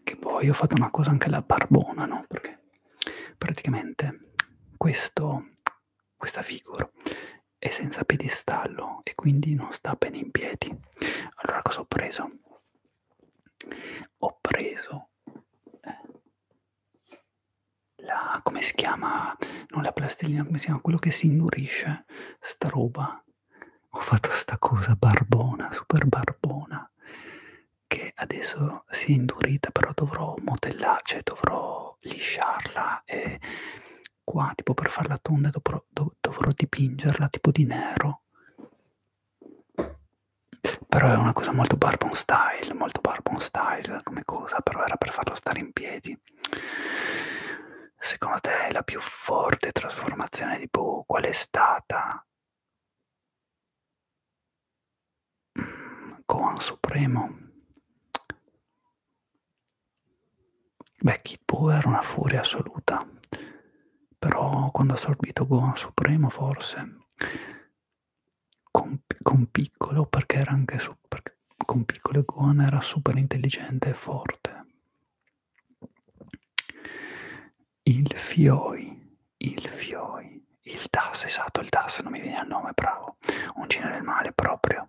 Che poi ho fatto una cosa anche alla barbona, no? Perché praticamente questo questa figura è senza piedistallo e quindi non sta bene in piedi. Allora cosa ho preso? Ho preso eh, la come si chiama? Non la plastilina, come si chiama? Quello che si indurisce, sta roba. Ho fatto sta cosa barbona, super barbona, che adesso si è indurita, però dovrò modellarci, cioè dovrò dovrò lisciarla e qua tipo per farla tonda dovrò, dov dovrò dipingerla tipo di nero però è una cosa molto barbon style molto barbon style come cosa però era per farlo stare in piedi secondo te la più forte trasformazione di Boo qual è stata? Koan mm, Supremo Beh, Kid Buu era una furia assoluta, però quando ha assorbito Gohan Supremo forse, con, con piccolo, perché era anche su, perché con piccolo Gohan era super intelligente e forte. Il Fioi, il Fioi, il Das, esatto, il Das, non mi viene il nome, bravo, un genere del male proprio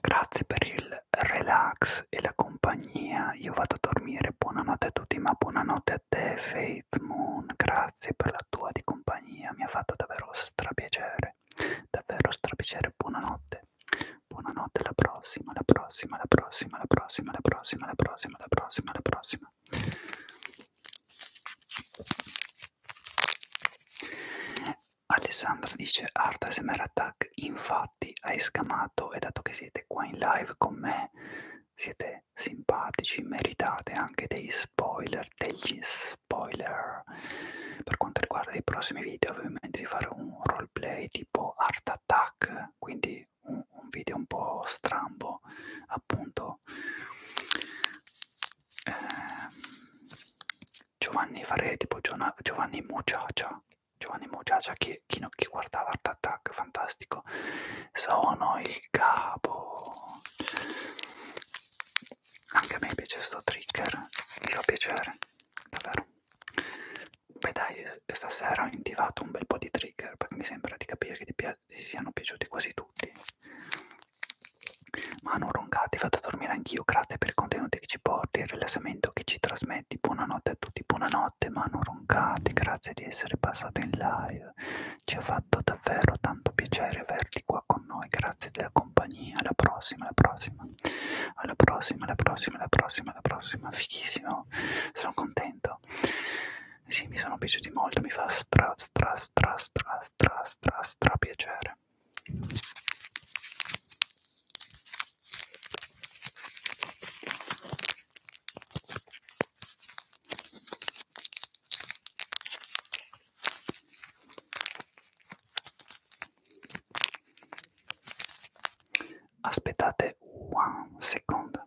Grazie per il relax e la compagnia. Io vado a dormire. Buonanotte a tutti, ma buonanotte a te, Faith Moon. Grazie per la tua di compagnia. Mi ha fatto davvero strapiacere. Davvero strapiacere. Buonanotte. Buonanotte, la prossima, la prossima, la prossima, la prossima, la prossima, la prossima, la prossima, la prossima. Alessandra dice Art ASMR Attack, infatti hai scamato e dato che siete qua in live con me, siete simpatici, meritate anche dei spoiler, degli spoiler. Per quanto riguarda i prossimi video, ovviamente di fare un roleplay tipo Art Attack, quindi quindi un, un video un po' strambo appunto eh, Giovanni farei tipo Giovanni Mucciaccia Giovanni Mucciaccia chi, chi, chi guardava Art Attack fantastico sono il capo anche a me piace sto trigger mi fa piacere davvero beh dai stasera ho indivato un bel po' di trigger perché mi sembra di capire che ti piace sia, si siano piaciuti quasi tutti. Mano Roncati, fatto dormire anch'io, grazie per i contenuti che ci porti, il rilassamento che ci trasmetti. Buonanotte a tutti, buonanotte Mano Roncati, grazie di essere passato in live. Ci ha fatto davvero tanto piacere averti qua con noi, grazie della compagnia. Alla prossima, alla prossima, alla prossima, alla prossima, alla prossima, alla prossima. Fighissimo, sono contento sì mi sono piaciuti molto mi fa stra stra stra stra stra stra stra piacere Aspettate un secondo.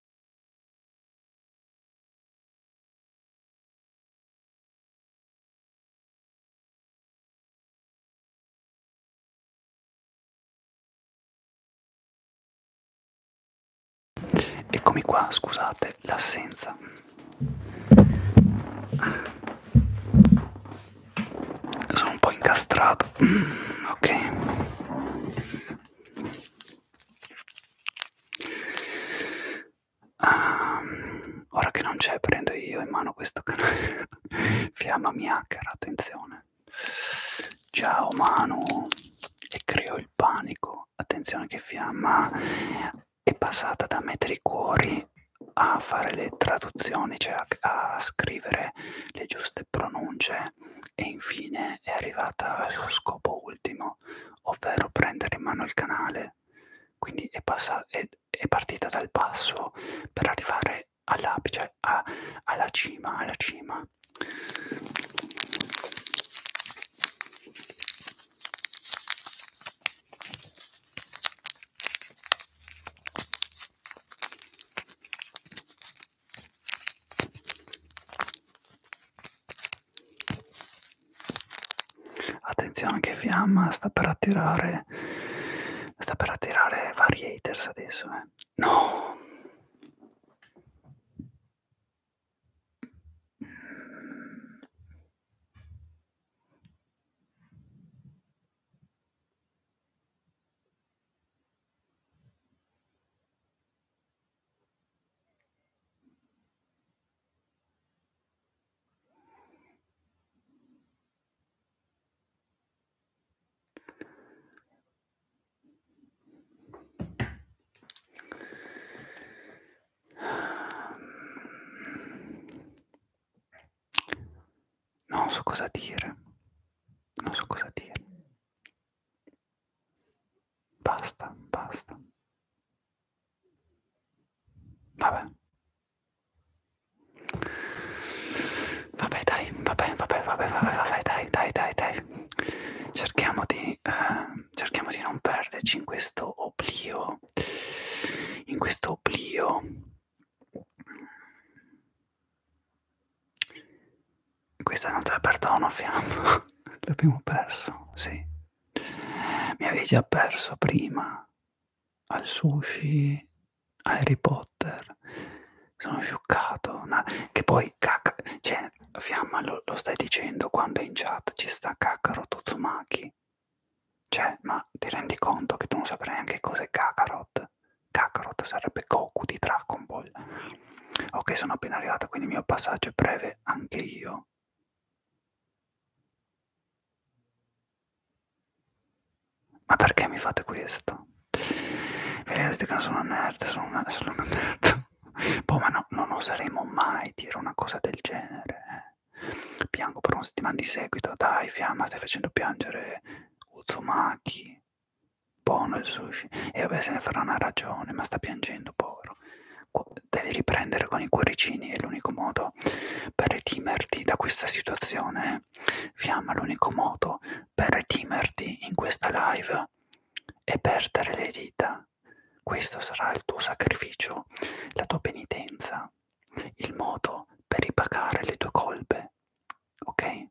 Eccomi qua, scusate l'assenza. Sono un po' incastrato. Ok. Um, ora che non c'è prendo io in mano questo canale Fiamma mi hacker, attenzione Ciao Manu E creo il panico Attenzione che Fiamma è passata da mettere i cuori a fare le traduzioni Cioè a, a scrivere le giuste pronunce e infine è arrivata al suo scopo ultimo, ovvero prendere in mano il canale. Quindi è, è, è partita dal basso per arrivare all'apice, cioè, alla cima, alla cima. Attenzione che fiamma sta per attirare sta per attirare vari haters adesso, eh. No. Non so cosa dire, non so cosa dire. Basta, basta. Vabbè. Vabbè dai, vabbè, vabbè, vabbè, vabbè, vabbè dai, dai, dai, dai. Cerchiamo di, eh, cerchiamo di non perderci in questo oblio, in questo oblio questa non te l'ha aperta una fiamma. L'abbiamo perso, sì. Mi avevi già perso prima. Al sushi, Harry Potter. Sono scioccato. No, che poi, cacca, cioè, fiamma, lo, lo stai dicendo quando in chat ci sta Kakaro Tuzumaki. Cioè, ma ti rendi conto che tu non saprai neanche cos'è Kakarot? Kakarot sarebbe Goku di Dragon Ball ok sono appena arrivata quindi il mio passaggio è breve anche io ma perché mi fate questo? Vi vedete che non sono un nerd, sono una, sono una nerd. Boh, ma no, non oseremo mai dire una cosa del genere. Eh. Piango per una settimana di seguito, dai fiamma, stai facendo piangere Uzumaki. Buono boh, il sushi. E vabbè, se ne farà una ragione, ma sta piangendo, povero devi riprendere con i cuoricini, è l'unico modo per redimerti da questa situazione. Eh. Fiamma, l'unico modo per redimerti in questa live è perdere le dita. Questo sarà il tuo sacrificio, la tua penitenza, il modo per ripagare le tue colpe. Ok?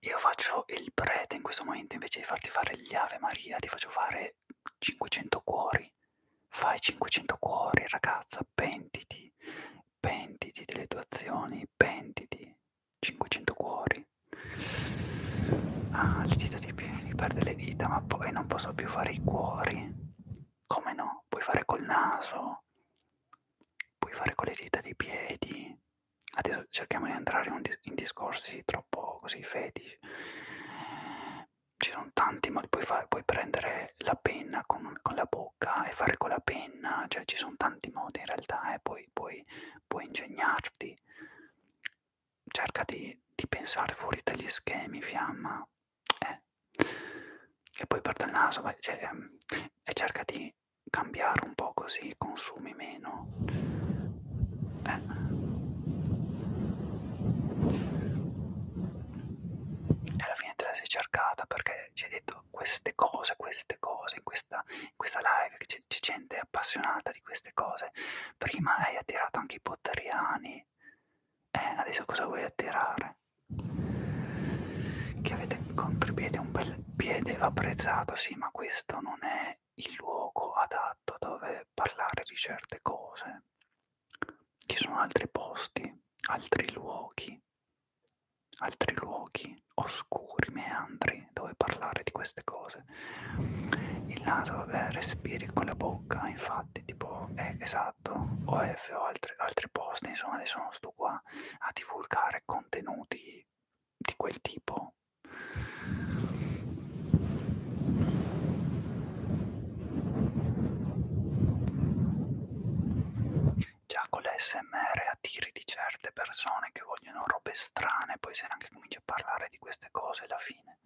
Io faccio il prete in questo momento, invece di farti fare gli Ave Maria, ti faccio fare 500 cuori. Fai 500 cuori, ragazza, pentiti, pentiti delle tue azioni, pentiti, 500 cuori. Ah, le dita di piedi, perde le dita, ma poi non posso più fare i cuori. Come no? Puoi fare col naso, mano, puoi fare con le dita dei piedi. Adesso cerchiamo di entrare in, dis in discorsi troppo così fetici. Ci sono tanti modi, puoi, fare, puoi prendere la penna con, con la bocca e fare con la penna, cioè ci sono tanti modi in realtà, eh. puoi, puoi, puoi ingegnarti. Cerca di, di pensare fuori dagli schemi, fiamma, eh. e poi per il naso vai, cioè, ehm, e cerca di cambiare un po' così consumi meno eh. e alla fine te la sei cercata perché ci hai detto queste cose queste cose in questa, in questa live c'è gente appassionata di queste cose prima hai attirato anche i potteriani eh, adesso cosa vuoi attirare che avete contribuito un bel piede apprezzato, sì, ma questo non è il luogo adatto dove parlare di certe cose. Ci sono altri posti, altri luoghi, altri luoghi oscuri, meandri, dove parlare di queste cose. Il naso, vabbè, respiri con la bocca, infatti, tipo, eh, esatto, OF o altri, altri posti, insomma, adesso non sto questo qua a divulgare contenuti di quel tipo già con l'SMR attiri di certe persone che vogliono robe strane poi se anche cominci a parlare di queste cose alla fine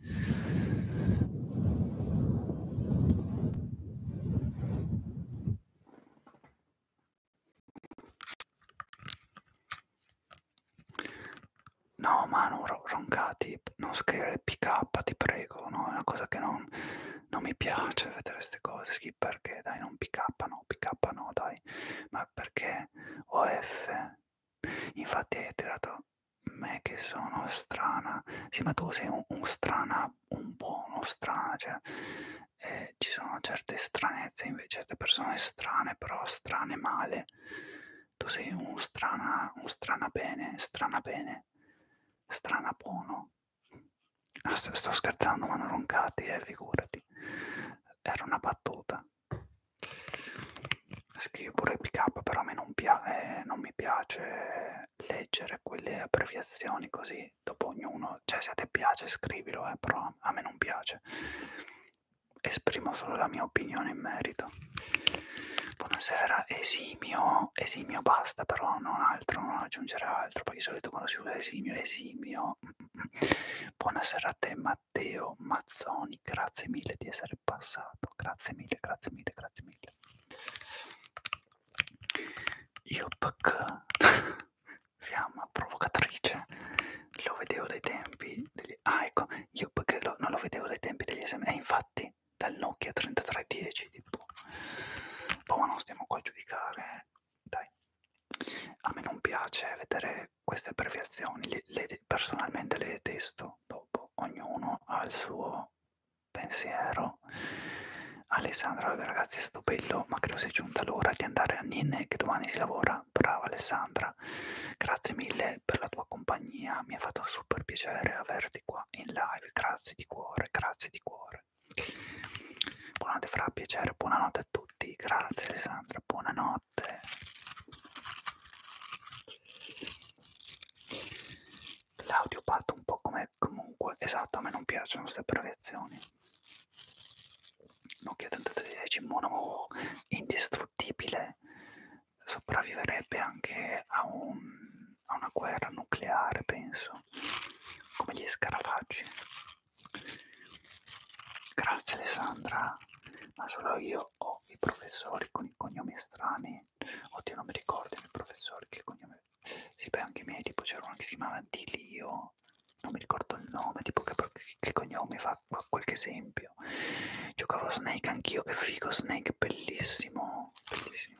No, Manu, ro roncati, non scrivere PK, ti prego, no? È una cosa che non, non mi piace vedere queste cose. Sì, perché dai, non PK, no, PK, no, dai. Ma perché OF? Infatti hai tirato me che sono strana. Sì, ma tu sei un, un strana un po' uno strage, cioè, eh, ci sono certe stranezze, invece certe persone strane, però strane male. Tu sei un strana, un strana bene, strana bene, strana buono. Ah, sto scherzando, ma non roncati, eh, figurati. Era una battuta. Scrivo pure PK, però a me non, eh, non mi piace leggere quelle abbreviazioni così poi dopo ognuno, cioè se a te piace scrivilo, eh, però a me non piace. Esprimo solo la mia opinione in merito. Buonasera, esimio, esimio basta, però non altro, non aggiungere altro, perché di solito quando si usa esimio, esimio. Buonasera a te Matteo Mazzoni, grazie mille di essere passato, grazie mille, grazie mille, grazie mille. Yupk, fiamma provocatrice, lo vedevo dai tempi degli... Ah ecco, Yupk lo... non lo vedevo dai tempi degli SM, e eh, infatti dal Nokia 3310, tipo... Boh, ma non stiamo qua a giudicare, dai. A me non piace vedere queste abbreviazioni, le, le, personalmente le detesto, dopo boh, boh, ognuno ha il suo pensiero. Alessandra, ragazzi, è stato bello, ma credo sia giunta l'ora di andare a Ninne che domani si lavora. Brava Alessandra, grazie mille per la tua compagnia, mi ha fatto super piacere averti qua in live, grazie di cuore, grazie di cuore. Buonanotte fra, piacere, buonanotte a tutti, grazie Alessandra, buonanotte. L'audio patto un po' come me comunque, esatto, a me non piacciono queste abbreviazioni. Nokia 3310 mono indistruttibile sopravviverebbe anche a, un, a una guerra nucleare, penso, come gli scarafaggi. Grazie Alessandra, ma solo io ho i professori con i cognomi strani. Oddio, non mi ricordo i miei professori che cognomi sì, beh, anche i miei, tipo c'era uno che si chiamava Dilio, non mi ricordo il nome, tipo che, che cognome fa qualche esempio. Giocavo a Snake anch'io, che figo Snake, bellissimo, bellissimo.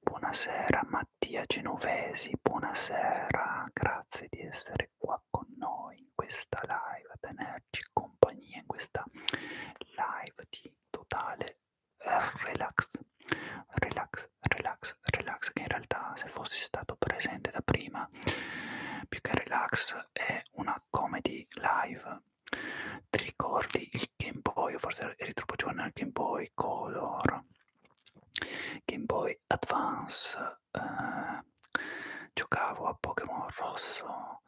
Buonasera Mattia Genovesi, buonasera, grazie di essere qua con noi in questa live, a tenerci compagnia in questa live di totale eh, relax, relax, relax, relax, che in realtà se fossi stato presente da prima, più che relax è una comedy live. Ti ricordi il Game Boy, forse eri troppo giovane al Game Boy Color, Game Boy Advance, eh, giocavo a Pokémon rosso,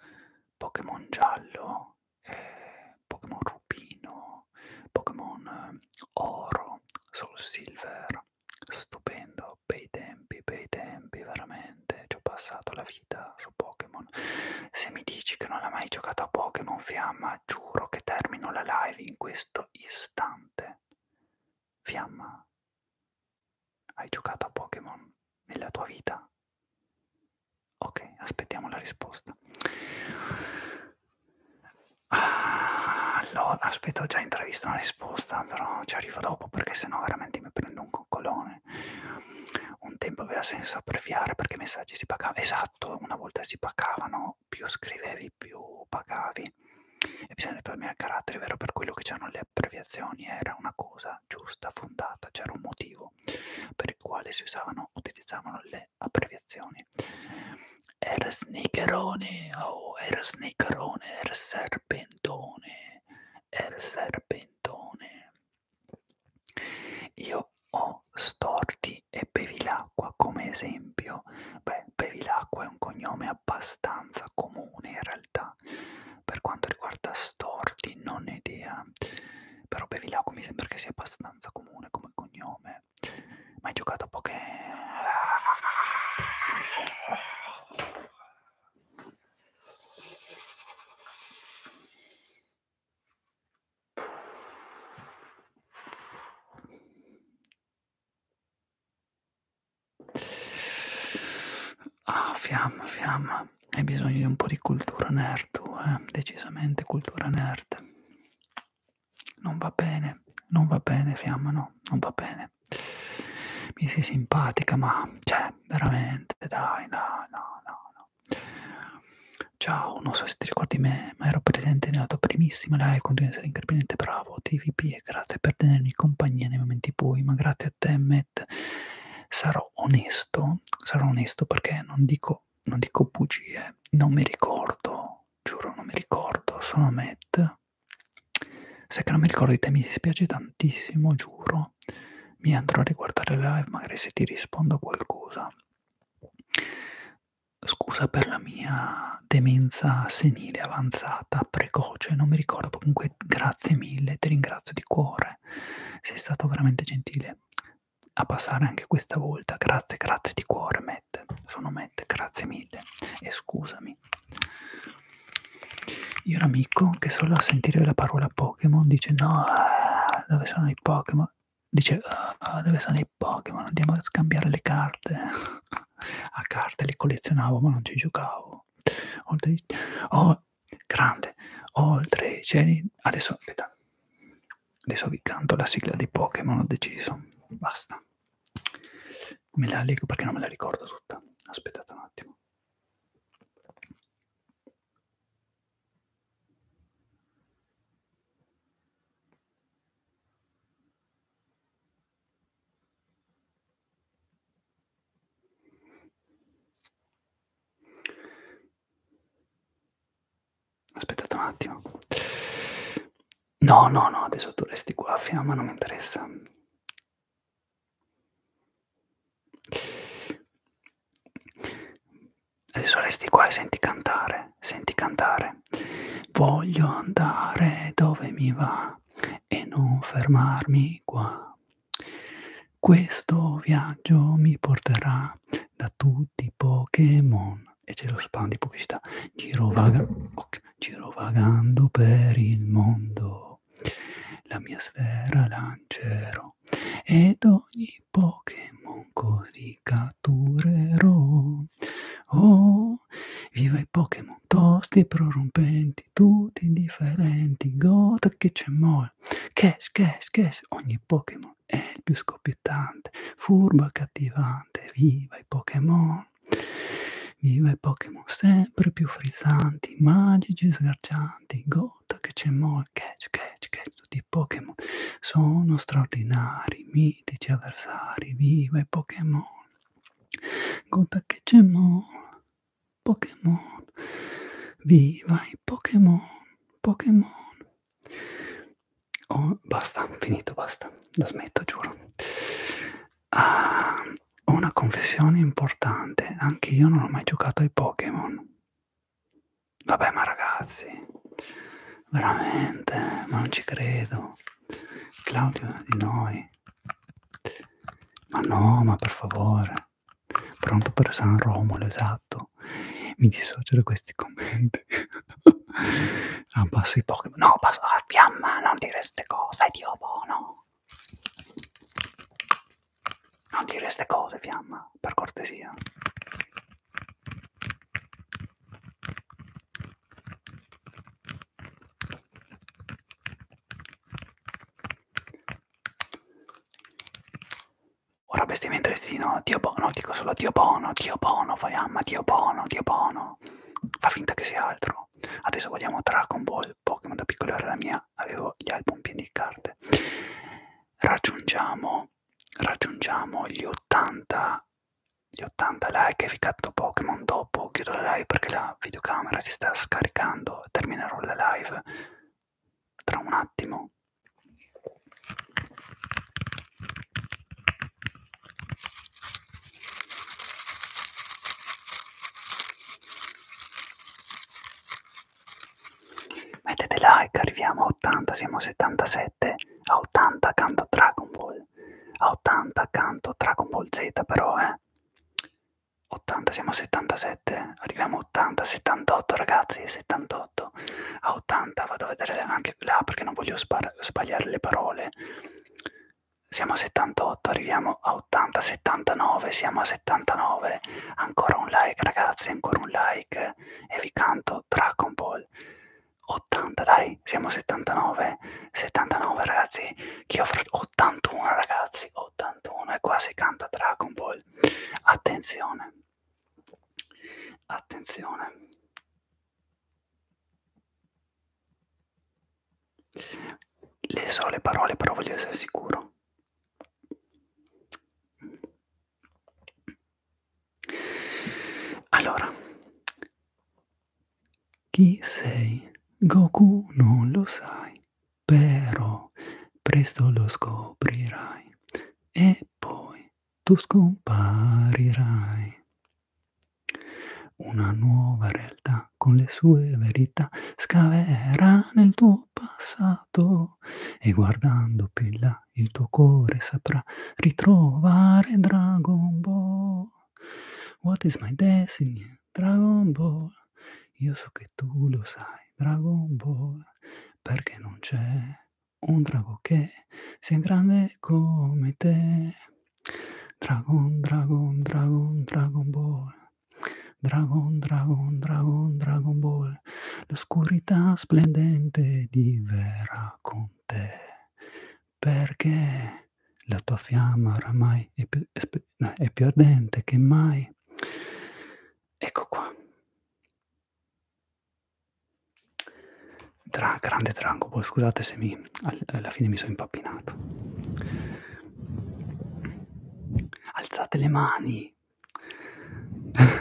Pokémon giallo, eh, Pokémon rubino, Pokémon eh, oro, Soul Silver, stupendo, bei tempi, bei tempi, veramente, ci ho passato la vita su Pokémon. Se mi dici che non hai mai giocato a Pokémon Fiamma, giuro che termino la live in questo istante. Fiamma, hai giocato a Pokémon nella tua vita? Ok, aspettiamo la risposta. Ah, allora, aspetta, ho già intravisto una risposta, però ci arrivo dopo perché sennò veramente mi prendo un coccolone. Un tempo aveva senso abbreviare perché i messaggi si pagavano. Esatto, una volta si pagavano, più scrivevi, più pagavi. E bisogna risparmiare il carattere, vero? Per quello che c'erano le abbreviazioni era una cosa giusta, fondata, c'era un motivo per il quale si usavano, utilizzavano le abbreviazioni. Era sneakerone, oh, era sneakerone, era serpentone, era serpentone. Io ho storti e bevi l'acqua come esempio. Beh, bevi l'acqua è un cognome abbastanza comune in realtà per quanto riguarda storti non ne idea però Bevilacqua mi sembra che sia abbastanza comune come cognome ma hai giocato a poche Ah, fiamma, fiamma. Hai bisogno di un po' di cultura nerd, tu, eh? Decisamente cultura nerd. Non va bene, non va bene, fiamma, no, non va bene. Mi sei simpatica, ma cioè, veramente, dai, no, no, no, no. Ciao, non so se ti ricordi me, ma ero presente nella tua primissima live, continui a essere incredibilmente bravo, TVP, e grazie per tenermi compagnia nei momenti bui, ma grazie a te, me internet sarò onesto sarò onesto perché non dico non dico bugie non mi ricordo giuro non mi ricordo sono Matt se che non mi ricordo di te mi dispiace tantissimo giuro mi andrò a riguardare le live magari se ti rispondo qualcosa scusa per la mia demenza senile avanzata precoce non mi ricordo comunque Emanuele, grazie mille, ti ringrazio di cuore, sei stato veramente gentile a passare anche questa volta, grazie, grazie di cuore Matt, sono Matt, grazie mille e scusami. Io un amico che solo a sentire la parola Pokémon dice no, eh, dove sono i Pokémon? Dice oh, dove sono i Pokémon? Andiamo a scambiare le carte. a carte le collezionavo ma non ci giocavo. Oltre, oh, bello, grande, oltre i cieli. Adesso, aspetta, adesso vi canto la sigla di Pokémon, ho deciso, basta. Me la leggo perché non me la ricordo tutta. Aspettate un attimo. Aspettate un attimo. No, no, no, adesso tu resti qua, fiamma, non mi interessa. Adesso resti qua e senti cantare, senti cantare. Voglio andare dove mi va e non fermarmi qua. Questo viaggio mi porterà da tutti i Pokémon e c'è lo spam di pubblicità Girovaga, okay, girovagando per il mondo la mia sfera lancerò ed ogni Pokémon così catturerò oh viva i Pokémon tosti e prorompenti attitudini differenti, goda che c'è more. Cash, cash, cash, ogni Pokémon è il più scoppiettante, furbo e cattivante, viva i Pokémon. Viva i Pokémon sempre più frizzanti, magici e sgarcianti, goda che c'è more. Cash, cash, cash, tutti i Pokémon sono straordinari, mitici avversari, viva i Pokémon. Goda che c'è more. Pokémon, viva i Pokémon, Pokémon. Oh, basta, finito, basta, la smetto, giuro. Ah, ho una confessione importante, anche io non ho mai giocato ai Pokémon. Vabbè, ma ragazzi, veramente, ma non ci credo. Claudio di noi. Ma no, ma per favore. Pronto per San Romolo, esatto. Mi dissocio da questi commenti. ah, passo i Pokémon. No, passo la fiamma, non dire queste cose, Dio buono. Non dire queste cose, fiamma, per cortesia. Ora bestia trestino, Dio Bono, dico solo Dio Bono, Dio Bono, fai amma, Dio Bono, Dio Bono. Fa finta che sia altro. Adesso vogliamo Dragon Ball, Pokémon da piccolo era la mia, avevo gli album pieni di carte. Raggiungiamo, raggiungiamo gli 80, gli 80 like efficato Pokémon dopo, chiudo la live perché la videocamera si sta scaricando, terminerò la live tra un attimo mettete like arriviamo a 80 siamo a 77 a 80 accanto a Dragon Ball a 80 accanto a Dragon Ball Z però eh 80, siamo a 77, arriviamo a 80, 78 ragazzi, 78, a 80 vado a vedere anche là perché non voglio sbagliare le parole, siamo a 78, arriviamo a 80, 79, siamo a 79, ancora un like ragazzi, ancora un like e vi canto Dragon Ball. 80 dai, siamo a 79, 79 ragazzi, chi offre 81 ragazzi, 81 e qua si canta Dragon Ball, Marvel. Attenzione, attenzione. Le so le parole, però voglio essere sicuro. Allora, chi sei? Goku non lo sai però presto lo scoprirai e poi tu scomparirai. Una nuova realtà con le sue verità scaverà nel tuo passato e guardando più in là il tuo cuore saprà ritrovare Dragon Ball. What is my destiny? Dragon Ball. Io so che tu lo sai, Dragon Ball, perché non c'è un drago che sia grande come te. Dragon, Dragon, Dragon, Dragon Ball. Dragon, Dragon, Dragon, Dragon Ball. L'oscurità splendente diverrà con te. Perché la tua fiamma oramai è più, è più ardente che mai. Ecco qua. Tra, grande Dragon scusate se mi, alla fine mi sono impappinato. Alzate le mani.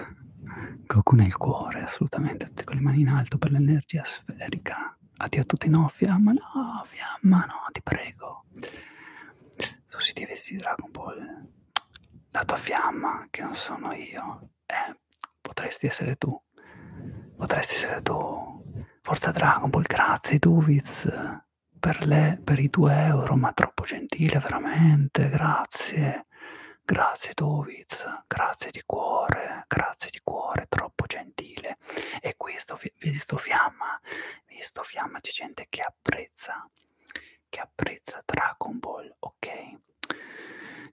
Goku nel cuore, assolutamente, tutte con le mani in alto per l'energia sferica. Addio a tutti, no, fiamma, no, fiamma, no, ti prego susciti vestiti di Dragon Ball, la tua fiamma che non sono io, eh, potresti essere tu, potresti essere tu, forza Dragon Ball, grazie Duviz per, le, per i 2 euro, ma troppo gentile veramente, grazie, grazie Duviz, grazie di cuore, grazie di cuore, troppo gentile. E qui sto, vi sto fiamma, visto fiamma, c'è gente che apprezza che apprezza Dragon Ball, ok?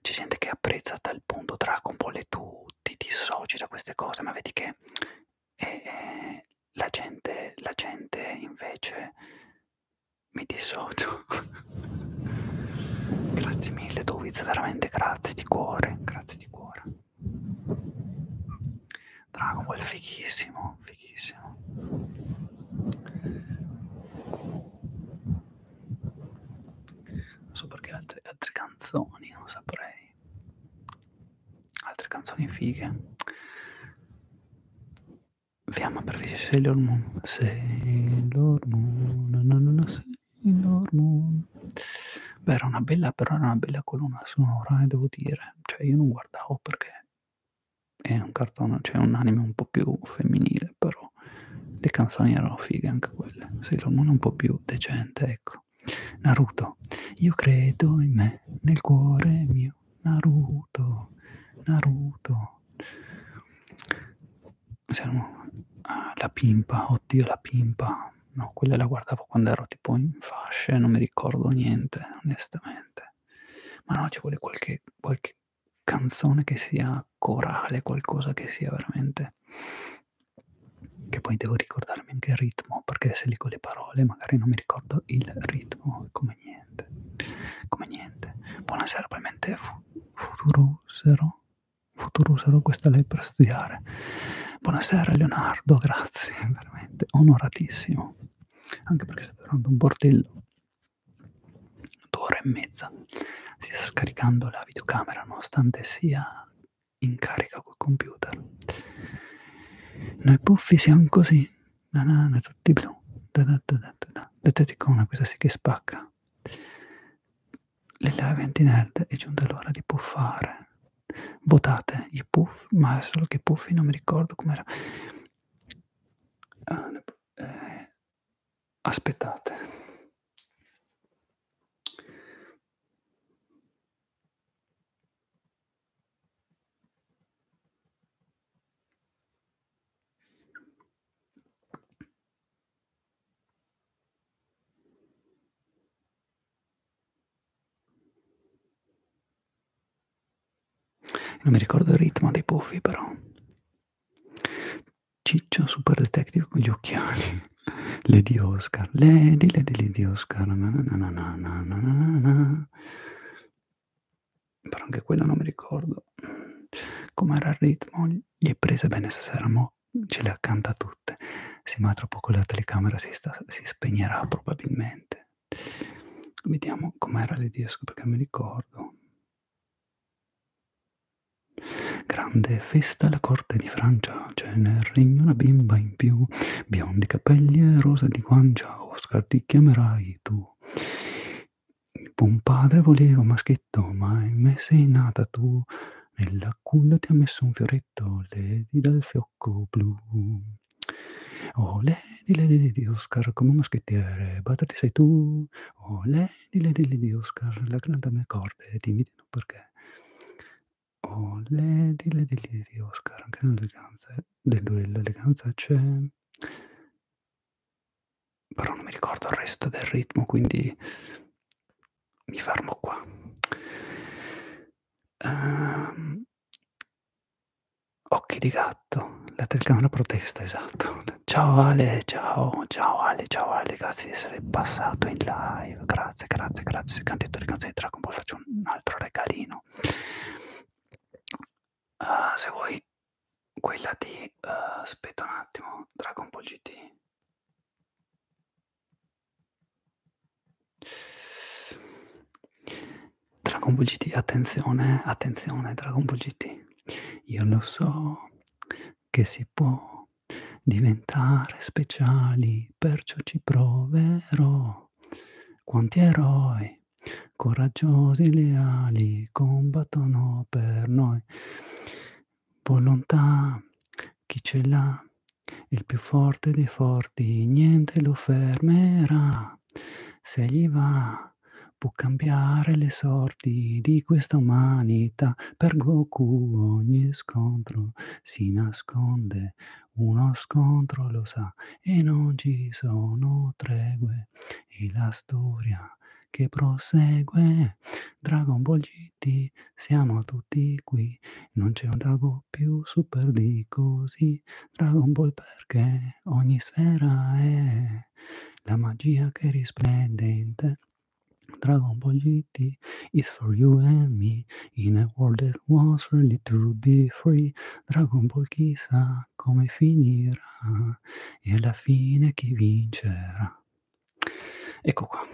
C'è gente che apprezza a tal punto Dragon Ball e tu ti dissoci da queste cose, ma vedi che eh, eh, la, gente, la gente invece mi dissocio. grazie mille, Dowiz, veramente grazie di cuore, grazie di cuore. Dragon Ball fighissimo, fighissimo. Non so perché altre, altre canzoni, non saprei. Altre canzoni fighe. Vi ama per visi Sailor Moon. Sailor Moon, no, no, no, Sailor Moon. Beh, era una bella, però era una bella colonna sonora, eh, devo dire. Cioè, io non guardavo perché è un cartone, cioè un anime un po' più femminile, però le canzoni erano fighe anche quelle. Sailor Moon è un po' più decente, ecco. Naruto, io credo in me, nel cuore mio, Naruto, Naruto. Siamo ah, la pimpa, oddio la pimpa. No, quella la guardavo quando ero tipo in fasce, non mi ricordo niente, onestamente ma no, ci vuole qualche, qualche canzone che sia corale, qualcosa che sia veramente che poi devo ricordarmi anche il ritmo, perché se leggo le parole magari non mi ricordo il ritmo, come niente, come niente. Buonasera, probabilmente fu- futurusero, futurusero questa lei per studiare. Buonasera Leonardo, grazie, veramente, onoratissimo, anche perché stai durando un bordello d'ora e mezza stia scaricando la videocamera nonostante sia in carica col computer. Noi puffi siamo così, na na na, tutti blu, da da da da da, da teticona, questa sì che spacca. Le Leventi Nerd è giunta l'ora di puffare. Votate i puff, ma solo che puffi non mi ricordo com'era. Ah, ne... eh, aspettate. Non mi ricordo il ritmo dei puffi però. Ciccio Super Detective con gli occhiali. Lady Oscar. Lady, Lady, Lady Oscar. Na na na na na na. Però anche quello non mi ricordo. Com'era il ritmo? Gli è presa bene stasera, mo ce le accanta tutte. Sì, ma tra poco la telecamera si, sta, si spegnerà probabilmente. Vediamo com'era l'ediosco perché non mi ricordo. Grande festa alla corte di Francia, c'è nel regno una bimba in più, biondi capelli e rosa di guancia, Oscar ti chiamerai tu. Il buon padre voleva un maschietto, ma in me sei nata tu, nella culla ti ha messo un fioretto, ledi dal fiocco blu. Olè, di lady di Oscar, come un moschettiere, batterti sei tu. Oh, lady lady di Oscar, la grande corde, ti invidiano perché. Oh, lady lady di Oscar, anche nell'eleganza, dell'eleganza c'è. Però non mi ricordo il resto del ritmo, quindi mi fermo qua. Um, Occhi di gatto, la telecamera protesta, esatto. Ciao Ale, ciao, ciao Ale, ciao Ale, grazie di essere passato in live, grazie, grazie, grazie. Se canti le canzoni di Dragon Ball faccio un altro regalino. Uh, se vuoi quella di... Uh, aspetta un attimo, Dragon Ball GT. Dragon Ball GT, attenzione, attenzione Dragon Ball GT. Io lo so che si può diventare speciali, perciò ci proverò. Quanti eroi, coraggiosi, leali, combattono per noi. Volontà, chi ce l'ha? Il più forte dei forti, niente lo fermerà va, se gli va, può cambiare le sorti di questa umanità. Per Goku ogni scontro si nasconde, uno scontro lo sa, e non ci sono tregue. E la storia che prosegue. Dragon Ball GT, siamo tutti qui. Non c'è un drago più super di così. Dragon Ball perché ogni sfera è te, la magia che risplendente. Dragon Ball GT is for you and me in a world that was really to be free. Dragon Ball chissà come finirà e alla fine chi vincerà. Ecco qua.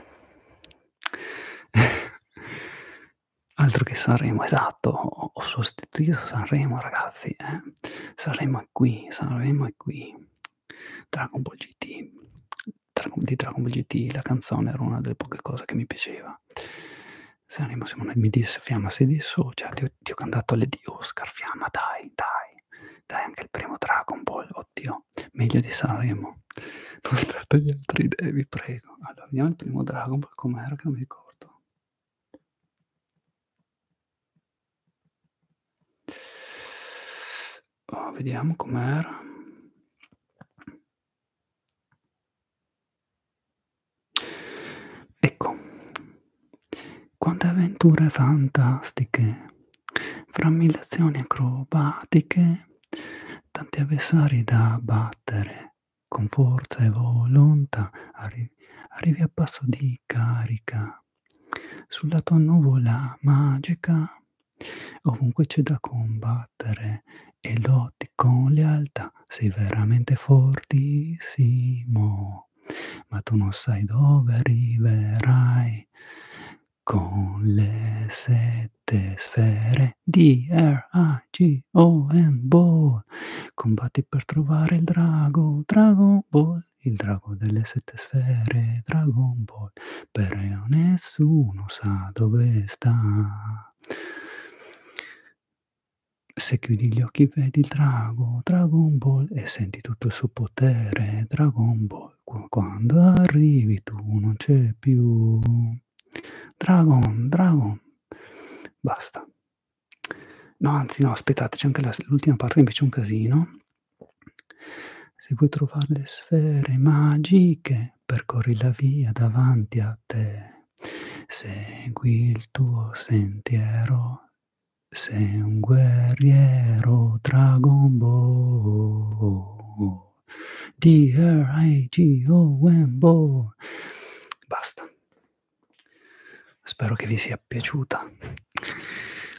Altro che Sanremo, esatto, ho sostituito Sanremo ragazzi, eh? saremo qui, saremo qui. Dragon Ball GT, Dragon, di Dragon Ball GT la canzone era una delle poche cose che mi piaceva. Saremo, Simone, mi disse, Fiamma, sei dissocia, cioè, ti, ti ho cantato le di Oscar, Fiamma, dai, dai, dai, anche il primo Dragon Ball, oddio, meglio di Sanremo. Non tratto gli altri idee, vi prego. Allora, vediamo il primo Dragon Ball, com'era che non mi ricordo. Oh, vediamo com'era. Ecco, quante avventure fantastiche, frammillazioni acrobatiche, tanti avversari da battere, con forza e volontà arri arrivi a passo di carica sulla tua nuvola magica. Ovunque c'è da combattere e lotti con lealtà, sei veramente fortissimo, ma tu non sai dove arriverai con le sette sfere D, R, A, G, O, N, Ball. Combatti per trovare il drago, drago, ball, il drago delle sette sfere, Dragon Ball, però nessuno sa dove sta. Se chiudi gli occhi vedi il drago, Dragon Ball, e senti tutto il suo potere, Dragon Ball, quando arrivi tu non c'è più. Dragon, Dragon, basta. No, anzi no, aspettate, c'è anche l'ultima parte, invece è un casino. Se vuoi trovare le sfere magiche, percorri la via davanti a te. Segui il tuo sentiero, sei un guerriero Dragon Ball. D-R-I-G-O-M-B-O. Basta. Spero che vi sia piaciuta.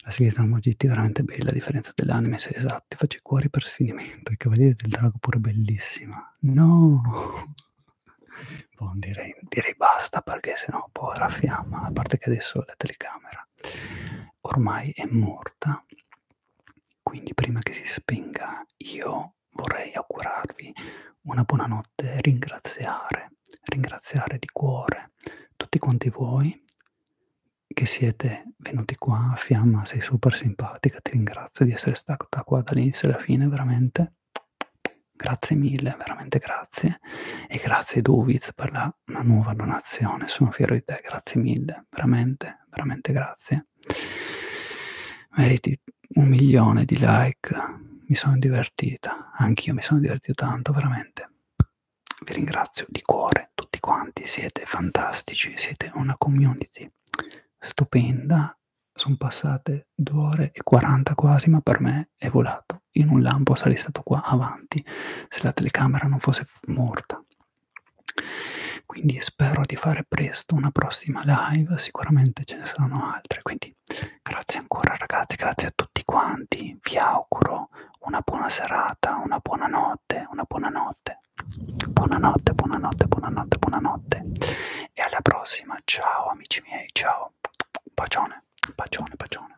La sigla di GT è veramente bella, a differenza dell'anime, se esatti. Faccio i cuori per sfinimento. I Cavalieri del Drago pure bellissima. No! Bon, direi, direi basta perché sennò poi raffiamma, a parte che adesso la telecamera ormai è morta. Quindi prima che si spenga io vorrei augurarvi una buonanotte e ringraziare cuore, ringraziare di cuore tutti quanti voi che siete venuti qua, Fiamma sei super simpatica, ti ringrazio di essere stata qua dall'inizio alla fine, veramente grazie mille, veramente grazie e grazie Duviz per la, la nuova donazione, sono fiero di te, grazie mille, veramente, veramente grazie. Meriti un milione di like, mi sono divertita, anch'io mi sono divertito tanto, veramente vi ringrazio di cuore tutti quanti, siete fantastici, siete una community stupenda, sono passate 2 ore e 40 quasi, ma per me è volato, in un lampo sarei stato qua avanti se la telecamera non fosse morta. Quindi spero di fare presto una prossima live, sicuramente ce ne saranno altre, quindi grazie ancora ragazzi, grazie a tutti quanti, vi auguro una buona serata, una buona notte, una buona notte. Buonanotte, buonanotte, buonanotte, buonanotte. E alla prossima, ciao amici miei, ciao. Bacione, bacione, bacione.